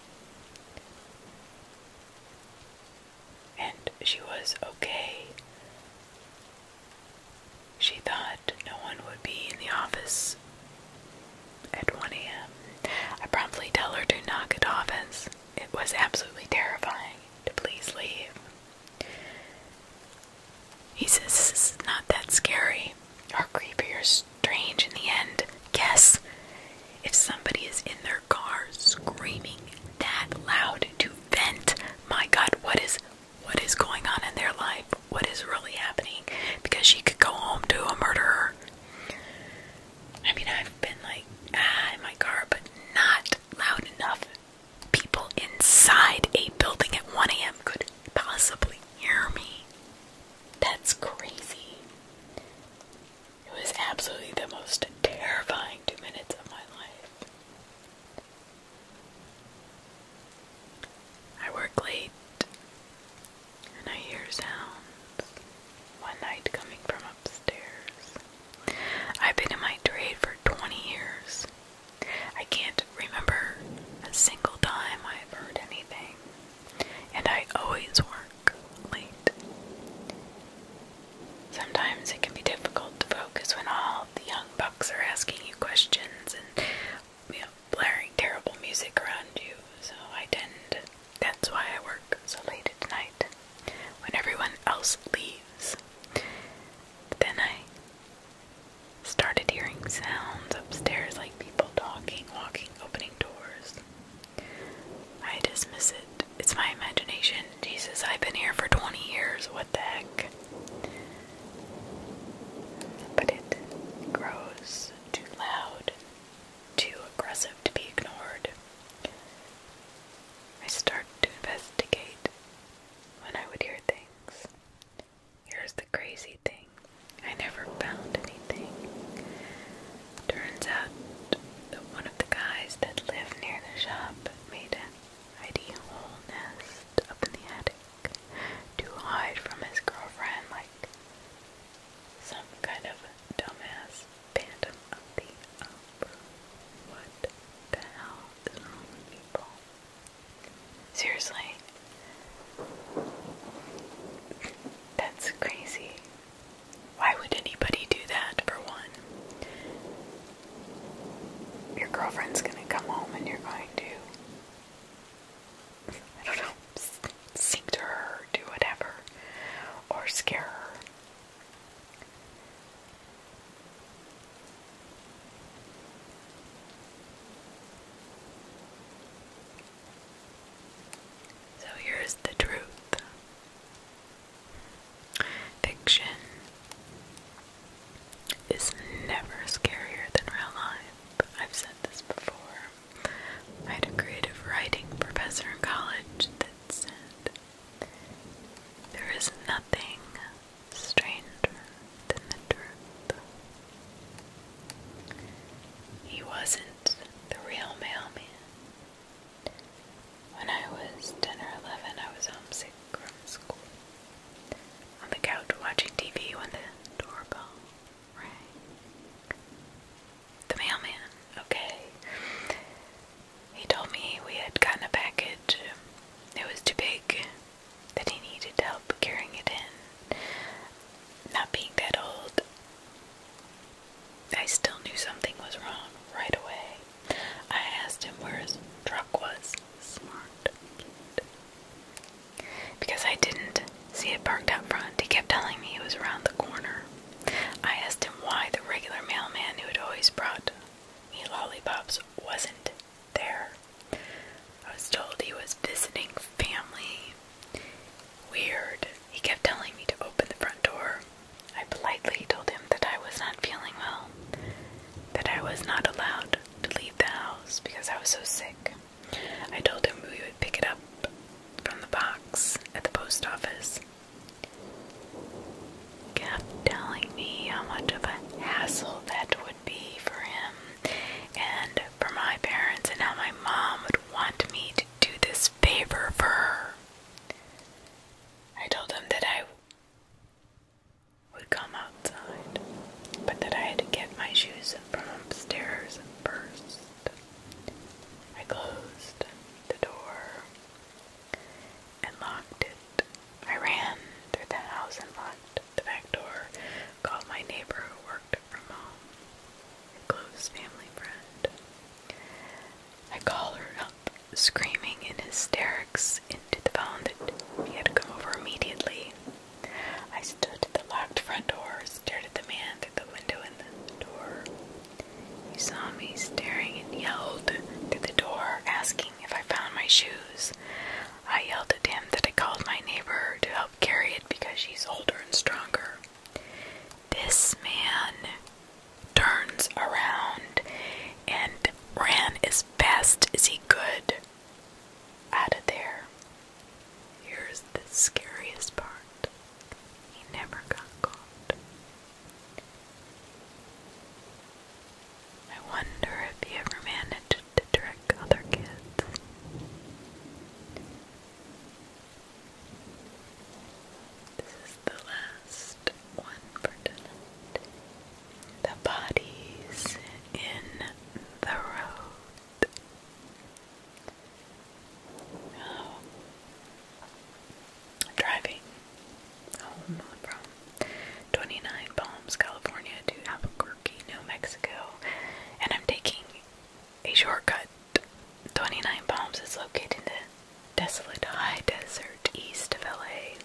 And she was okay she thought no one would be in the office at 1 a.m. I promptly tell her to knock at the office. it was absolutely terrifying to please leave. He says this is not that scary or creepy or strange in the end. Guess if somebody is in their car screaming that loud to vent, my God, what is what is going on in their life, what is really happening, because she could go home to a murderer. I mean, I've been like, ah, in my car, but not loud enough. People inside a building at 1 a.m. could possibly hear me. That's crazy. It was absolutely the most terrifying two minutes of my life. I work late and I hear sounds one night coming from upstairs. I've been in my trade for 20 years. I can't remember a single time I've heard anything, and I always work late. Sometimes it can be difficult to focus when all the young bucks are asking you questions and you know, blaring terrible music around you, so I tend that's why I work so late at night when everyone else leaves. then I started hearing sounds upstairs like people talking, walking, opening doors. I dismiss it. It's my imagination. Jesus, I've been here for 20 years. What the heck? But it grows too loud, too aggressive to be ignored. I started to investigate when I would hear things. Here's the crazy thing I never found anything. Turns out that one of the guys that lived near the shop made an ideal hole nest up in the attic to hide from his girlfriend like some kind of dumbass phantom What the hell people? Seriously. That's crazy. Why would anybody do that, for one? Your girlfriend's gonna come home and you're going to I don't know, sing her, do whatever, or scare her. So here's the truth. Fiction is never scarier than real life. I've said this before. I had a creative writing professor in college that said, There is nothing stranger than the truth. He wasn't the real mailman. When I was 10 or 11, I was homesick from school. On the couch watching TV when the doorbell the mailman. Okay. He told me we had gotten a package. It was too big that he needed help carrying it in. Not being that old, I still knew something was wrong right away. I asked him where his truck was. Smart. Cute. Because I didn't see it parked out front, he kept telling me it was around the corner. I asked him why the regular mailman who had always brought me lollipops wasn't there. I was told he was visiting family. Weird. He kept telling me to open the front door. I politely told him that I was not feeling well, that I was not allowed to leave the house because I was so sick. I told him we would pick it up from the box at the post office. He telling me how much of a hassle that would be for him and for my parents, and how my mom would want me to do this favor for her. I told him that I would come outside, but that I had to get my shoes from upstairs burst. I closed the door and locked it. I ran through the house and locked the back door, called my neighbor who worked from home, a close family friend. I called her up, screaming in hysterics into the phone that he had to come over immediately. I stood at the locked front door, stared at the man through the window in the door. He saw me staring and yelled through the door, asking if I found my shoes. I yelled at him that I called my neighbor to help carry it because she's older and stronger. This man turns around and ran as fast as he could out of there. Here's the scariest part he never got caught. I wonder if he ever managed to trick other kids. This is the last one for tonight. The bodies in the road. I'm driving home oh, from 29 Palms, California to Albuquerque, New Mexico, and I'm taking a shortcut. 29 Palms is located in the desolate high desert east of LA.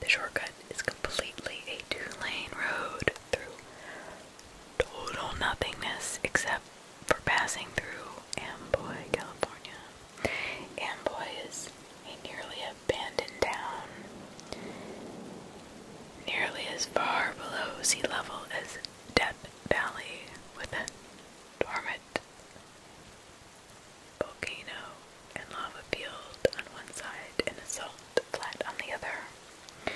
The shortcut is completely a two lane road through total nothingness except for passing through Amboy, California. Amboy is a nearly abandoned town, nearly as far below sea level as Death Valley, with a dormant volcano and lava field on one side and a salt flat on the other. It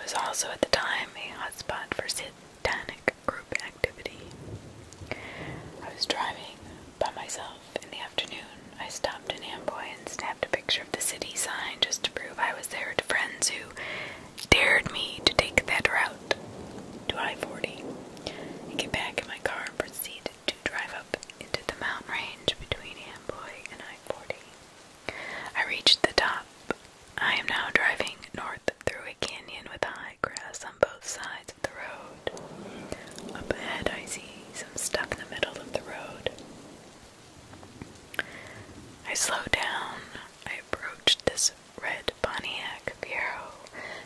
was also at the time a hotspot for satanic group activity. I was driving by myself in the afternoon. I stopped in Amboy and snapped a picture of the city sign just to prove I was there to friends who dared me to take that route to I 40 and get back in my car and proceed to drive up into the mountain range between Amboy and I 40. I reached the top I am now driving north through a canyon with high grass on both sides of the road. Up ahead, I see some stuff in the middle of the road. I slow down. I approach this red Pontiac bureau,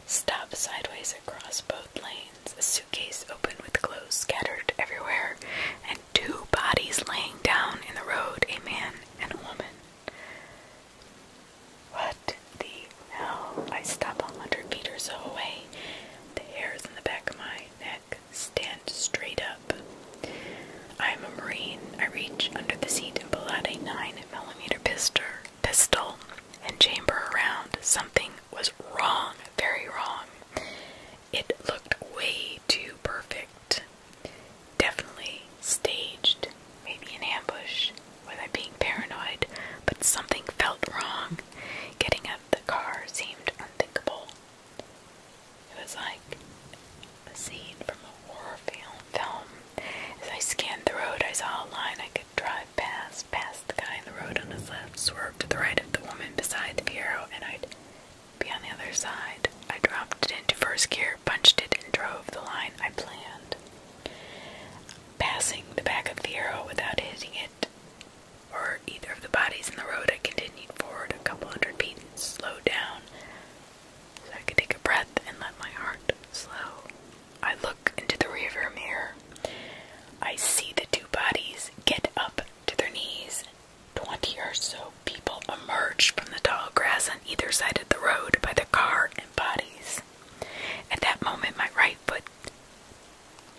stop sideways across both lanes, a suitcase open with clothes scattered everywhere, two bodies laying down in the road, a man and a woman. What the hell? I stop a hundred feet or so away. The hairs in the back of my neck stand straight up. I am a Marine. I reach under the seat and pull out a 9 millimeter pistol, pistol and chamber around. Something was wrong, very wrong. It looked way too perfect. Definitely staged, maybe an ambush. Was I being paranoid? But something felt wrong. Getting out the car seemed unthinkable. It was like a scene from a horror film. As I scanned the road, I saw a line I could drive past, past the guy in the road on his left, swerved to the right of the woman beside the bureau, and I'd be on the other side. I dropped it into first gear, punched it, and drove the line I planned. Passing the back of the arrow without hitting it or either of the bodies in the road, I continued forward a couple hundred feet and slowed down so I could take a breath and let my heart slow. I look into the rearview mirror. I see the two bodies get up to their knees 20 or so people emerged from the tall grass on either side of the road by the car and bodies. At that moment, my right foot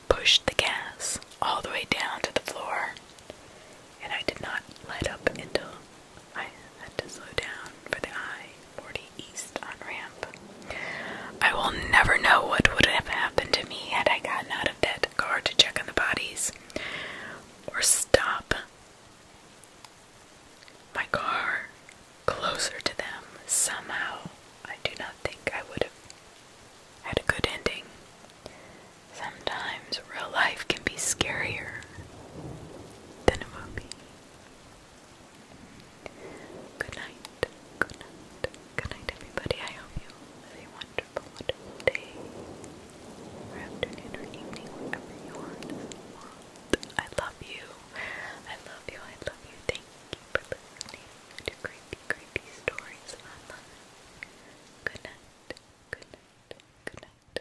pushed the gas all the way down to the floor, and I did not let up until I had to slow down for the I 40 East on ramp. I will never know what would have happened to me had I gotten out of that car to check on the bodies or stop my car closer to them somehow. I do not think I would have had a good ending. Sometimes real life can be scarier than a movie. Good night, good night, good night, everybody. I hope you have a wonderful, day or afternoon or evening, wherever you want. I love you. I love you. I love you. Thank you for listening to creepy, creepy stories on love. Good night. Good night. Good night.